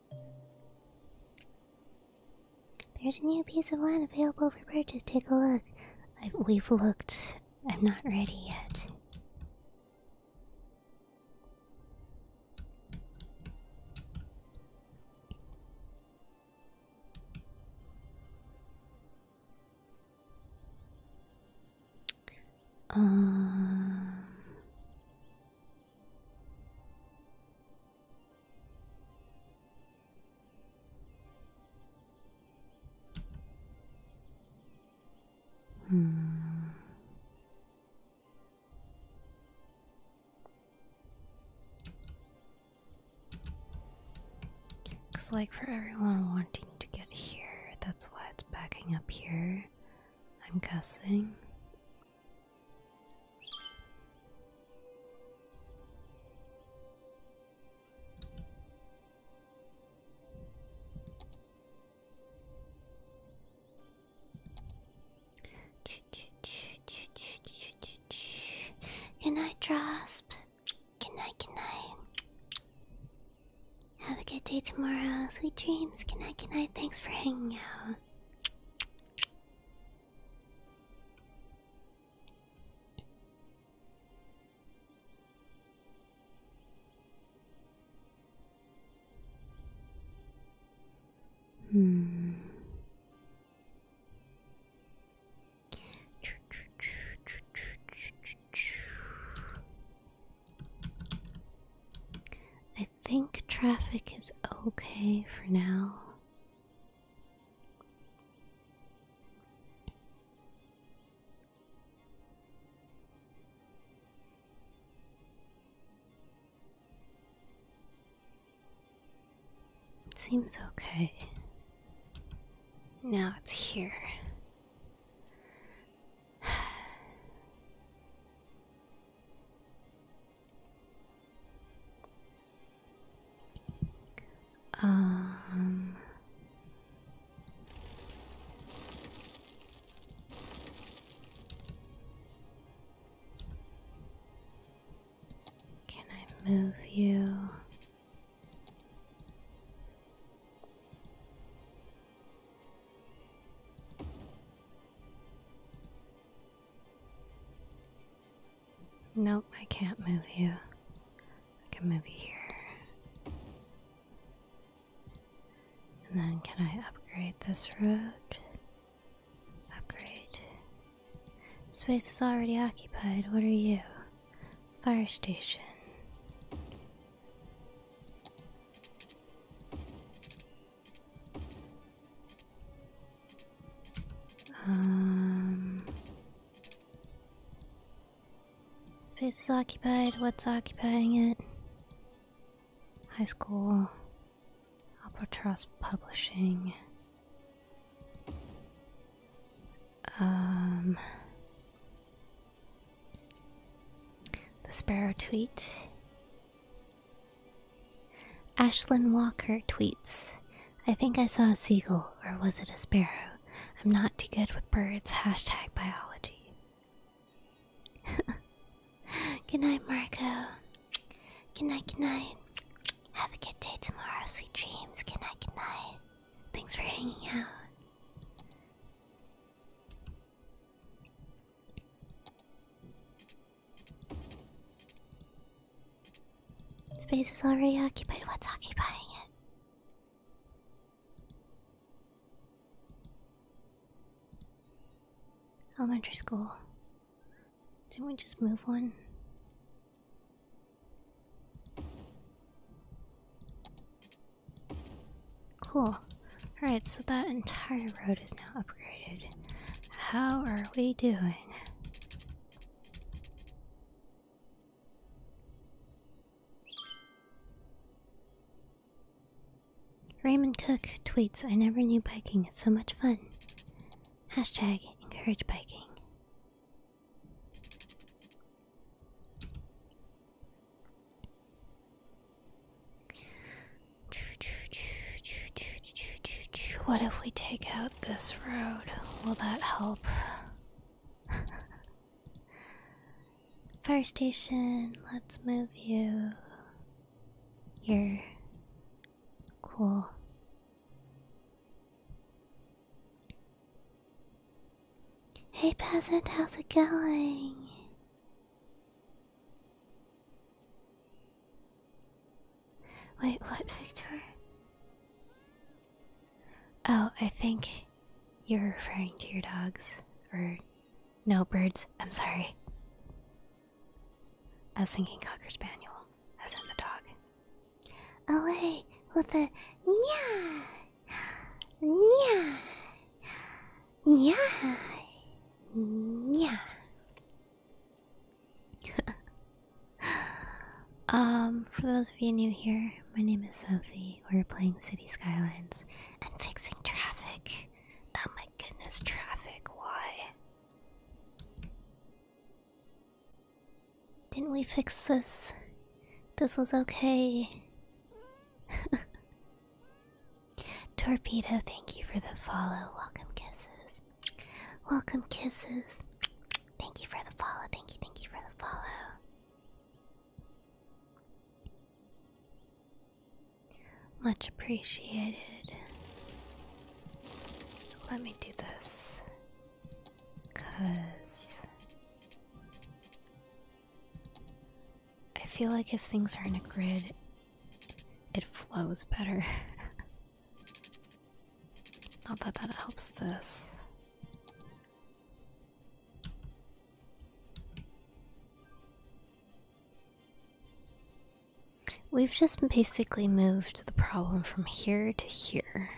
There's a new piece of land available for purchase. Take a look. we've looked. I'm not ready yet.
Um, Hmm.
Cause like for everyone wanting to get here, that's why it's backing up here. I'm guessing. Good night, Drosp. Good night, good night. Have a good day tomorrow. Sweet dreams. Good night, good night. Thanks for hanging out. Hmm. I think traffic is okay for now seems okay. Now it's here. [SIGHS] Um Can I move you? Nope, I can't move you. I can move you here. And then can I upgrade this road? Upgrade. Space is already occupied. What are you? Fire station. Um, space is occupied. What's occupying it? High school. Albatross Publishing. Um, the Sparrow Tweet. Ashlyn Walker tweets I think I saw a seagull, or was it a sparrow? I'm not too good with birds. Hashtag biology. [LAUGHS] good night, Marco. Good night, good night. Have a good day tomorrow. Sweet dreams. Good night, good night. Thanks for hanging out. Space is already occupied. What's occupying it? Elementary school. Didn't we just move one? Cool. Alright, so that entire road is now upgraded. How are we doing? Raymond Cook tweets, I never knew biking is so much fun. Hashtag encourage biking. What if we take out this road. Will that help? [LAUGHS] Fire station, let's move you You're Cool. Hey peasant, how's it going? Wait, what, Victor? Oh, I think you're referring to your dogs. Or, no, birds. I'm sorry. I was thinking Cocker Spaniel, as in the dog. Away oh, with the nya, nya, nya, nya. [LAUGHS] um, for those of you new here, my name is Sophie. We're playing City Skylines and fixing traffic. Oh my goodness, traffic, why? Didn't we fix this? This was okay. [LAUGHS] Torpedo, thank you for the follow. Welcome kisses. Welcome, kisses. Thank you for the follow. Thank you, thank you for the follow. Much appreciated. Let me do this. Because I feel like if things are in a grid, it flows better. [LAUGHS] Not that that helps this. We've just basically moved the problem from here to here.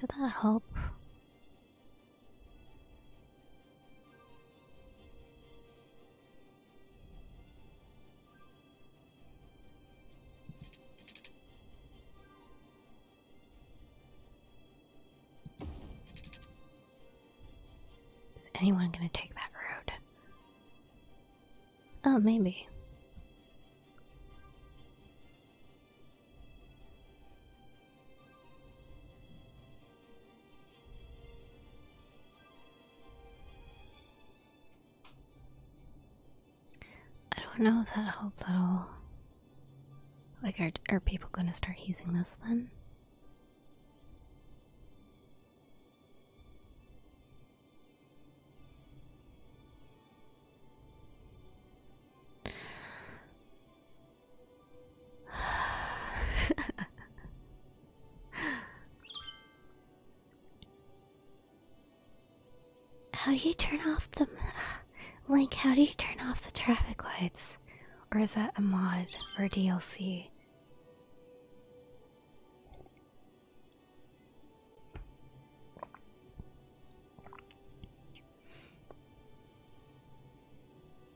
Did that help? Is anyone going to take that road? Oh, maybe. I don't know if that helped at all. Like, are, are people gonna start using this then? how do you turn off the like how do you turn off the traffic lights or is that a mod or dlc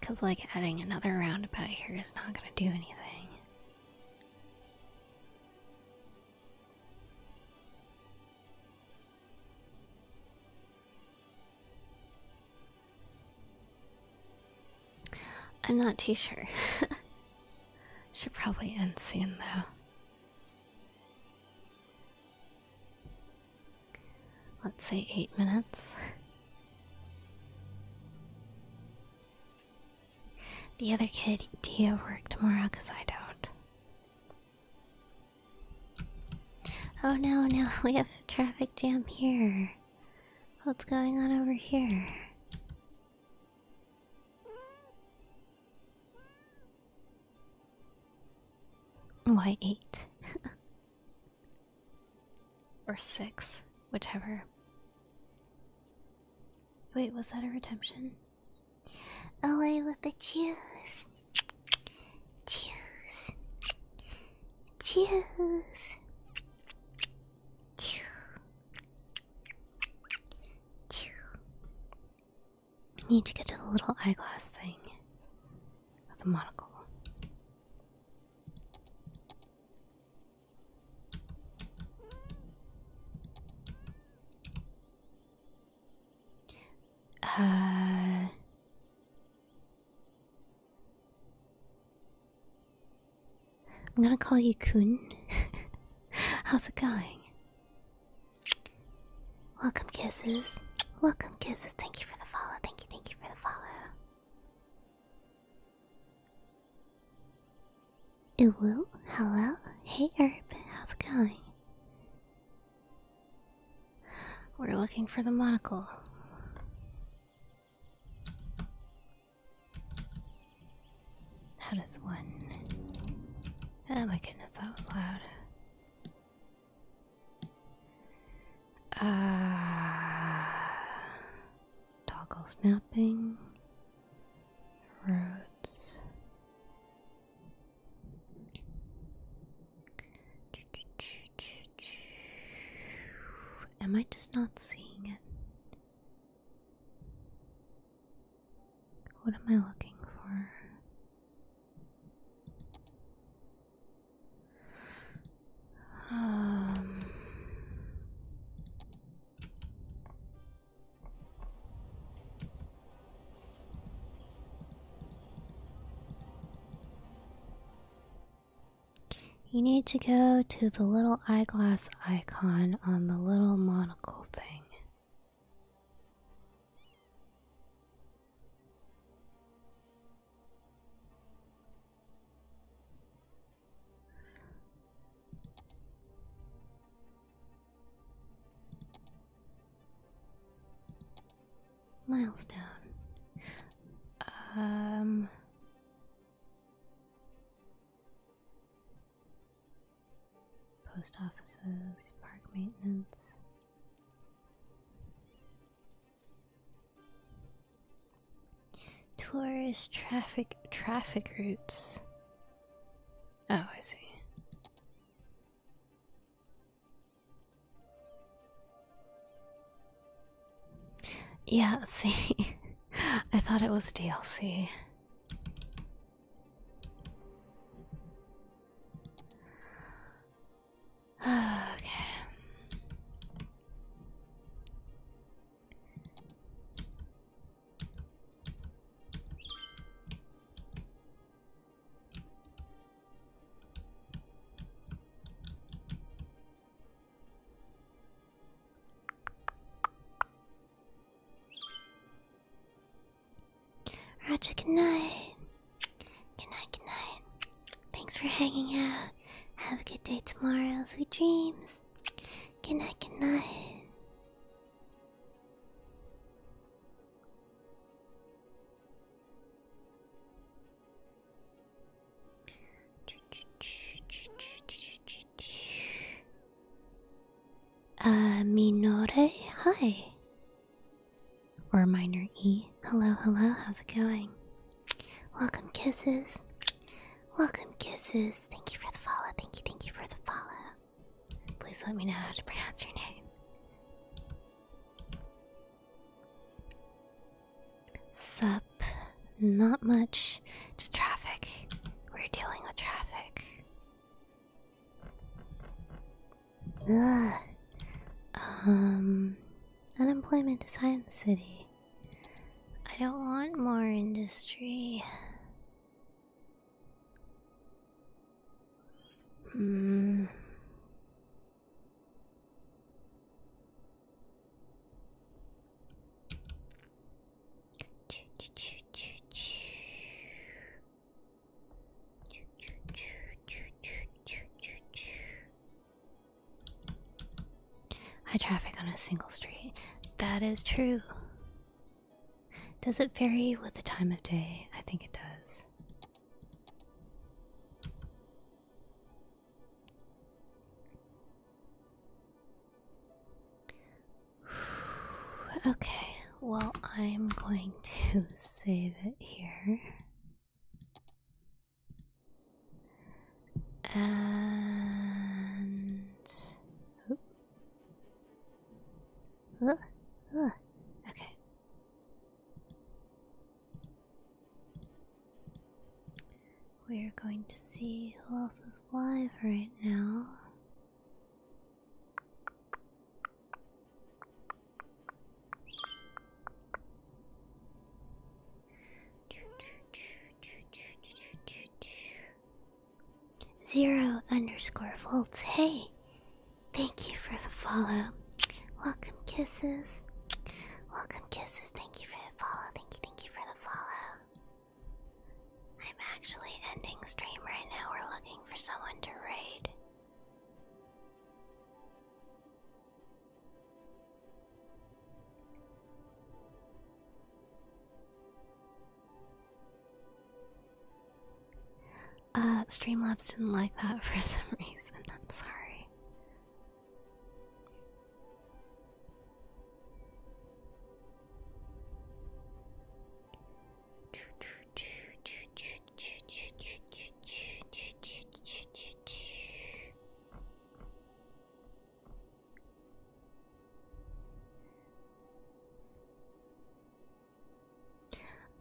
because, like, adding another roundabout here is not going to do anything. I'm not too sure. [LAUGHS] Should probably end soon, though let's say eight minutes. The other kid, do you work tomorrow? Because I don't. Oh no, no, [LAUGHS] we have a traffic jam here. What's going on over here? Why eight? [LAUGHS] Or six, whichever. Wait, was that a redemption? Away with the choose. Choose. Choose. Chew. I need to get to the little eyeglass thing. With the monocle. Uh, I'm gonna call you Kun. [LAUGHS] How's it going? Welcome, kisses. Welcome, kisses. Thank you for the follow. Thank you, thank you for the follow. Ooh, hello. Hey, Herb. How's it going? We're looking for the monocle. How does one? Oh my goodness, that was loud. Uh, toggle snapping, roads. Am I just not seeing it? What am I looking for?
Um,
you need to go to the little eyeglass icon on the little monocle thing. Milestone. Um. Post offices, park maintenance. Tourist traffic traffic routes. Oh, I see. Yeah, [LAUGHS] see, I thought it was DLC. [SIGHS] okay. Roger, good night. Thanks for hanging out. Have a good day tomorrow. Sweet dreams. Good night, good night. Uh, Minore, hi. Or minor E hello, hello, how's it going? Welcome, kisses. Welcome, kisses. Thank you for the follow. Thank you, thank you for the follow. Please let me know how to pronounce your name. Sup, not much. Just traffic. We're dealing with traffic. Ugh. Um, unemployment is in the city. I don't want more industry. Hmm. High traffic on a single street. That is true. Does it vary with the time of day? I think it does. [SIGHS] Okay, well, I'm going to [LAUGHS] save it here. And
oh. Uh, Ugh. Uh, okay.
We're going to see who else is live right now. Zero underscore volts. Hey, thank you for the follow. Welcome kisses. Welcome kisses. Thank you for the follow. Thank you, thank you for the follow. I'm actually ending stream right now. We're looking for someone to raid. Uh, Streamlabs didn't like that [LAUGHS] for some reason. I'm sorry.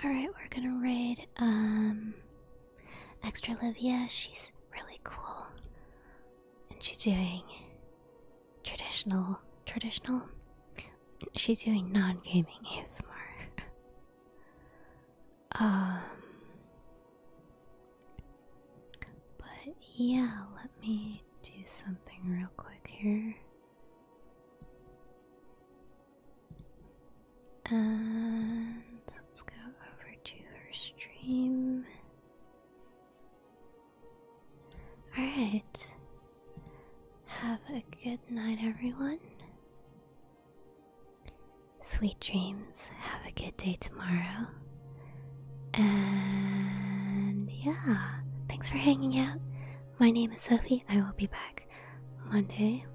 Alright, we're gonna raid um Extra Livia. She's really cool. And she's doing traditional traditional. She's doing non-gaming ASMR. um but yeah, let me do something real quick here. And let's go over to her stream. Alright. Have a good night, everyone. Sweet dreams. Have a good day tomorrow. And yeah, thanks for hanging out. My name is Sophie. I will be back Monday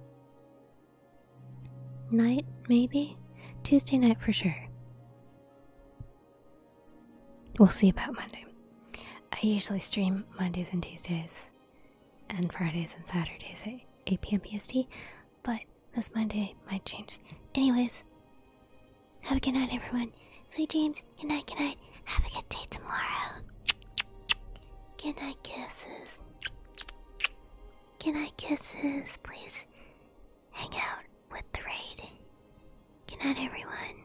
night, maybe? Tuesday night for sure. We'll see about Monday. I usually stream Mondays and Tuesdays and Fridays and Saturdays at 8 p.m. PST but this Monday might change. Anyways, have a good night, everyone. Sweet dreams. Good night. Good night. Have a good day tomorrow. Good night, kisses. Good night, kisses. Please hang out with the raid. Good night, everyone.